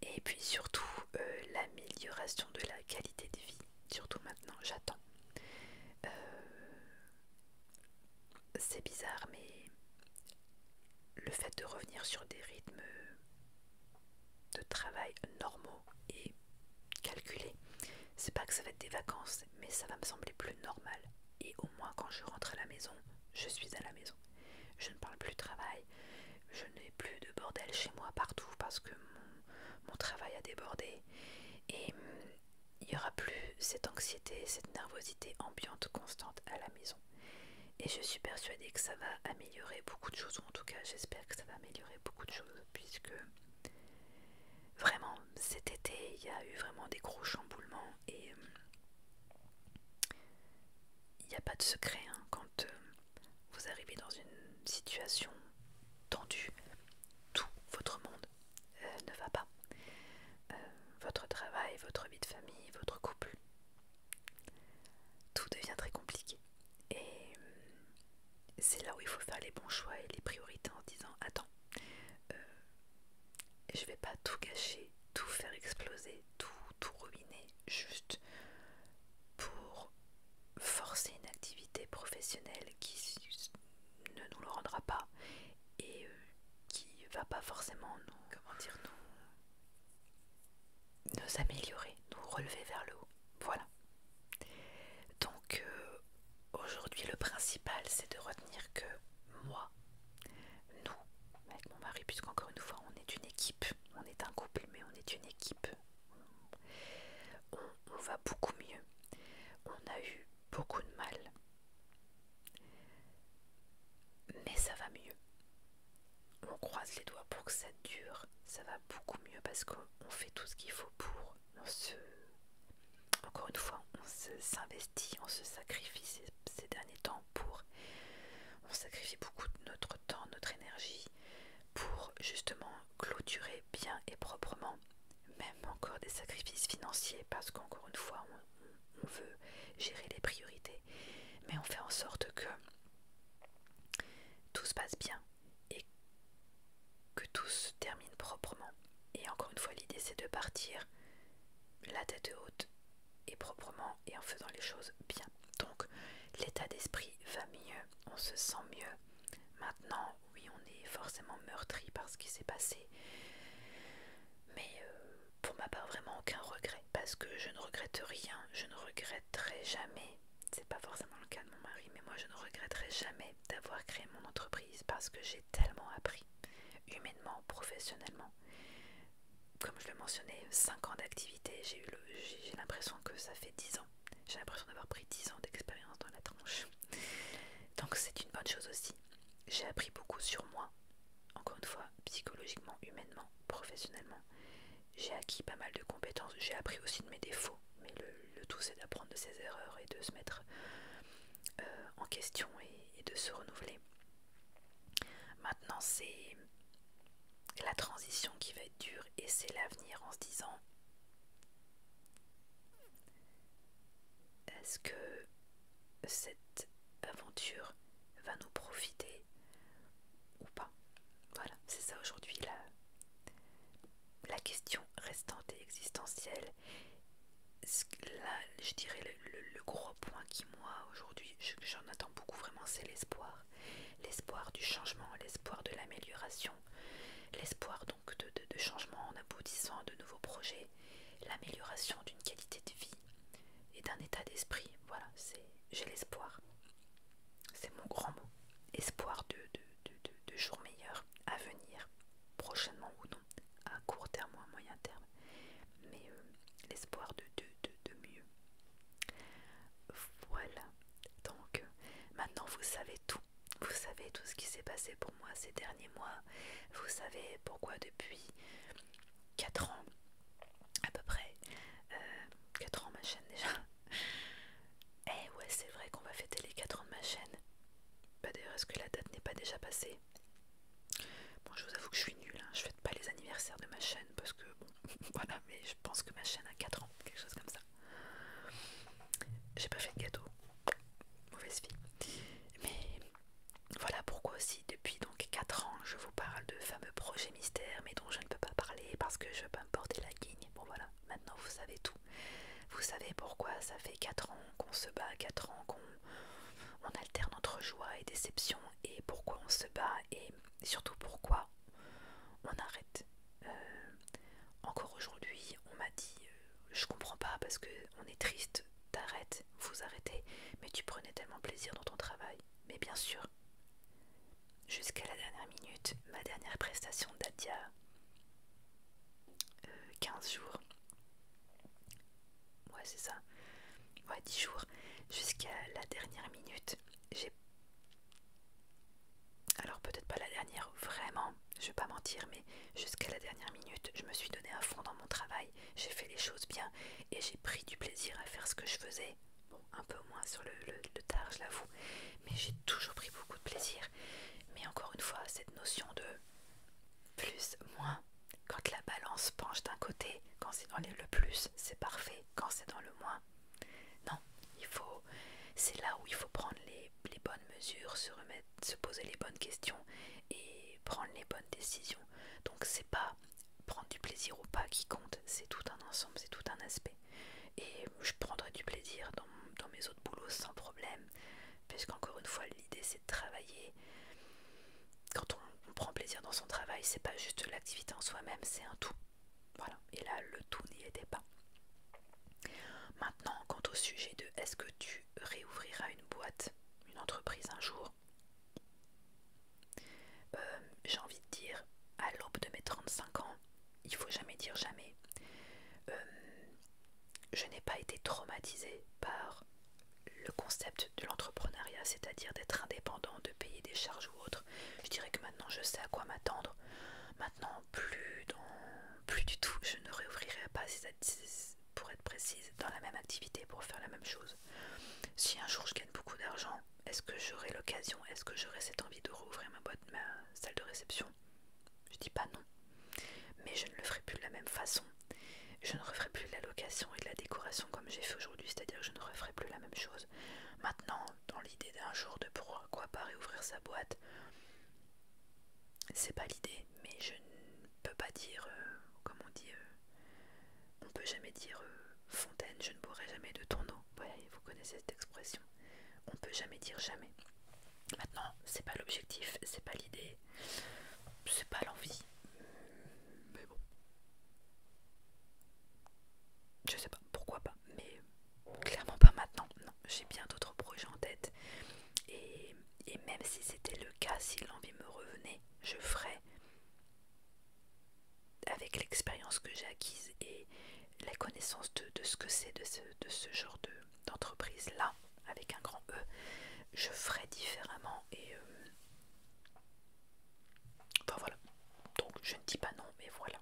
[SPEAKER 1] Et puis surtout euh, l'amélioration de la qualité de vie. Surtout maintenant, j'attends. Euh, c'est bizarre, mais le fait de revenir sur des rythmes de travail normaux et calculés, c'est pas que ça va être des vacances, mais ça va me sembler plus normal. Et au moins quand je rentre à la maison, je suis à la maison. Je ne parle plus de travail, je n'ai plus de bordel chez moi partout parce que mon, travail a débordé et mm, il n'y aura plus cette anxiété, cette nervosité ambiante constante à la maison. Et je suis persuadée que ça va améliorer beaucoup de choses, en tout cas j'espère que ça va améliorer beaucoup de choses, puisque vraiment cet été il y a eu vraiment des gros chamboulements et mm, il n'y a pas de secret hein, quand, euh, vous arrivez dans une situation tendue, tout votre monde euh, ne va pas. Euh, votre travail, votre vie de famille, votre couple, tout devient très compliqué. Et euh, c'est là où il faut faire les bons choix et les priorités en disant attends, je vais pas tout cacher, tout faire exploser, tout tout ruiner juste pour forcer une activité professionnelle qui ne nous le rendra pas et euh, qui va pas forcément nous, comment dire, nous, nous améliorer, nous relever vers le haut. Voilà. Donc euh, aujourd'hui le principal c'est de retenir que moi, nous, avec mon mari, puisqu'encore une fois on est une équipe, on est un couple mais on est une équipe on, va beaucoup mieux. On a eu beaucoup de mal. Mais ça va mieux. On croise les doigts pour que ça dure. Ça va beaucoup mieux parce qu'on fait tout ce qu'il faut pour. Encore une fois, on s'investit, on se sacrifie ces derniers temps pour... On sacrifie beaucoup de notre temps, notre énergie pour justement clôturer bien et proprement, même encore des sacrifices financiers, parce qu'encore une fois, on, veut gérer les priorités, mais on fait en sorte que tout se passe bien et que tout se termine proprement. Et encore une fois, l'idée c'est de partir la tête haute et proprement et en faisant les choses bien. Donc l'état d'esprit va mieux, on se sent mieux. Maintenant, oui, on est forcément meurtri par ce qui s'est passé. Mais euh, pour ma part, vraiment aucun regret. Parce que je ne regrette rien, je ne regretterai jamais. C'est pas forcément le cas de mon mari, mais moi je ne regretterai jamais d'avoir créé mon entreprise parce que j'ai tellement appris, humainement, professionnellement. Comme je le mentionnais, 5 ans d'activité, j'ai l'impression que ça fait 10 ans. J'ai l'impression d'avoir pris 10 ans d'expérience dans la tranche. Donc c'est une bonne chose aussi. J'ai appris beaucoup sur moi, encore une fois, psychologiquement, humainement, professionnellement. J'ai acquis pas mal de compétences. J'ai appris aussi de mes défauts. Mais le, tout, c'est d'apprendre de ses erreurs et de se mettre euh, en question et de se renouveler. Maintenant, c'est la transition qui va être dure et c'est l'avenir en se disant est-ce que cette aventure va nous profiter ou pas Voilà, c'est ça aujourd'hui la, la question restante et existentielle. Là, je dirais le gros point qui, moi, aujourd'hui, j'en attends beaucoup vraiment, c'est l'espoir l'espoir, du changement, l'espoir de l'amélioration, l'espoir donc de, changement en aboutissant à de nouveaux projets, l'amélioration d'une qualité de vie et d'un état d'esprit. Voilà, c'est j'ai l'espoir. C'est mon grand mot. Espoir de, jours meilleurs à venir, prochainement ou non, à court terme ou à moyen terme. Mais euh, l'espoir de mieux. Voilà. Donc maintenant vous savez tout. Vous savez tout ce qui s'est passé pour moi ces derniers mois. Vous savez pourquoi depuis 4 ans, à peu près, 4 euh, ans ma chaîne déjà. (laughs) Eh ouais c'est vrai qu'on va fêter les 4 ans de ma chaîne. Bah d'ailleurs est-ce que la date n'est pas déjà passée Bon je vous avoue que je suis nulle, hein. je fête pas les anniversaires de ma chaîne parce que (laughs) voilà, mais je pense que ma chaîne a 4 ans, quelque chose comme ça. J'ai pas fait de gâteau, mauvaise fille Mais voilà pourquoi aussi, depuis donc 4 ans, je vous parle de fameux projets mystères, mais dont je ne peux pas parler parce que je veux pas me porter la guigne. Bon voilà, maintenant vous savez tout. Vous savez pourquoi ça fait 4 ans qu'on se bat, 4 ans qu'on on alterne entre joie et déception, et pourquoi on se bat, et surtout pourquoi on arrête. Euh, encore aujourd'hui, on m'a dit euh, Je comprends pas parce que on est triste, t'arrêtes, vous arrêtez, mais tu prenais tellement plaisir dans ton travail. Mais bien sûr, jusqu'à la dernière minute, ma dernière prestation date d'il y a 15 jours. Ouais, c'est ça. Ouais, 10 jours. Jusqu'à la dernière minute, j'ai alors peut-être pas la dernière, vraiment, je vais pas mentir, mais jusqu'à la dernière minute, je me suis donné un fond dans mon travail, j'ai fait les choses bien et j'ai pris du plaisir à faire ce que je faisais. Bon, un peu moins sur le tard, je l'avoue, mais j'ai toujours pris beaucoup de plaisir. Mais encore une fois, cette notion de plus, moins, quand la balance penche d'un côté, quand c'est dans le plus, c'est parfait, quand c'est dans le moins, non, il faut. C'est là où il faut prendre les, bonnes mesures, se remettre, se poser les bonnes questions et prendre les bonnes décisions. Donc c'est pas prendre du plaisir ou pas qui compte, c'est tout un ensemble, c'est tout un aspect. Et je prendrai du plaisir dans, mes autres boulots sans problème, puisqu'encore une fois l'idée c'est de travailler. Quand on, on prend plaisir dans son travail, c'est pas juste l'activité en soi-même, c'est un tout. Voilà, et là le tout n'y était pas. Maintenant, quant au sujet de est-ce que tu réouvriras une boîte, une entreprise un jour euh, J'ai envie de dire, à l'aube de mes 35 ans, il faut jamais dire jamais. Euh, je n'ai pas été traumatisée par le concept de l'entrepreneuriat, c'est-à-dire d'être indépendant, de payer des charges autre. Je dirais que maintenant je sais à quoi m'attendre. Maintenant, plus, dans, plus du tout, je ne réouvrirai pas pour être précise, dans la même activité, pour faire la même chose. Si un jour je gagne beaucoup d'argent, est-ce que j'aurai l'occasion, est-ce que j'aurai cette envie de rouvrir ma boîte, ma salle de réception Je dis pas non. Mais je ne le ferai plus de la même façon. Je ne referai plus de la location et de la décoration comme j'ai fait aujourd'hui, c'est-à-dire que je ne referai plus la même chose. Maintenant, dans l'idée d'un jour de pourquoi pas réouvrir sa boîte. C'est pas l'idée, mais je ne peux pas dire, euh, comme on dit, euh, on peut jamais dire euh, fontaine, je ne boirai jamais de ton eau. vous connaissez cette expression. On peut jamais dire jamais. Maintenant, c'est pas l'objectif, c'est pas l'idée, c'est pas l'envie. Mais bon, je sais pas, pourquoi pas mais clairement pas maintenant. Non, j'ai bien d'autres projets en tête. Et, même si c'était le cas, si l'envie me revenait, je ferais avec l'expérience que j'ai acquise et la connaissance de, ce que c'est de ce, genre d'entreprise là, avec un grand E, je ferai différemment et euh, enfin voilà. Donc je ne dis pas non, mais voilà.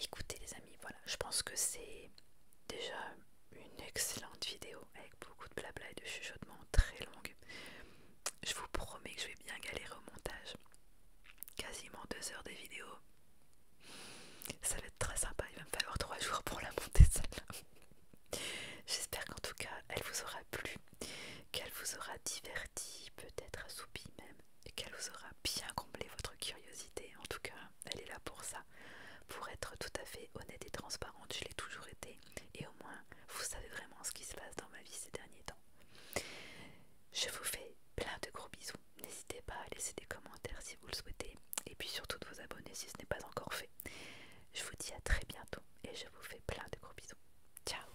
[SPEAKER 1] Écoutez les amis, voilà, je pense que c'est déjà une excellente vidéo avec beaucoup de blabla et de chuchotements très longue. Je vous promets que je vais bien galérer au montage. Quasiment deux heures de vidéo. Ça va être très sympa, il va me falloir trois jours pour la monter celle-là. J'espère qu'en tout cas elle vous aura plu, qu'elle vous aura diverti, peut-être assoupi même et qu'elle vous aura bien comblé votre curiosité. En tout cas, elle est là pour ça. Pour être tout à fait honnête et transparente, je l'ai toujours été. Et au moins, vous savez vraiment ce qui se passe dans ma vie ces derniers temps. Je vous fais plein de gros bisous. N'hésitez pas à laisser des commentaires si vous le souhaitez. Et puis surtout de vous abonner si ce n'est pas encore fait. Je vous dis à très bientôt et je vous fais plein de gros bisous. Ciao